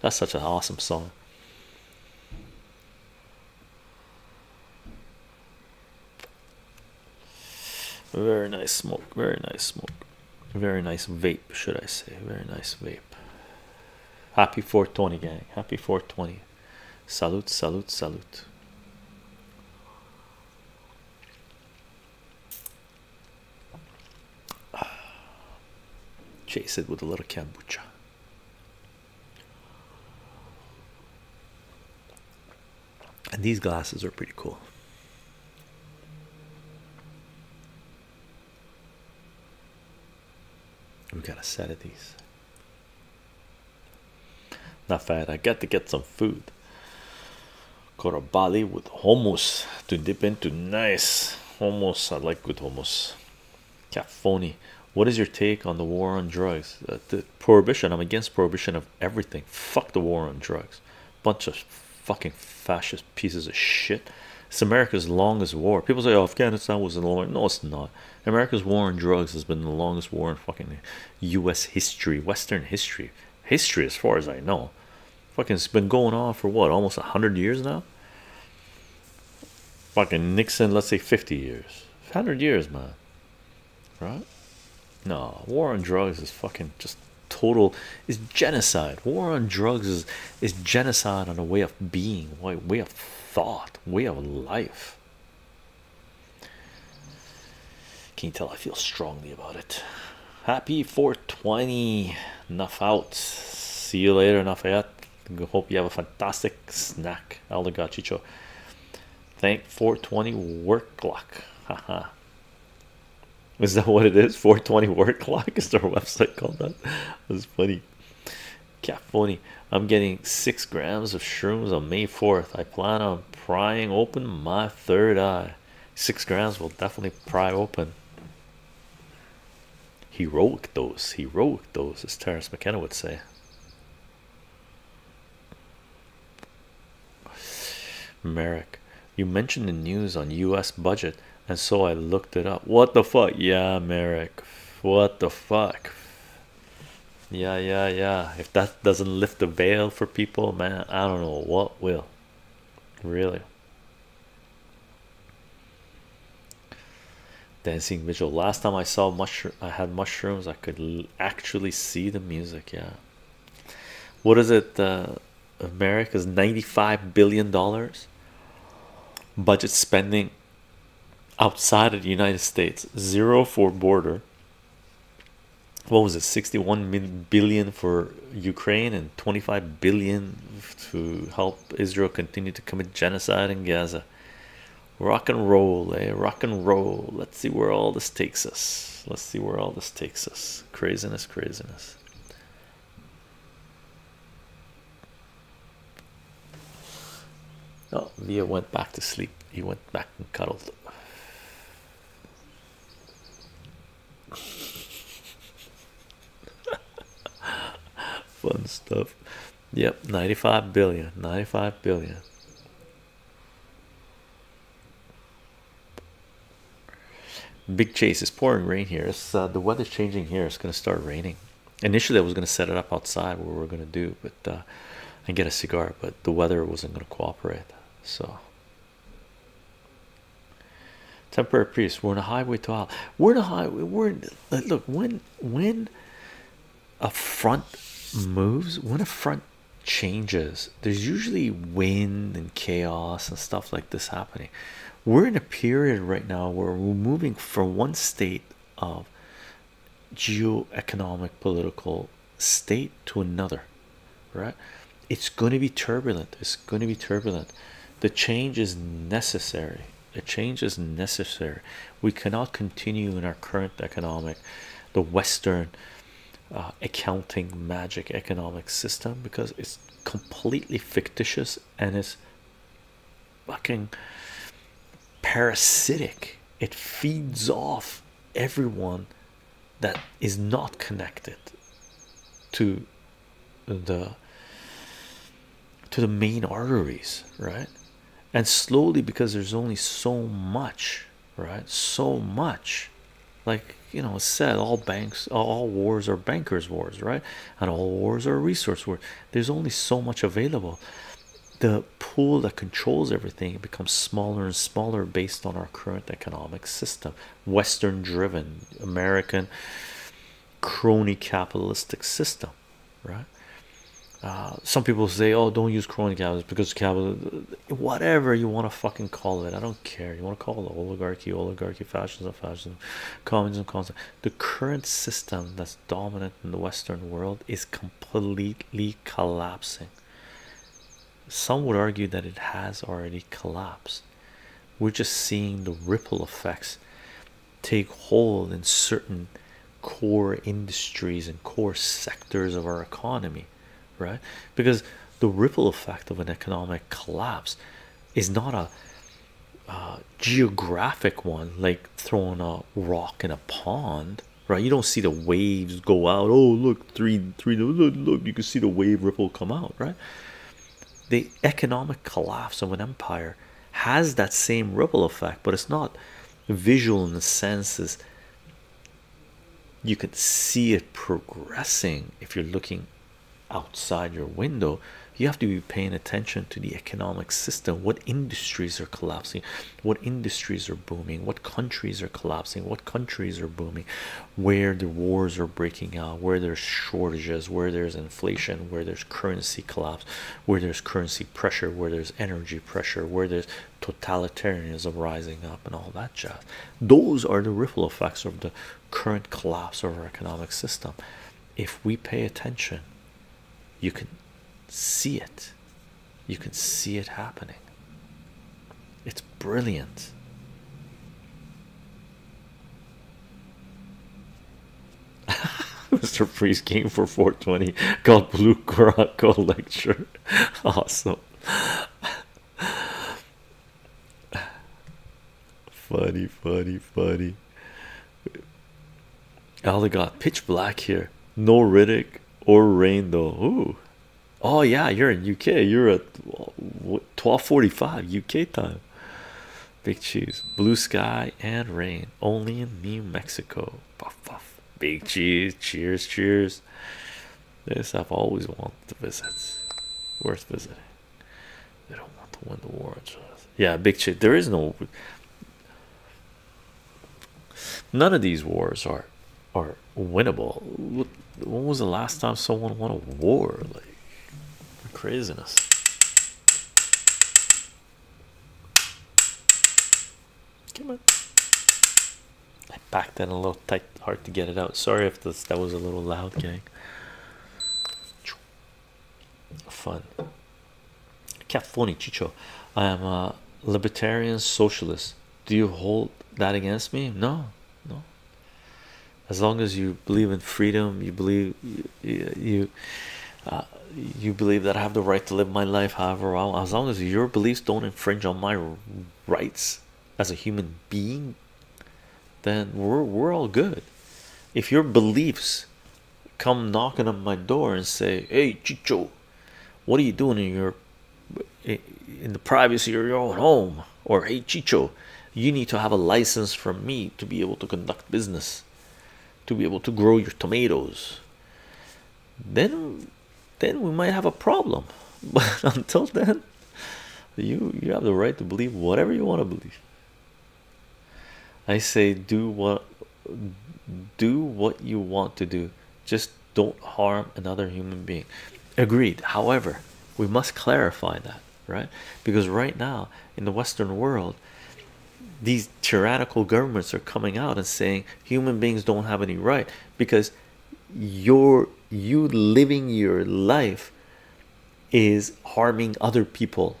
That's such an awesome song. Very nice smoke. Very nice smoke. Very nice vape, should I say? Very nice vape. Happy 420, gang. Happy 420. Salute, salute, salute. Ah, chase it with a little kombucha. And these glasses are pretty cool. We've got a set of these. Not fat. I got to get some food. Got with hummus to dip into. Nice hummus. I like good hummus. Cafoni. What is your take on the war on drugs? Uh, the prohibition. I'm against prohibition of everything. Fuck the war on drugs. Bunch of fucking fascist pieces of shit. It's America's longest war. People say, oh, Afghanistan was the long. No, it's not. America's war on drugs has been the longest war in fucking U.S. history, Western history, history as far as I know. Fucking, it's been going on for what, almost a hundred years now. Fucking Nixon, let's say fifty years, hundred years, man. Right? No, war on drugs is fucking just total. It's genocide. War on drugs is is genocide on a way of being, way way of thought, way of life. Can you tell I feel strongly about it? Happy 420. Enough out. See you later, Nafayat. Hope you have a fantastic snack. Elder Gachicho. Thank 420 work clock. Haha. Is that what it is? 420 work clock is their website called that? That's funny. Cat i'm getting six grams of shrooms on may 4th i plan on prying open my third eye six grams will definitely pry open He those. He heroic those, as terrence mckenna would say merrick you mentioned the news on u.s budget and so i looked it up what the fuck yeah merrick what the fuck yeah, yeah, yeah. If that doesn't lift the veil for people, man, I don't know what will. Really. Dancing visual. Last time I saw I had mushrooms. I could actually see the music. Yeah. What is it? Uh, America's ninety-five billion dollars budget spending outside of the United States. Zero for border what was it 61 billion for Ukraine and 25 billion to help Israel continue to commit genocide in Gaza rock and roll eh rock and roll let's see where all this takes us let's see where all this takes us craziness craziness oh Leah went back to sleep he went back and cuddled Fun stuff. Yep, 95 billion. 95 billion. Big chase is pouring rain here. It's, uh, the weather's changing here. It's going to start raining. Initially, I was going to set it up outside where we we're going to do, but uh, and get a cigar, but the weather wasn't going to cooperate. So, temporary priest, we're in a highway to hell. We're in a highway. We're in, look when when a front moves, when a front changes, there's usually wind and chaos and stuff like this happening. We're in a period right now where we're moving from one state of geo-economic political state to another right it's going to be turbulent it's going to be turbulent the change is necessary the change is necessary we cannot continue in our current economic the western uh, accounting magic economic system because it's completely fictitious and it's fucking parasitic it feeds off everyone that is not connected to the to the main arteries right and slowly because there's only so much right so much like you know said all banks all wars are bankers wars right and all wars are resource wars there's only so much available the pool that controls everything becomes smaller and smaller based on our current economic system western driven american crony capitalistic system right uh, some people say oh don't use crony capitalism because capital whatever you want to fucking call it i don't care you want to call it oligarchy oligarchy fascism fascism communism concept the current system that's dominant in the western world is completely collapsing some would argue that it has already collapsed. We're just seeing the ripple effects take hold in certain core industries and core sectors of our economy, right? Because the ripple effect of an economic collapse is not a uh, geographic one like throwing a rock in a pond right you don't see the waves go out oh look three three look, look you can see the wave ripple come out right the economic collapse of an empire has that same ripple effect but it's not visual in the senses you can see it progressing if you're looking outside your window you have to be paying attention to the economic system what industries are collapsing what industries are booming, what countries are collapsing, what countries are booming, where the wars are breaking out, where there's shortages, where there's inflation, where there's currency collapse, where there's currency pressure, where there's energy pressure, where there's totalitarianism rising up, and all that jazz. Those are the ripple effects of the current collapse of our economic system. If we pay attention, you can see it. You can see it happening. It's brilliant. Mr. Priest came for 420 called Blue Caraco Lecture. Awesome. funny, funny, funny. All I got pitch black here. No Riddick or rain though. Ooh, Oh yeah, you're in UK. You're at twelve forty-five UK time. Big cheese, blue sky and rain. Only in New Mexico. Big cheese. Cheers, cheers. This I've always wanted to visit. Worth visiting. They don't want to win the war. Yeah, big cheese. There is no. None of these wars are are winnable. when was the last time someone won a war? Like craziness. Come on. I backed that a little tight, hard to get it out. Sorry if that was a little loud, gang. Fun. Cafoni Chicho. I am a libertarian socialist do you hold that against me? No, no. As long as you believe in freedom, you believe you uh, you, believe that I have the right to live my life however I want. As long as your beliefs don't infringe on my rights as a human being, then we're we're all good. If your beliefs come knocking on my door and say, "Hey, Chicho, what are you doing in your in the privacy of your own home? Or hey Chicho, you need to have a license from me to be able to conduct business, to be able to grow your tomatoes. Then then we might have a problem. But until then, you you have the right to believe whatever you want to believe. I say do what do what you want to do. Just don't harm another human being. Agreed. However, we must clarify that, right? Because right now in the Western world, these tyrannical governments are coming out and saying human beings don't have any right because your you living your life is harming other people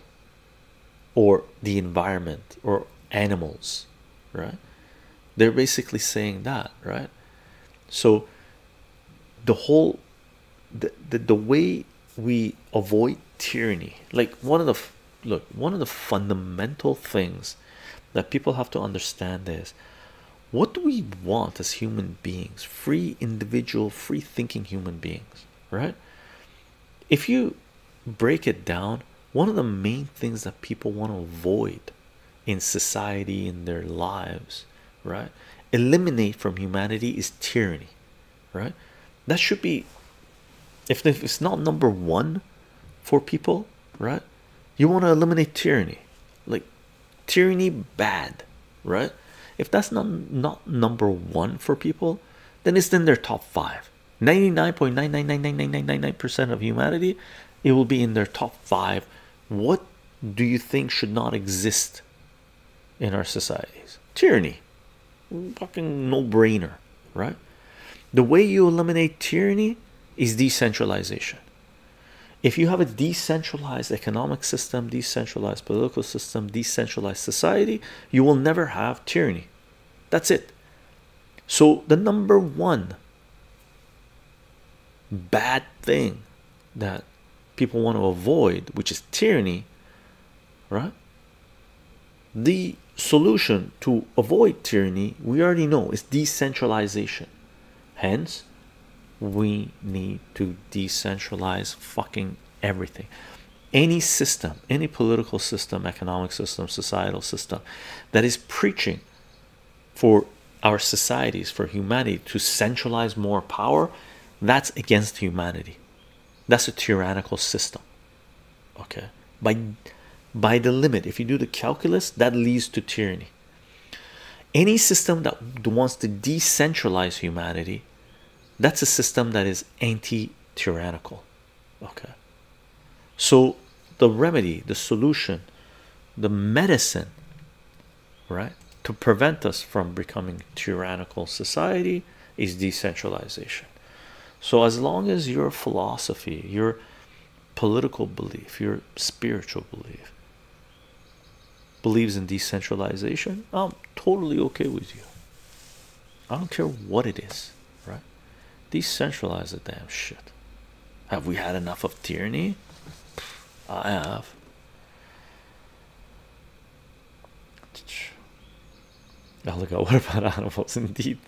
or the environment or animals, right? They're basically saying that, right? So the whole the, the the way we avoid tyranny, like one of the look, one of the fundamental things that people have to understand is what do we want as human beings, free individual, free thinking human beings, right? If you break it down, one of the main things that people want to avoid in society in their lives right eliminate from humanity is tyranny right that should be if it's not number one for people right you want to eliminate tyranny like tyranny bad right if that's not not number one for people then it's in their top five 99.9999999% of humanity it will be in their top five what do you think should not exist in our societies? Tyranny, fucking no brainer, right? The way you eliminate tyranny is decentralization. If you have a decentralized economic system, decentralized political system, decentralized society, you will never have tyranny. That's it. So, the number one bad thing that people want to avoid, which is tyranny, right? The solution to avoid tyranny, we already know, is decentralization. Hence, we need to decentralize fucking everything. Any system, any political system, economic system, societal system that is preaching for our societies, for humanity to centralize more power, that's against humanity. That's a tyrannical system. Okay, by by the limit, if you do the calculus, that leads to tyranny. Any system that wants to decentralize humanity, that's a system that is anti-tyrannical. Okay, so the remedy, the solution, the medicine right to prevent us from becoming tyrannical society is decentralization so as long as your philosophy your political belief your spiritual belief believes in decentralization i'm totally okay with you i don't care what it is right decentralize the damn shit have we had enough of tyranny I have. Oh, look at what about animals? Indeed,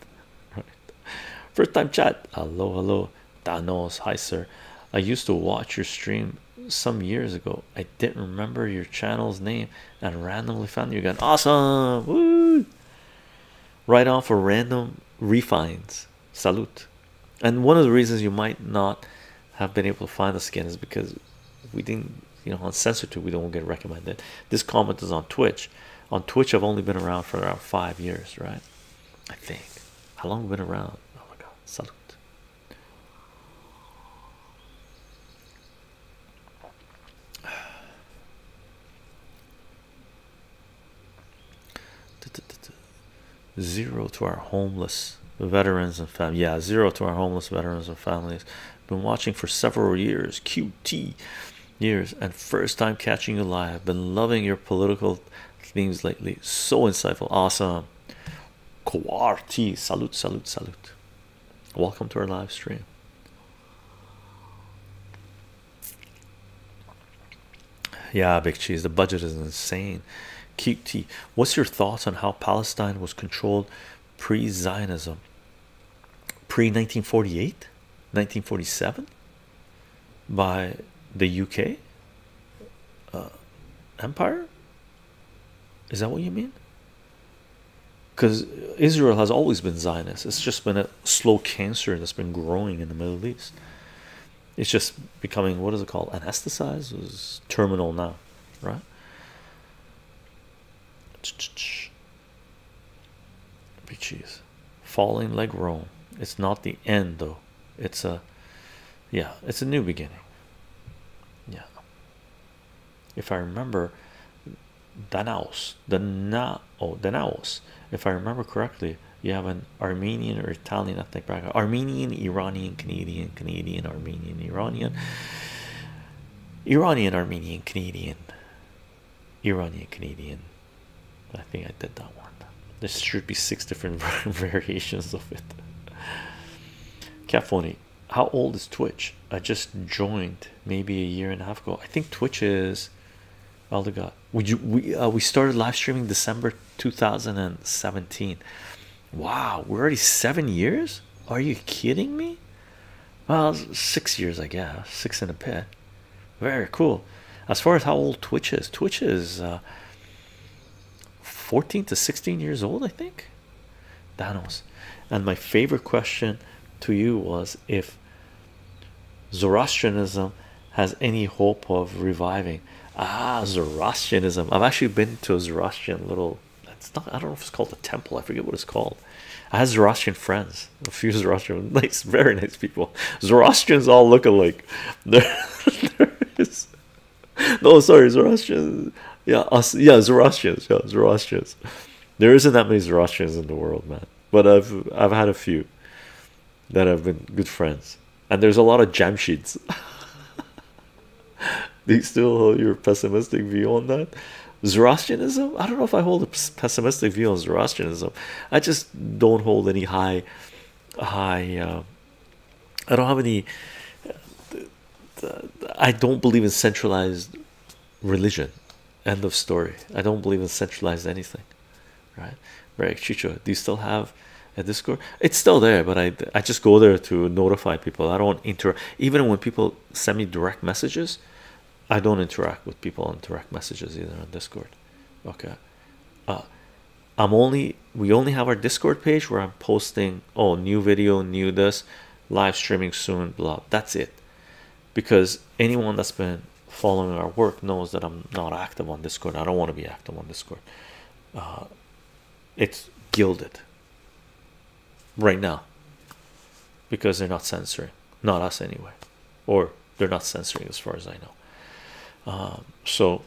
First time chat. Hello, hello, Danos. Hi, sir. I used to watch your stream some years ago. I didn't remember your channel's name and randomly found you again. Awesome! Woo! Right off for random refines salute and one of the reasons you might not have been able to find the skin is because we didn't you know on censorship we don't get recommended this comment is on twitch on twitch i've only been around for around five years right i think how long have we been around oh my god salute Zero to our homeless veterans and families. Yeah, zero to our homeless veterans and families. Been watching for several years, QT years, and first time catching you live. Been loving your political themes lately. So insightful, awesome. Quarti, salute, salute, salute. Welcome to our live stream. Yeah, big cheese. The budget is insane. QT, what's your thoughts on how Palestine was controlled pre Zionism? Pre 1948, 1947 by the UK uh, Empire? Is that what you mean? Because Israel has always been Zionist, it's just been a slow cancer that's been growing in the Middle East it's just becoming what is it called anesthetized it was terminal now right big falling like rome it's not the end though it's a yeah it's a new beginning yeah if i remember Danaos, the now oh Danaos, if I remember correctly, you have an Armenian or Italian ethnic background, Armenian, Iranian, Canadian, Canadian, Armenian, Iranian, Iranian, Armenian, Canadian, Iranian, Canadian. I think I did that one. There should be six different variations of it. Catphony, how old is Twitch? I just joined maybe a year and a half ago. I think Twitch is. Oh Elder God, would you? We uh, we started live streaming December 2017. Wow, we're already seven years. Are you kidding me? Well, six years, I guess. Six in a bit. Very cool. As far as how old Twitch is, Twitch is uh, 14 to 16 years old, I think. Danos. And my favorite question to you was if Zoroastrianism has any hope of reviving. Ah, Zoroastrianism. I've actually been to a Zoroastrian little. It's not. I don't know if it's called a temple. I forget what it's called. I had Zoroastrian friends. A few Zoroastrian, nice, very nice people. Zoroastrians all look alike. there is. No, sorry, Zoroastrians. Yeah, yeah, Zoroastrians. Yeah, Zoroastrians. There isn't that many Zoroastrians in the world, man. But I've I've had a few that have been good friends, and there's a lot of jam sheets. Do you still hold your pessimistic view on that? Zoroastrianism? I don't know if I hold a pessimistic view on Zoroastrianism. I just don't hold any high, high. Uh, I don't have any. I don't believe in centralized religion. End of story. I don't believe in centralized anything, right? right chicho do you still have a discord it's still there but i i just go there to notify people i don't interact even when people send me direct messages i don't interact with people on direct messages either on discord okay uh, i'm only we only have our discord page where i'm posting oh new video new this live streaming soon blah that's it because anyone that's been following our work knows that i'm not active on discord i don't want to be active on discord uh, it's gilded right now because they're not censoring, not us anyway, or they're not censoring as far as I know. Um, so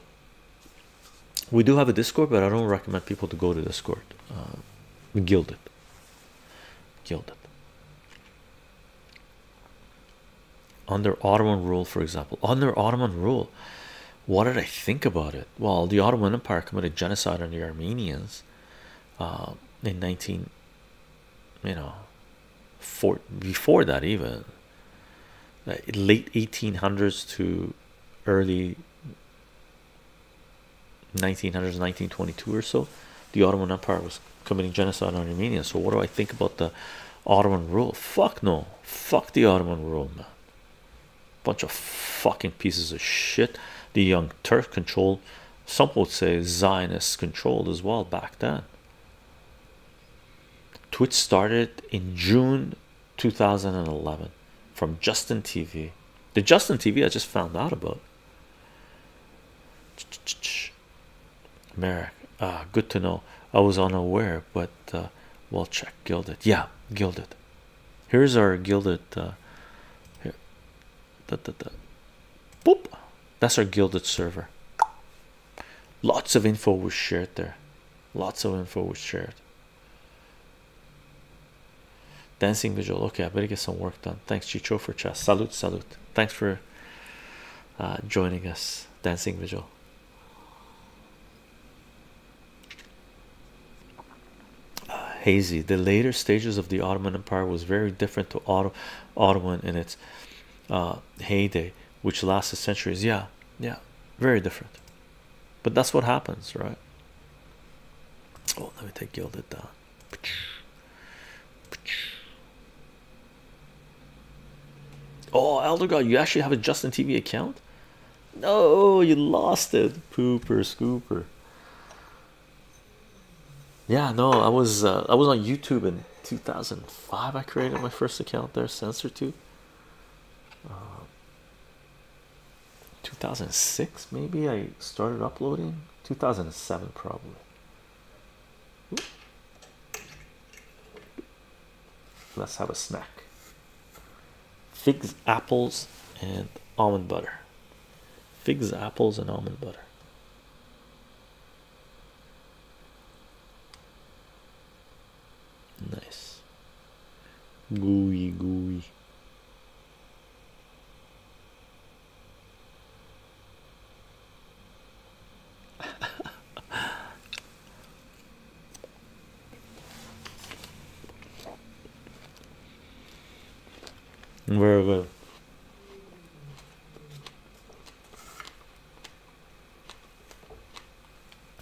we do have a Discord, but I don't recommend people to go to Discord. Um, gilded, gilded. Under Ottoman rule, for example, under Ottoman rule, what did I think about it? Well, the Ottoman Empire committed genocide on the Armenians uh, in 19, you know, for, before that even late 1800s to early 1900s, 1922 or so, the Ottoman Empire was committing genocide on Armenians. So what do I think about the Ottoman rule? Fuck no, fuck the Ottoman rule, bunch of fucking pieces of shit the young turf control some would say zionist controlled as well back then twitch started in june 2011 from justin tv the justin tv i just found out about Merrick, ah, uh, good to know. I was unaware but uh, we'll check gilded yeah gilded here's our gilded uh, here da, da, da. Boop. that's our gilded server lots of info was shared there lots of info was shared dancing visual okay i better get some work done thanks chicho for chat salute salute thanks for uh, joining us dancing visual hazy the later stages of the Ottoman Empire was very different to Ottoman in its uh, heyday which lasted centuries yeah yeah very different but that's what happens right oh let me take gilded down oh elder god you actually have a Justin TV account no, you lost it, pooper scooper. Yeah, no, I was uh, I was on YouTube in 2005. I created my first account there, Censor Two. Uh, 2006 maybe I started uploading. 2007 probably. Let's have a snack. Figs, apples, and almond butter. Figs, apples, and almond butter. Nice. Gooey, gooey. Very good.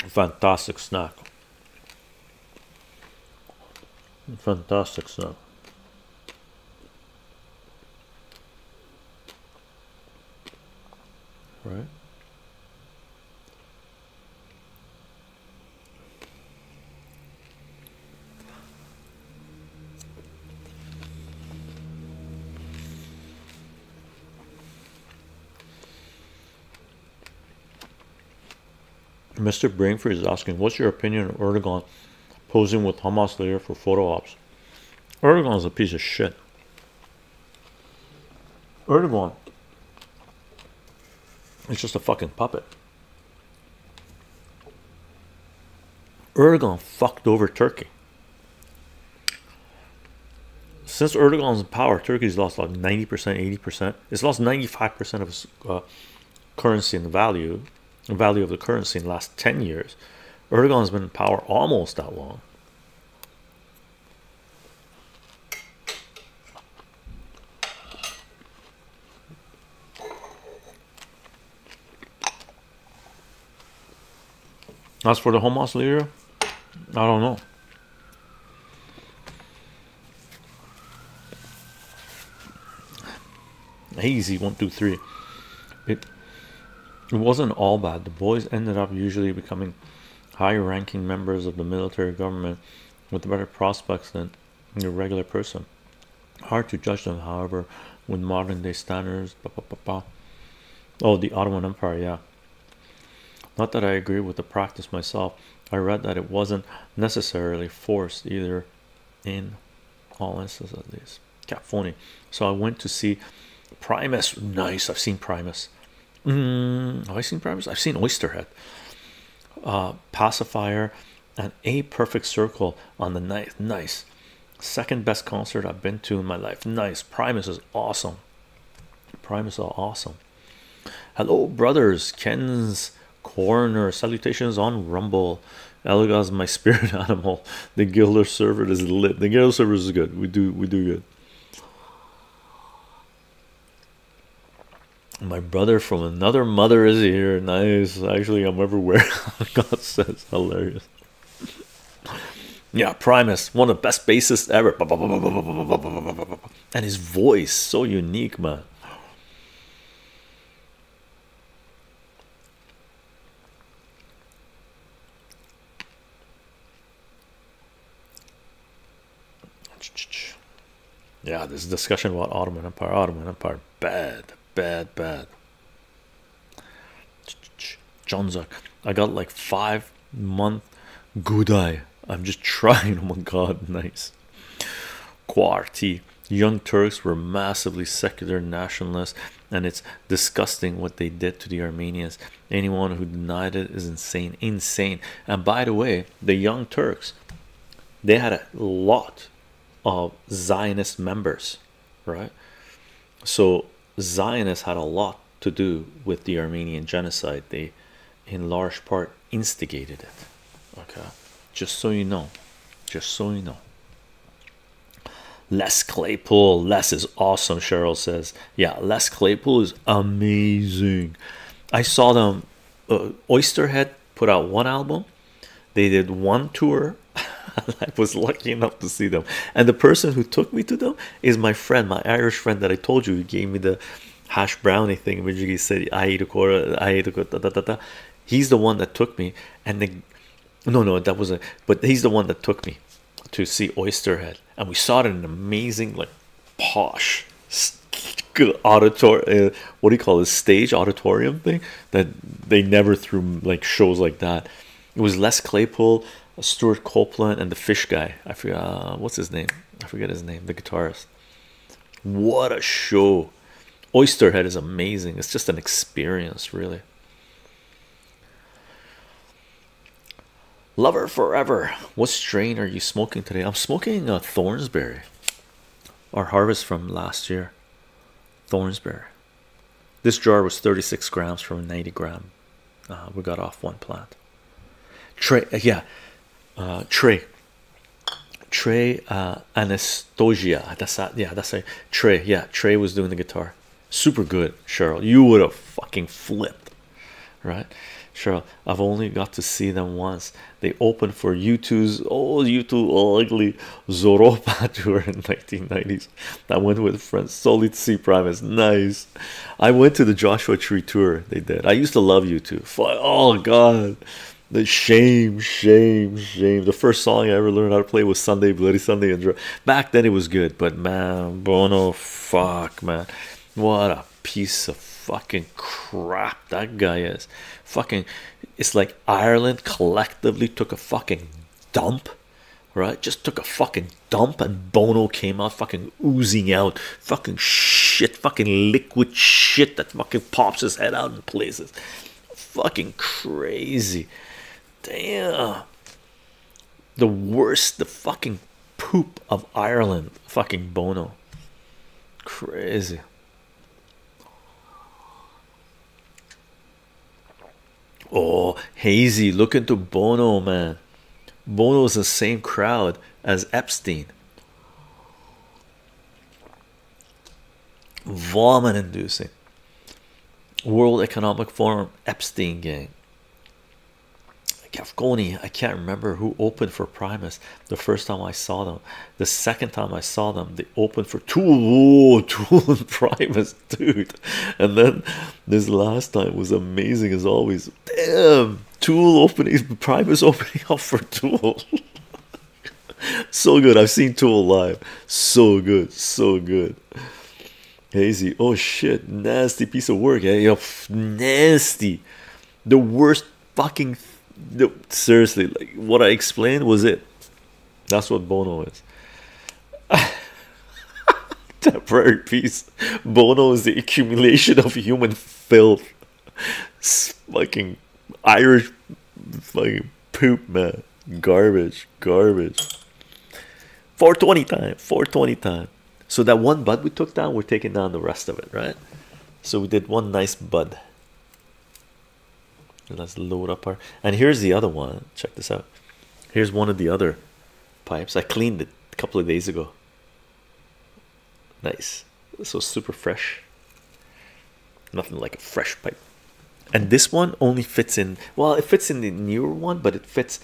Fantastic snack. Fantastic snack. Right? Mr. Brainfree is asking, what's your opinion on Erdogan posing with Hamas leader for photo ops? Erdogan is a piece of shit. Erdogan it's just a fucking puppet. Erdogan fucked over Turkey. Since Erdogan's in power, Turkey's lost like 90%, 80%. It's lost 95% of its uh, currency and value, value of the currency in the last 10 years. Erdogan's been in power almost that long. As for the Hamas leader, I don't know. Easy, one, two, three. It, it wasn't all bad. The boys ended up usually becoming high-ranking members of the military government with better prospects than your regular person. Hard to judge them, however, with modern day standards. Oh, the Ottoman Empire, yeah. Not that I agree with the practice myself. I read that it wasn't necessarily forced either, in all instances at least. Cat So I went to see Primus. Nice. I've seen Primus. Mm, have I seen Primus? I've seen Oysterhead, uh, Pacifier, and A Perfect Circle on the night. Nice. Second best concert I've been to in my life. Nice. Primus is awesome. Primus are awesome. Hello, brothers. Ken's Corner. Salutations on Rumble. Elga's my spirit animal. The Gilder server is lit. The Gilder server is good. We do we do good. My brother from another mother is here. Nice. Actually, I'm everywhere. God says hilarious. Yeah, Primus, one of the best bassists ever. And his voice so unique, man. Yeah, this discussion about Ottoman Empire, Ottoman Empire, bad, bad, bad. Johnzak, I got like five month good eye. I'm just trying. Oh my god, nice. Quarti. young Turks were massively secular nationalists, and it's disgusting what they did to the Armenians. Anyone who denied it is insane, insane. And by the way, the young Turks they had a lot of Zionist members, right? So Zionists had a lot to do with the Armenian genocide. They, in large part, instigated it. Okay, just so you know, just so you know. Les Claypool, Les is awesome. Cheryl says, "Yeah, Les Claypool is amazing." I saw them uh, Oysterhead put out one album, they did one tour. I was lucky enough to see them, and the person who took me to them is my friend, my Irish friend that I told you who gave me the hash brownie thing. Which he said, I eat a quarter, I eat a quarter, He's the one that took me, and the no, no, that wasn't, but he's the one that took me to see Oysterhead, and we saw it in an amazing, like posh auditor uh, what do you call this stage auditorium thing that they never threw like shows like that it was Les Claypool Stuart Copeland and the fish guy I forget uh, what's his name I forget his name the guitarist what a show Oysterhead is amazing it's just an experience really lover forever what strain are you smoking today I'm smoking a uh, Thornsberry our harvest from last year thornsberry this jar was 36 grams from 90 gram uh, we got off one plant trey uh, yeah uh trey trey uh, anastasia yeah that's a trey yeah trey was doing the guitar super good cheryl you would have fucking flipped right sure i've only got to see them once they opened for u2's oh u2 ugly zoropa tour in 1990s that went with friends solid c primus nice i went to the joshua tree tour they did i used to love u2 oh god the shame shame shame the first song i ever learned how to play was sunday bloody sunday and back then it was good but man bono fuck man what a piece of fucking crap that guy is. Fucking, it's like Ireland collectively took a fucking dump, right? Just took a fucking dump, and Bono came out fucking oozing out fucking shit, fucking liquid shit that fucking pops his head out in places. Fucking crazy. Damn. The worst, the fucking poop of Ireland, fucking Bono. Crazy. Oh, hazy. Look into Bono, man. Bono's the same crowd as Epstein. Vomit inducing World Economic Forum Epstein gang. Kafkoni, I can't remember who opened for Primus the first time I saw them. The second time I saw them, they opened for Tool, Tool and Primus, dude. And then this last time was amazing as always. Damn, Tool opening, Primus opening up for Tool. so good. I've seen Tool live. So good, so good. Hazy, oh shit, nasty piece of work. Eh? You're nasty, the worst fucking seriously like what i explained was it that's what bono is temporary piece. bono is the accumulation of human filth fucking irish fucking poop man garbage garbage 420 time 420 time so that one bud we took down we're taking down the rest of it right so we did one nice bud Let's load up our and here's the other one. Check this out. Here's one of the other pipes. I cleaned it a couple of days ago. Nice. So super fresh. Nothing like a fresh pipe. And this one only fits in well, it fits in the newer one, but it fits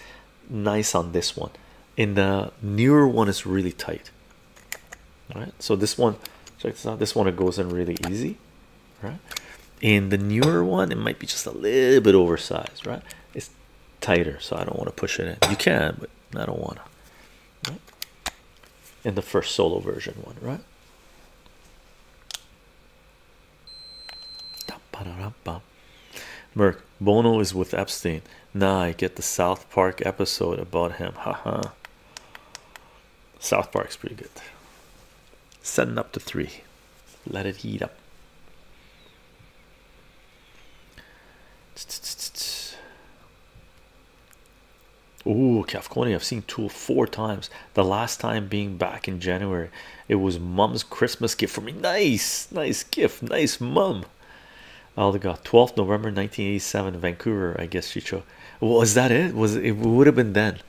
nice on this one. In the newer one, it's really tight. All right, so this one, check this out. This one it goes in really easy, right? In the newer one, it might be just a little bit oversized, right? It's tighter, so I don't want to push it in. You can, but I don't want to. In the first solo version one, right? Merk Bono is with Epstein. Now I get the South Park episode about him. Haha. South Park's pretty good. Setting up to three. Let it heat up. Ooh, California. I've seen two or four times. The last time being back in January. It was mom's Christmas gift for me. Nice, nice gift. Nice mom. Aldegot, 12th November 1987, Vancouver. I guess Chicho was that it? Was it would have been then?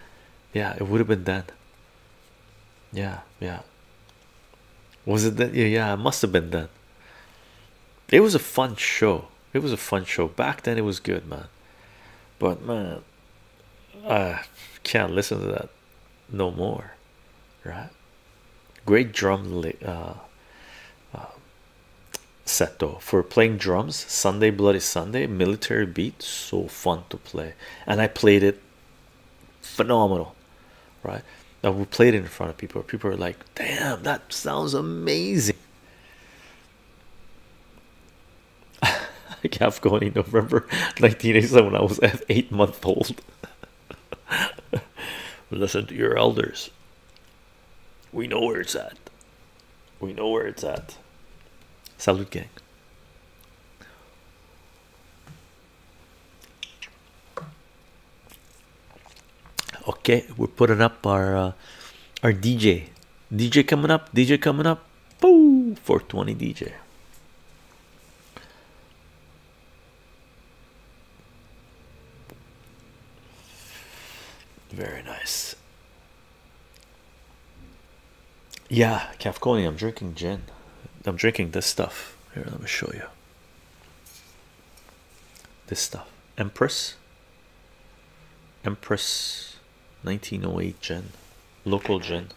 Yeah, it would have been then. Yeah, yeah. Was it that? Yeah, yeah, must have been then. It was a fun show. It was a fun show back then. It was good, man. But man, I can't listen to that no more, right? Great drum, uh, uh set for playing drums sunday bloody sunday military beat so fun to play and i played it phenomenal right now we played it in front of people people were like damn that sounds amazing i kept going in november 1987 when i was eight months old listen to your elders we know where it's at. We know where it's at. Salut, gang. Okay, we're putting up our uh, our DJ. DJ coming up. DJ coming up. Boo! 420 DJ. Very nice. Yeah, Kafkoni, I'm drinking gin. I'm drinking this stuff. Here, let me show you. This stuff. Empress. Empress 1908 gin. Local gin.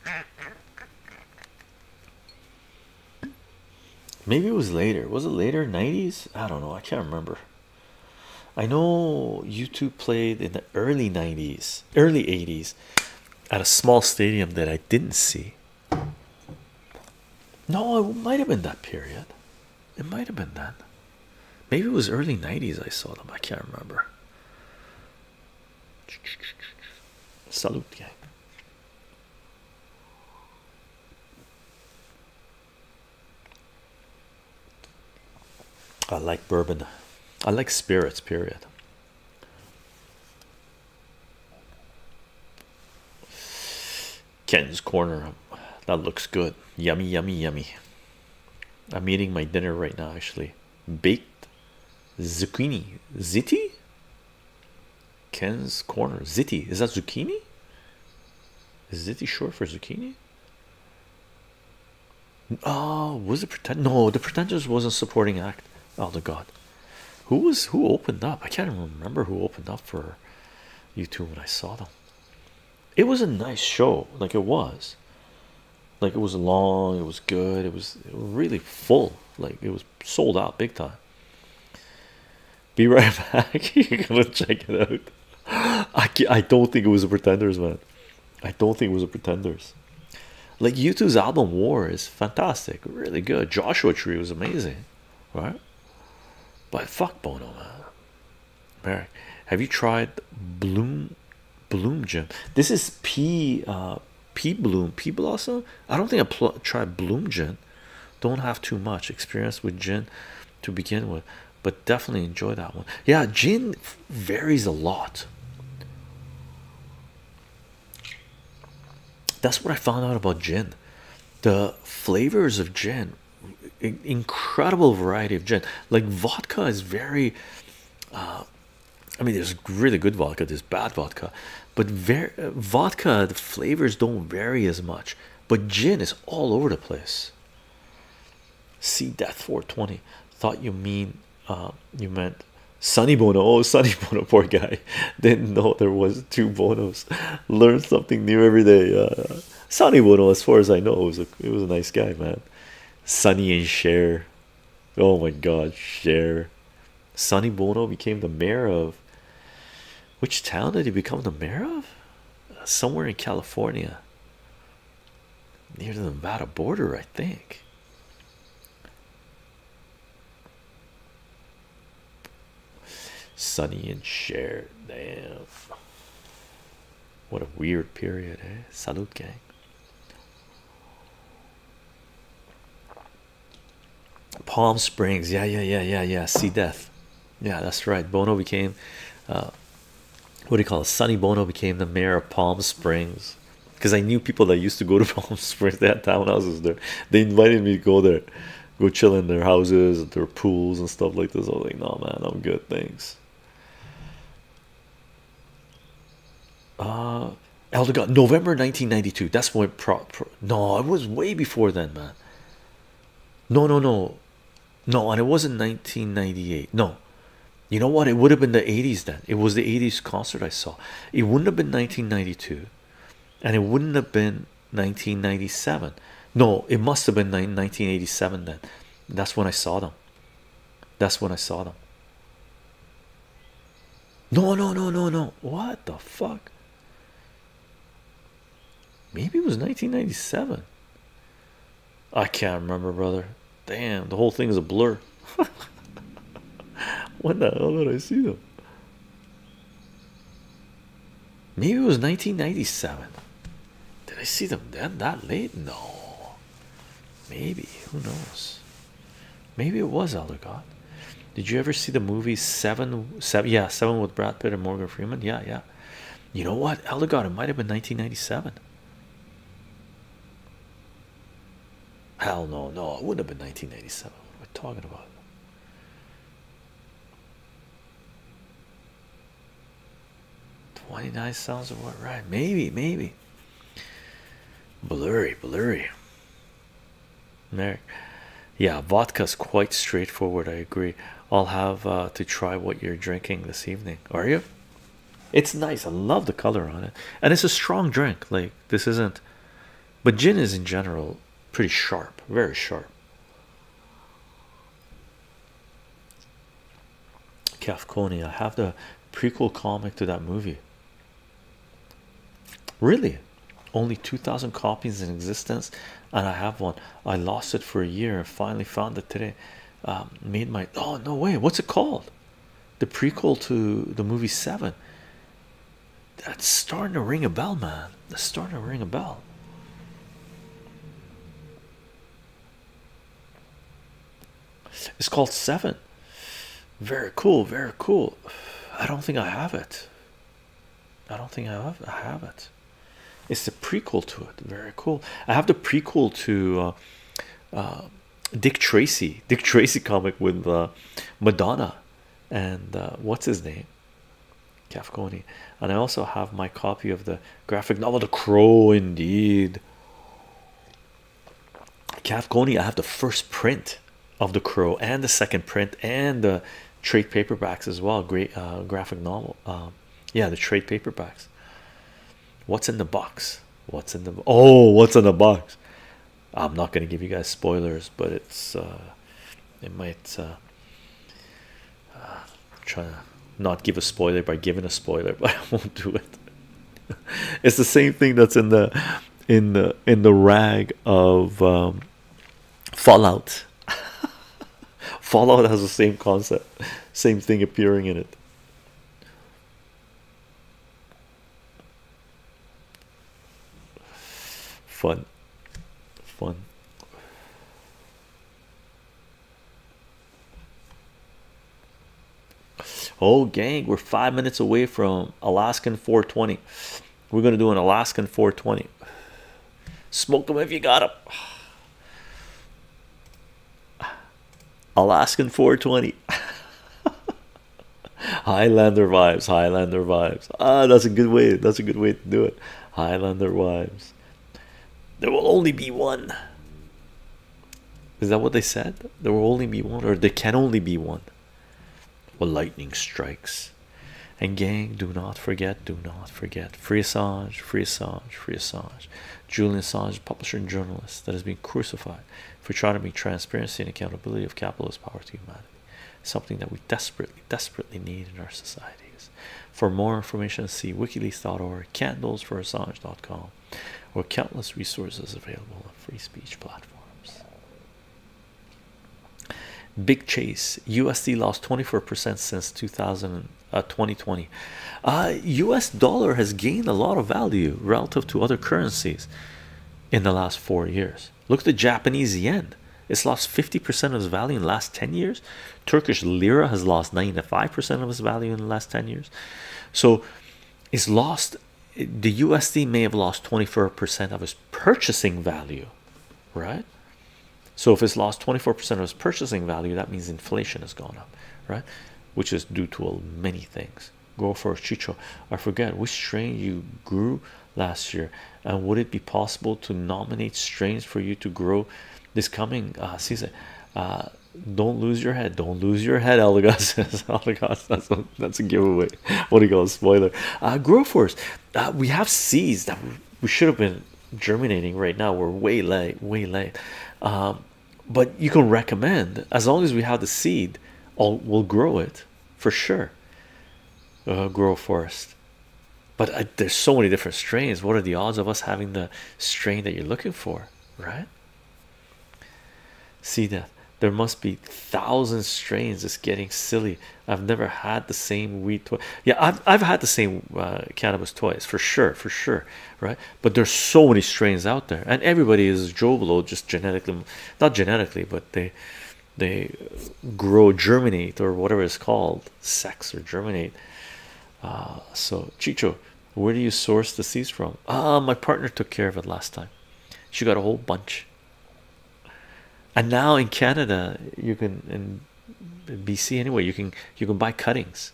Maybe it was later. Was it later? 90s? I don't know. I can't remember. I know you two played in the early 90s, early 80s at a small stadium that I didn't see. No, it might have been that period. It might have been then. Maybe it was early 90s I saw them. I can't remember. Salute, gang. I like bourbon. I like spirits, period. Ken's Corner. That looks good. Yummy, yummy, yummy. I'm eating my dinner right now, actually. Baked zucchini. Ziti? Ken's Corner. Ziti. Is that zucchini? Is Ziti short for zucchini? Oh, was it pretend? No, the pretenders wasn't supporting act. Oh, the god, who was who opened up? I can't even remember who opened up for you two when I saw them. It was a nice show, like it was, like it was long, it was good, it was really full, like it was sold out big time. Be right back, you gotta check it out. I I don't think it was a Pretenders, man. I don't think it was a Pretenders. Like U2's album War is fantastic, really good. Joshua Tree was amazing, right? But fuck Bono, man. Eric, have you tried Bloom Bloom Gin? This is P uh P Bloom P Blossom. I don't think I tried Bloom Gin. Don't have too much experience with gin to begin with but definitely enjoy that one. Yeah, gin varies a lot. That's what I found out about gin. The flavors of gin, incredible variety of gin. Like vodka is very, uh, I mean, there's really good vodka, there's bad vodka, but very, vodka, the flavors don't vary as much. But gin is all over the place see death 420 thought you mean um, you meant Sonny Bono oh Sonny Bono poor guy didn't know there was two Bonos learn something new every day uh, Sonny Bono as far as I know was a it was a nice guy man Sonny and Cher oh my god Cher Sonny Bono became the mayor of which town did he become the mayor of somewhere in California near the Nevada border, I think. Sunny and shared, damn. What a weird period, eh? Salute, gang. Palm Springs, yeah, yeah, yeah, yeah, yeah. Sea Death, yeah, that's right. Bono became uh, what do you call it? Sunny Bono became the mayor of Palm Springs because I knew people that used to go to Palm Springs. They had townhouses there. They invited me to go there, go chill in their houses, at their pools and stuff like this. I was like, no man, I'm good, thanks. Uh, Elder God, November 1992. That's when prop. Pro no, it was way before then, man. No, no, no. No, and it wasn't 1998. No, you know what? It would have been the 80s then. It was the 80s concert I saw. It wouldn't have been 1992, and it wouldn't have been 1997. No, it must have been 1987 then. That's when I saw them. That's when I saw them. No, no, no, no, no. What the fuck? Maybe it was 1997. I can't remember, brother. Damn, the whole thing is a blur. when the hell did I see them? Maybe it was 1997. Did I see them then that late? No. Maybe. Who knows? Maybe it was Elder Did you ever see the movie Seven? Seven? Yeah, Seven with Brad Pitt and Morgan Freeman. Yeah, yeah. You know what? Elder It might have been 1997. Hell no, no, it wouldn't have been 1997. What are we talking about? Twenty-nine sounds about right. Maybe, maybe. Blurry, blurry. Merrick. Yeah, vodka's quite straightforward. I agree. I'll have uh, to try what you're drinking this evening. Are you? It's nice. I love the color on it, and it's a strong drink. Like this isn't, but gin is in general pretty sharp, very sharp. Cafconi. I have the prequel comic to that movie. Really, only two thousand copies in existence, and I have one. I lost it for a year and finally found it today um, made my oh no way what's it called the prequel to the movie seven that's starting to ring a bell man that's starting to ring a bell it's called seven very cool very cool i don't think i have it i don't think i have i have it it's the prequel to it very cool i have the prequel to uh, um, Dick Tracy, Dick Tracy comic with uh, Madonna and uh, what's his name, Cafconi. And I also have my copy of the graphic novel The Crow, indeed. Cafconi, I have the first print of The Crow and the second print and the trade paperbacks as well. Great uh, graphic novel. Um, yeah, the trade paperbacks. What's in the box? What's in the oh? What's in the box? I'm not gonna give you guys spoilers, but it's uh, it might uh, uh, try to not give a spoiler by giving a spoiler, but I won't do it. it's the same thing that's in the in the in the rag of um, Fallout. Fallout has the same concept, same thing appearing in it fun fun oh gang we're five minutes away from alaskan 420 we're gonna do an alaskan 420 smoke them if you got them Alaskan 420. Highlander vibes, Highlander vibes. Ah, that's a good way. That's a good way to do it. Highlander vibes. There will only be one. Is that what they said? There will only be one, or there can only be one. Well, lightning strikes. And gang, do not forget, do not forget. Free Assange, free Assange, free Assange. Julian Assange, publisher and journalist that has been crucified for trying to make transparency and accountability of capitalist power to humanity something that we desperately, desperately need in our societies. For more information, see wikileaks.org, candlesforassange.com, or countless resources available on free speech platforms. Big Chase USD lost 24% since 2000 uh, 2020 uh, US dollar has gained a lot of value relative to other currencies in the last four years look at the Japanese yen it's lost 50% of its value in the last 10 years Turkish lira has lost 95% of its value in the last 10 years so it's lost the USD may have lost 24% of its purchasing value right so if it's lost 24% of its purchasing value that means inflation has gone up right which is due to many things. Go for a chicho. I forget which strain you grew last year, and would it be possible to nominate strains for you to grow this coming uh, season? Uh, don't lose your head. Don't lose your head, Elagos. Elagos, that's a, giveaway. What do you call a spoiler? Uh, grow for us. we have seeds that we, should have been germinating right now. We're way late, way late. Um, but you can recommend as long as we have the seed we'll grow it for sure uh, grow forest but there's so many different strains what are the odds of us having the strain that you're looking for right see that there must be thousand strains it's getting silly i've never had the same weed yeah i've, I've had the same uh, cannabis twice for sure for sure right? But there's so many strains out there, and everybody is jovial just genetically, not genetically, but they they grow, germinate, or whatever it's called, sex or germinate. Uh, so, Chicho, where do you source the seeds from? Ah, my partner took care of it last time. She got a whole bunch. And now in Canada, you can in BC anyway, you can you can buy cuttings.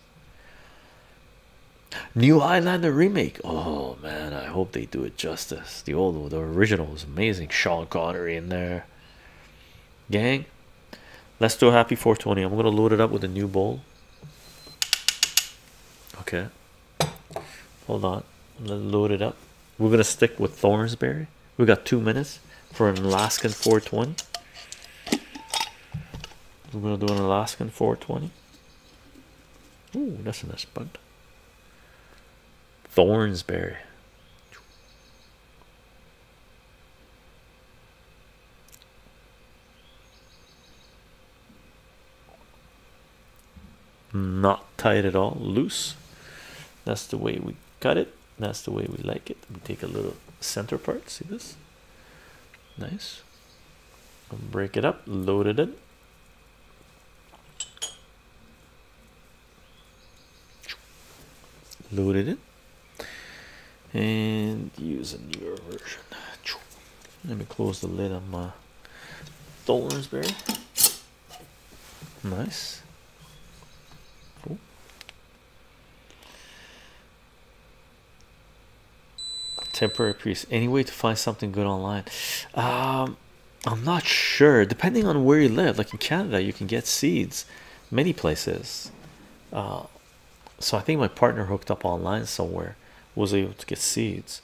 New Highlander remake. Oh man, I hope they do it justice. The old, the original was amazing. Sean Connery in there. Gang, let's do a happy 420. I'm gonna load it up with a new bowl. Okay, hold on. Let's load it up. We're gonna stick with Thornsberry. We got two minutes for an Alaskan 420. We're gonna do an Alaskan 420. Oh, that's a nice bud. Thornsberry. Not tight at all, loose. That's the way we cut it. That's the way we like it. We take a little center part. See this? Nice. Break it up, loaded it. Loaded it. And use a newer version. Let me close the lid on my Dolmansberry. Nice temporary priest any way to find something good online um, i'm not sure depending on where you live like in canada you can get seeds many places uh, so i think my partner hooked up online somewhere was able to get seeds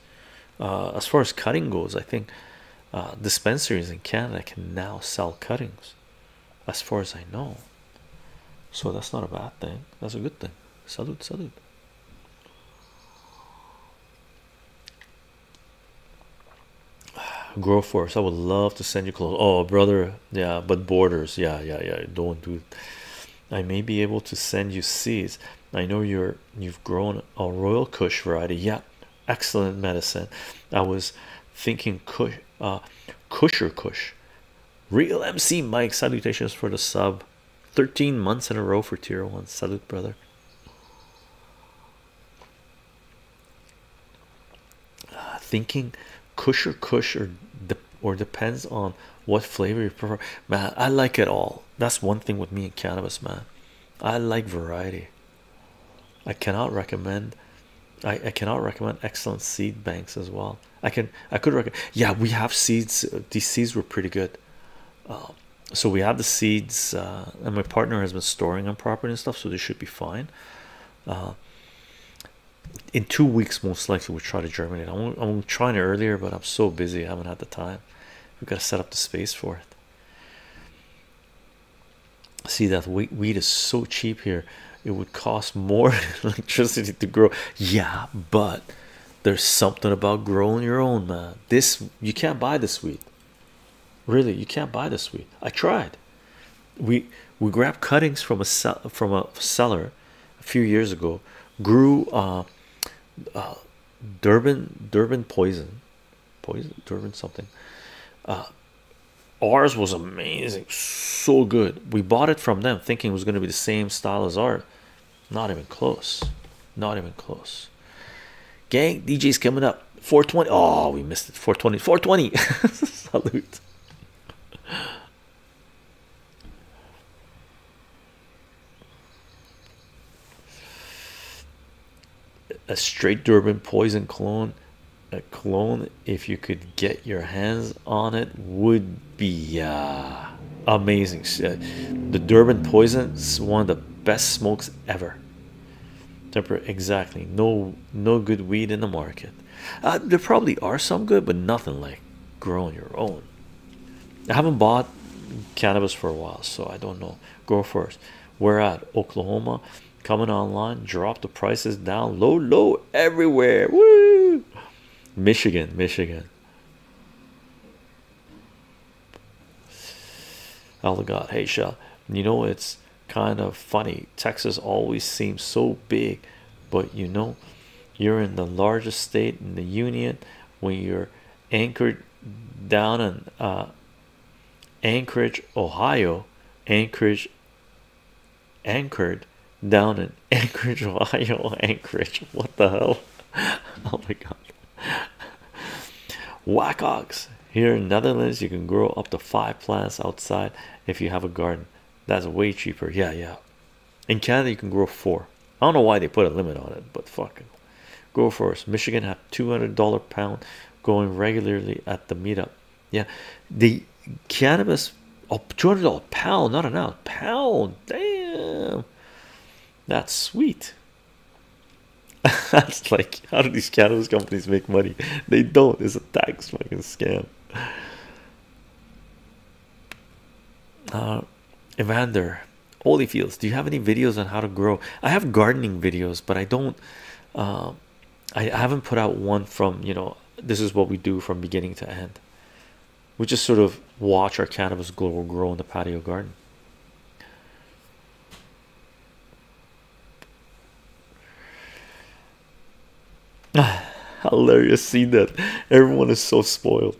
uh, as far as cutting goes i think uh, dispensaries in canada can now sell cuttings as far as i know so that's not a bad thing that's a good thing salute salute grow force i would love to send you clothes oh brother yeah but borders yeah yeah yeah don't do it. i may be able to send you seeds i know you're you've grown a royal kush variety yeah excellent medicine i was thinking kush uh kusher kush real mc mike salutations for the sub 13 months in a row for tier one. Salute, brother. Uh, thinking kush or kush or or depends on what flavor you prefer. Man, I like it all. That's one thing with me and cannabis, man. I like variety. I cannot recommend. I, I cannot recommend excellent seed banks as well. I can I could recommend. Yeah, we have seeds. These seeds were pretty good. Um, so we have the seeds uh, and my partner has been storing them properly and stuff so they should be fine uh, in two weeks most likely we'll try to germinate I'm, I'm trying it earlier but I'm so busy I haven't had the time we've got to set up the space for it see that wheat, wheat is so cheap here it would cost more electricity to grow yeah but there's something about growing your own, man. This you can't buy this weed. Really, you can't buy this weed. I tried. We we grabbed cuttings from a from a seller a few years ago. Grew uh, uh, Durban Durban poison, poison Durban something. Uh, ours was amazing, so good. We bought it from them, thinking it was going to be the same style as ours. Not even close. Not even close. Gang, DJ's coming up. 420. Oh, we missed it. 420. 420. Salute. A straight Durban poison clone. A clone, if you could get your hands on it, would be uh, amazing. Uh, the Durban Poison is one of the best smokes ever. Temper exactly. No, no good weed in the market. Uh, there probably are some good, but nothing like growing your own. I haven't bought cannabis for a while, so I don't know. Go 1st Where at Oklahoma, coming online. Drop the prices down low, low everywhere. Woo! Michigan, Michigan. Oh my God, hey Shell, you know it's kind of funny. Texas always seems so big, but you know you're in the largest state in the union when you're anchored down in uh, Anchorage, Ohio. Anchorage, anchored down in Anchorage, Ohio. Anchorage, what the hell? oh my god. Wackox here in Netherlands, you can grow up to five plants outside if you have a garden. That's way cheaper. Yeah, yeah. In Canada, you can grow four. I don't know why they put a limit on it, but fucking go for it. Michigan have two hundred dollar pound going regularly at the meetup. Yeah, the cannabis. Oh, two hundred dollar pound, not an ounce. Pound, damn. That's sweet. That's like, how do these cannabis companies make money? They don't. It's a tax fucking scam. Uh, Evander, Evander, fields. do you have any videos on how to grow? I have gardening videos, but I don't. Uh, I haven't put out one from you know. This is what we do from beginning to end we just sort of watch our cannabis grow, grow in the patio garden. Hilarious seeing that everyone is so spoiled.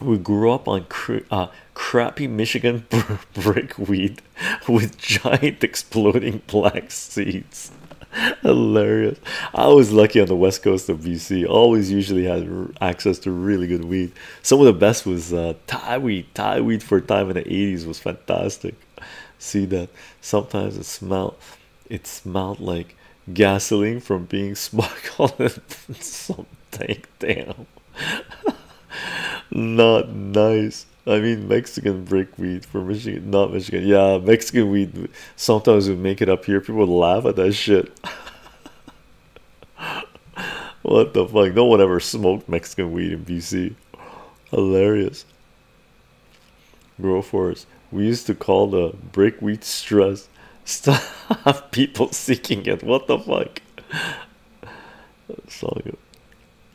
We grew up on uh, crappy Michigan brick weed with giant exploding black seeds. Hilarious. I was lucky on the west coast of BC, always usually had access to really good weed. Some of the best was uh, Thai weed. Thai weed for a time in the 80s was fantastic. See that sometimes it smelled it smelled like gasoline from being smuggled in something. Damn, not nice. I mean, Mexican brick weed from Michigan, not Michigan. Yeah, Mexican weed. Sometimes we make it up here. People laugh at that shit. what the fuck? No one ever smoked Mexican weed in BC. Hilarious. Grow forest. We used to call the breakweed stress. Stop people seeking it. What the fuck? It's all good.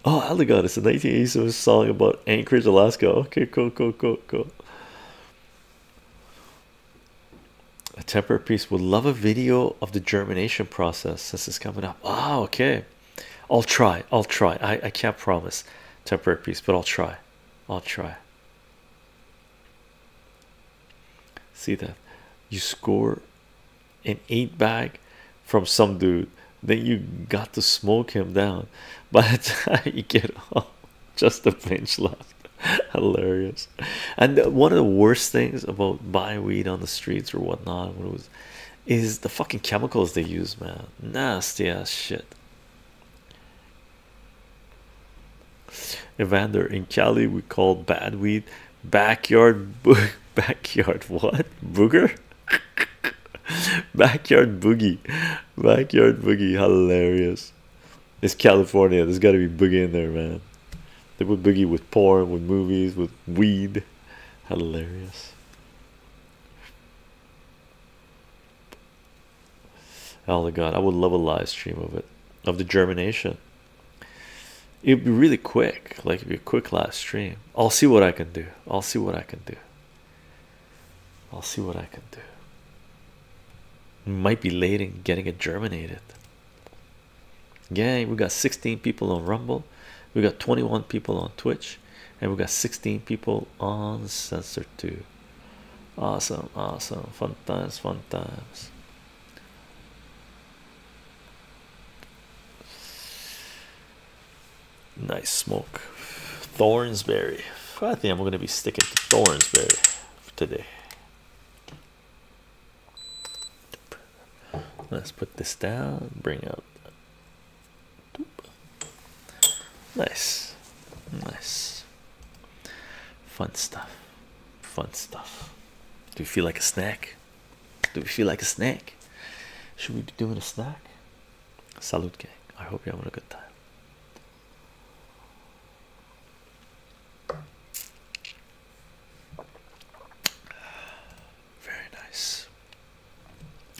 Oh, Allegan, it's a 1987 song about Anchorage, Alaska. Okay, cool, cool, cool, cool a temperate piece would love a video of the germination process since it's coming up. Oh, okay. I'll try. I'll try. I, I can't promise temperate piece, but I'll try. I'll try. See that you score an eight bag from some dude, then you got to smoke him down by the time you get home. Just a pinch left. hilarious and one of the worst things about buy weed on the streets or whatnot was is the fucking chemicals they use man nasty ass shit evander in cali we call bad weed backyard bo backyard what booger backyard boogie backyard boogie hilarious it's California. There's got to be boogie in there, man. They put boogie with porn, with movies, with weed. Hilarious. Oh my god, I would love a live stream of it, of the germination. It'd be really quick, like it'd be a quick live stream. I'll see what I can do. I'll see what I can do. I'll see what I can do. Might be late in getting it germinated. Gang, we got 16 people on Rumble, we got 21 people on Twitch, and we got 16 people on Sensor 2. Awesome, awesome, fun times, fun times. Nice smoke. Thornsberry. I think I'm going to be sticking to Thornsberry today. Let's put this down, bring up. Nice, nice, fun stuff, fun stuff. Do we feel like a snack? Do we feel like a snack? Should we be doing a snack? Salute, gang. I hope you're having a good time. Very nice.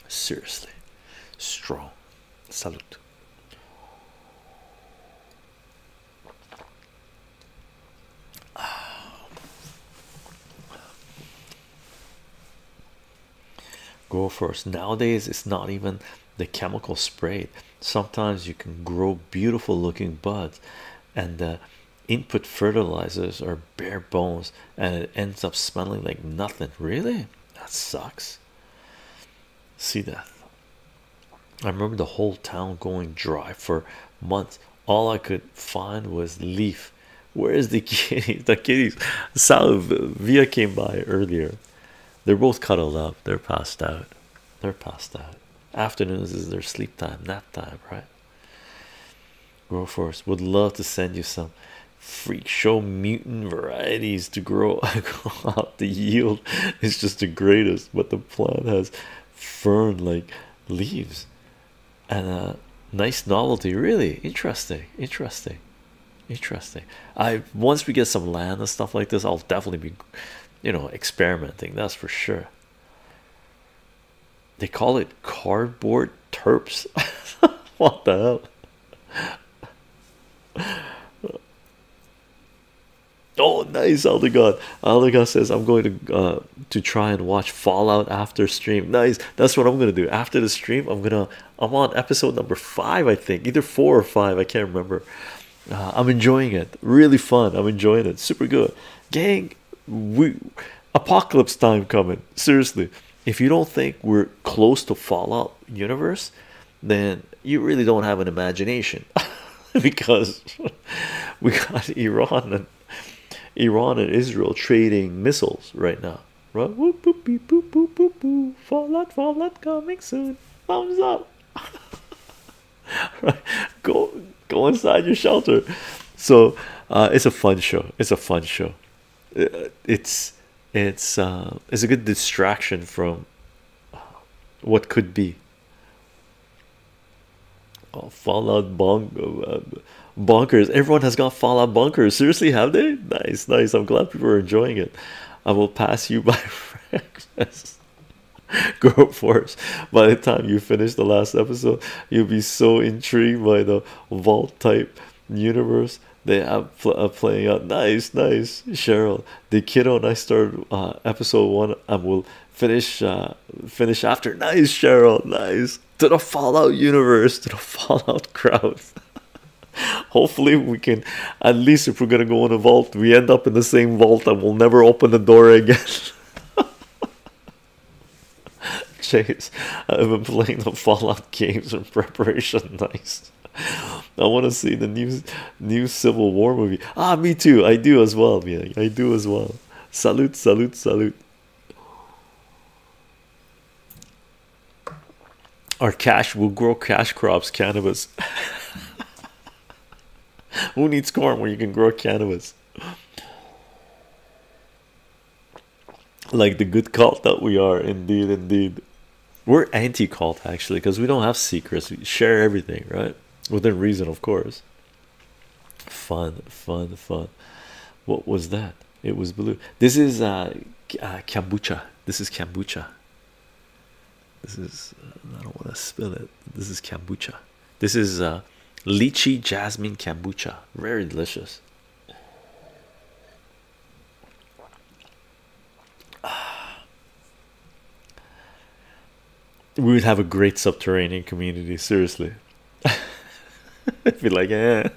Seriously, strong. Salute. Go first. Nowadays, it's not even the chemical sprayed. Sometimes you can grow beautiful looking buds, and uh, input fertilizers are bare bones and it ends up smelling like nothing really that sucks see that i remember the whole town going dry for months all i could find was leaf where is the kitty? the kitties Sal via came by earlier they're both cuddled up they're passed out they're passed out afternoons is their sleep time, nap time, right? Grow force would love to send you some freak show mutant varieties to grow I out. the yield is just the greatest, but the plant has fern like leaves and a uh, nice novelty. Really interesting, interesting, interesting. I once we get some land and stuff like this, I'll definitely be you know experimenting, that's for sure. They call it cardboard terps. what the hell? Oh, nice, God, other Aldegard says, I'm going to uh, to try and watch Fallout after stream. Nice, that's what I'm gonna do after the stream. I'm gonna, I'm on episode number five, I think, either four or five. I can't remember. Uh, I'm enjoying it, really fun. I'm enjoying it, super good. Gang, we apocalypse time coming. Seriously, if you don't think we're close to Fallout universe, then you really don't have an imagination, because we got Iran and Iran and Israel trading missiles right now. Right? Whoop, boop, beep, boop, coming soon. Thumbs up. right go go inside your shelter so uh, it's a fun show it's a fun show uh, it's it's uh, it's a good distraction from what could be oh, fallout bunkers. everyone has got fallout bunkers seriously have they nice nice i'm glad people are enjoying it i will pass you by go for By the time you finish the last episode, you'll be so intrigued by the vault type universe they are uh, playing out. Nice, nice, Cheryl. The kiddo and I start uh, episode one, and we'll finish uh, finish after. Nice, Cheryl. Nice to the Fallout universe, to the Fallout crowd. Hopefully, we can at least if we're gonna go in a vault, we end up in the same vault and we'll never open the door again. Chase, I've been playing the Fallout games in preparation. Nice. I want to see the new new Civil War movie. Ah, me too. I do as well. Yeah, I do as well. Salute, salute, salute. Our cash will grow cash crops, cannabis. Who needs corn when you can grow cannabis? like the good cult that we are, indeed, indeed. We're anti cult actually because we don't have secrets, we share everything, right? Within reason, of course. Fun, fun, fun. What was that? It was blue. This is uh, uh kombucha. This is kombucha. This is, uh, I don't want to spill it. This is kombucha. This is uh, lychee jasmine kombucha, very delicious. We would have a great subterranean community, seriously. I'd like, eh.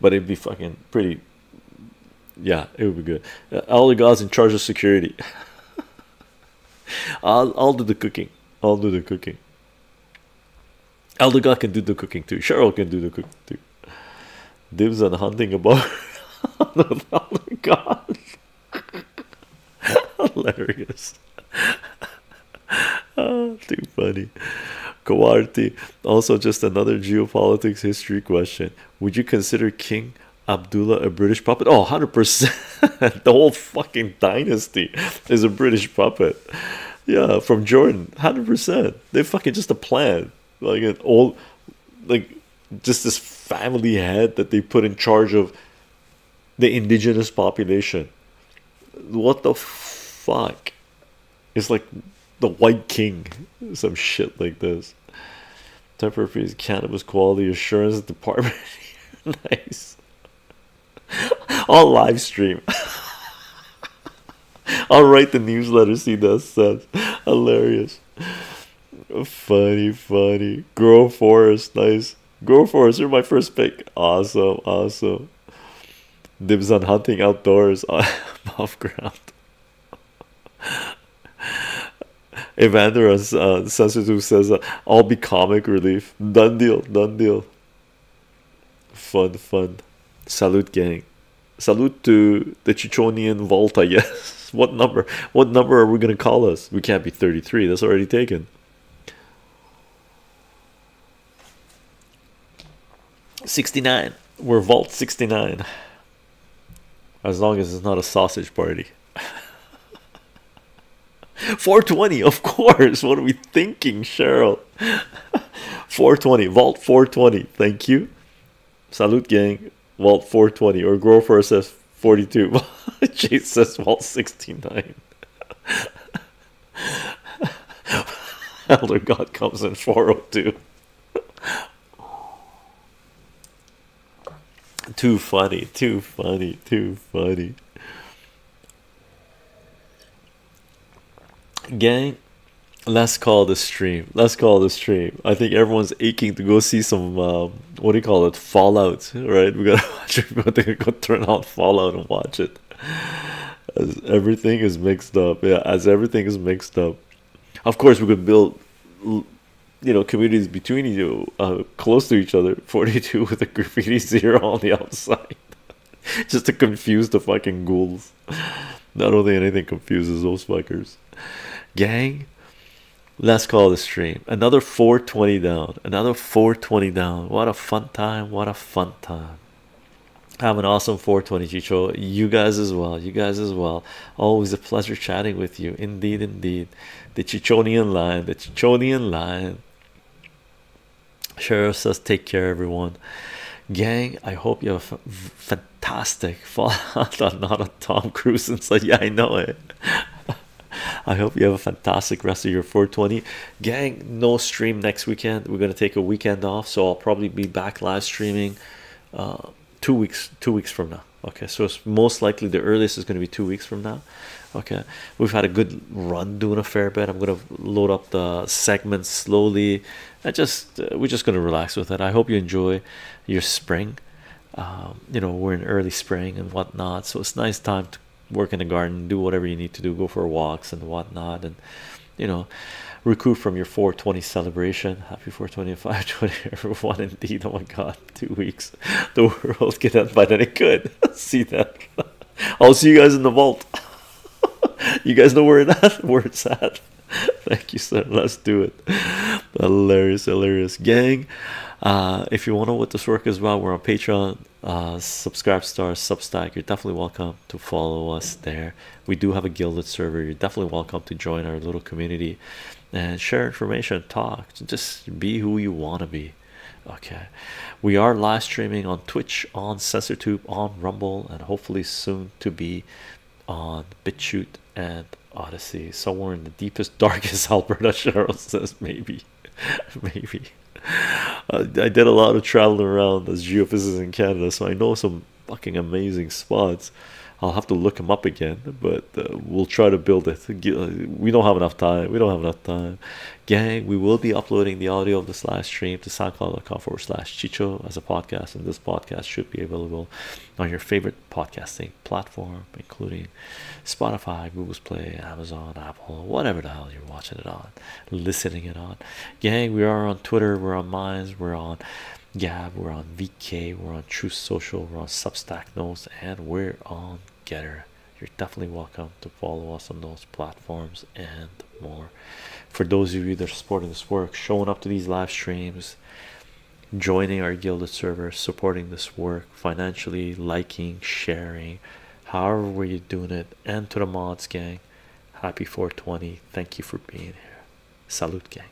but it'd be fucking pretty. Yeah, it would be good. Uh, all the guys in charge of security. I'll do the cooking. I'll do the cooking. Elder can do the cooking too. Cheryl can do the cooking too. Dibs and hunting about Elder God. Hilarious. Ah, too funny. Kawarti. Also, just another geopolitics history question. Would you consider King Abdullah a British puppet? Oh, 100%. the whole fucking dynasty is a British puppet. Yeah, from Jordan, hundred percent. They fucking just a plan, like an all, like just this family head that they put in charge of the indigenous population. What the fuck? It's like the White King, some shit like this. Temporary freeze, cannabis quality assurance department. nice. I'll live stream. I'll write the newsletter. See that says hilarious. Funny, funny. Girl Forest, nice. Girl Forest, you're my first pick. Awesome, awesome. Dibs on hunting outdoors off ground. Evander uh, Sensitive says, uh, I'll be comic relief. Done deal, done deal. Fun, fun. Salute, gang. Salute to the Chichonian Vault, Yes. what number? What number are we gonna call us? We can't be 33, that's already taken. Sixty-nine. We're Vault sixty-nine. As long as it's not a sausage party. 420, of course. What are we thinking, Cheryl? 420, Vault 420. Thank you. Salute, gang. Vault 420 or Grover says 42. Jesus Vault 69. Elder God comes in 402. too funny, too funny, too funny. Gang, let's call this stream. Let's call this stream. I think everyone's aching to go see some um, what do you call it? Fallout, right? We gotta turn out Fallout and watch it. As everything is mixed up, yeah. As everything is mixed up, of course we could build, you know, communities between you, uh, close to each other. Forty-two with a graffiti zero on the outside. just to confuse the fucking ghouls. Not only anything confuses those fuckers, gang. Let's call the stream another 420 down, another 420 down. What a fun time! What a fun time! Have an awesome 420 Chicho. You guys as well. You guys as well. Always a pleasure chatting with you. Indeed, indeed. The Chichonian lion, the Chichonian lion. Sheriff says, Take care, everyone. Gang, I hope you are fantastic fallout. Not a Tom Cruise and said, Yeah, I know it. I hope you have a fantastic rest of your 420. Gang, no stream next weekend. We're gonna take a weekend off, so I'll probably be back live streaming uh, two weeks two weeks from now. Okay, so most likely the earliest is gonna be two weeks from now okay we've had a good run doing a fair bit i'm going to load up the segments slowly and just uh, we're just going to relax with it i hope you enjoy your spring um, you know we're in early spring and whatnot so it's nice time to work in the garden do whatever you need to do go for walks and whatnot and you know recoup from your 420 celebration happy four twenty five twenty. and 520 everyone indeed oh my god two weeks the world get that, by then it could see that I'll see you guys in the vault. you guys know where that, at? Where it's at. Thank you, sir. Let's do it. Hilarious, hilarious, gang. Uh, if you want to know what this work is about, we're on Patreon. Uh, subscribe star substack you're definitely welcome to follow us there we do have a gilded server you're definitely welcome to join our little community and share information talk just be who you want to be okay we are live streaming on twitch on Sensor Tube, on rumble and hopefully soon to be on bitchute and odyssey somewhere in the deepest darkest alberta cheryl says maybe maybe i did a lot of traveling around as geophysicist in canada so i know some fucking amazing spots i'll have to look them up again but uh, we'll try to build it uh, we don't have enough time we don't have enough time gang we will be uploading the audio of this live stream to soundcloud.com forward slash chicho as a podcast and this podcast should be available on your favorite podcasting platform including spotify Google play amazon apple whatever the hell you're watching it on listening it on gang we are on twitter we're on minds we're on gab we're on vk we're on true social we're on substack notes and we're on getter you're definitely welcome to follow us on those platforms and more for those of you that are supporting this work showing up to these live streams joining our gilded server supporting this work financially liking sharing however were you doing it and to the mods gang happy 420 thank you for being here salute gang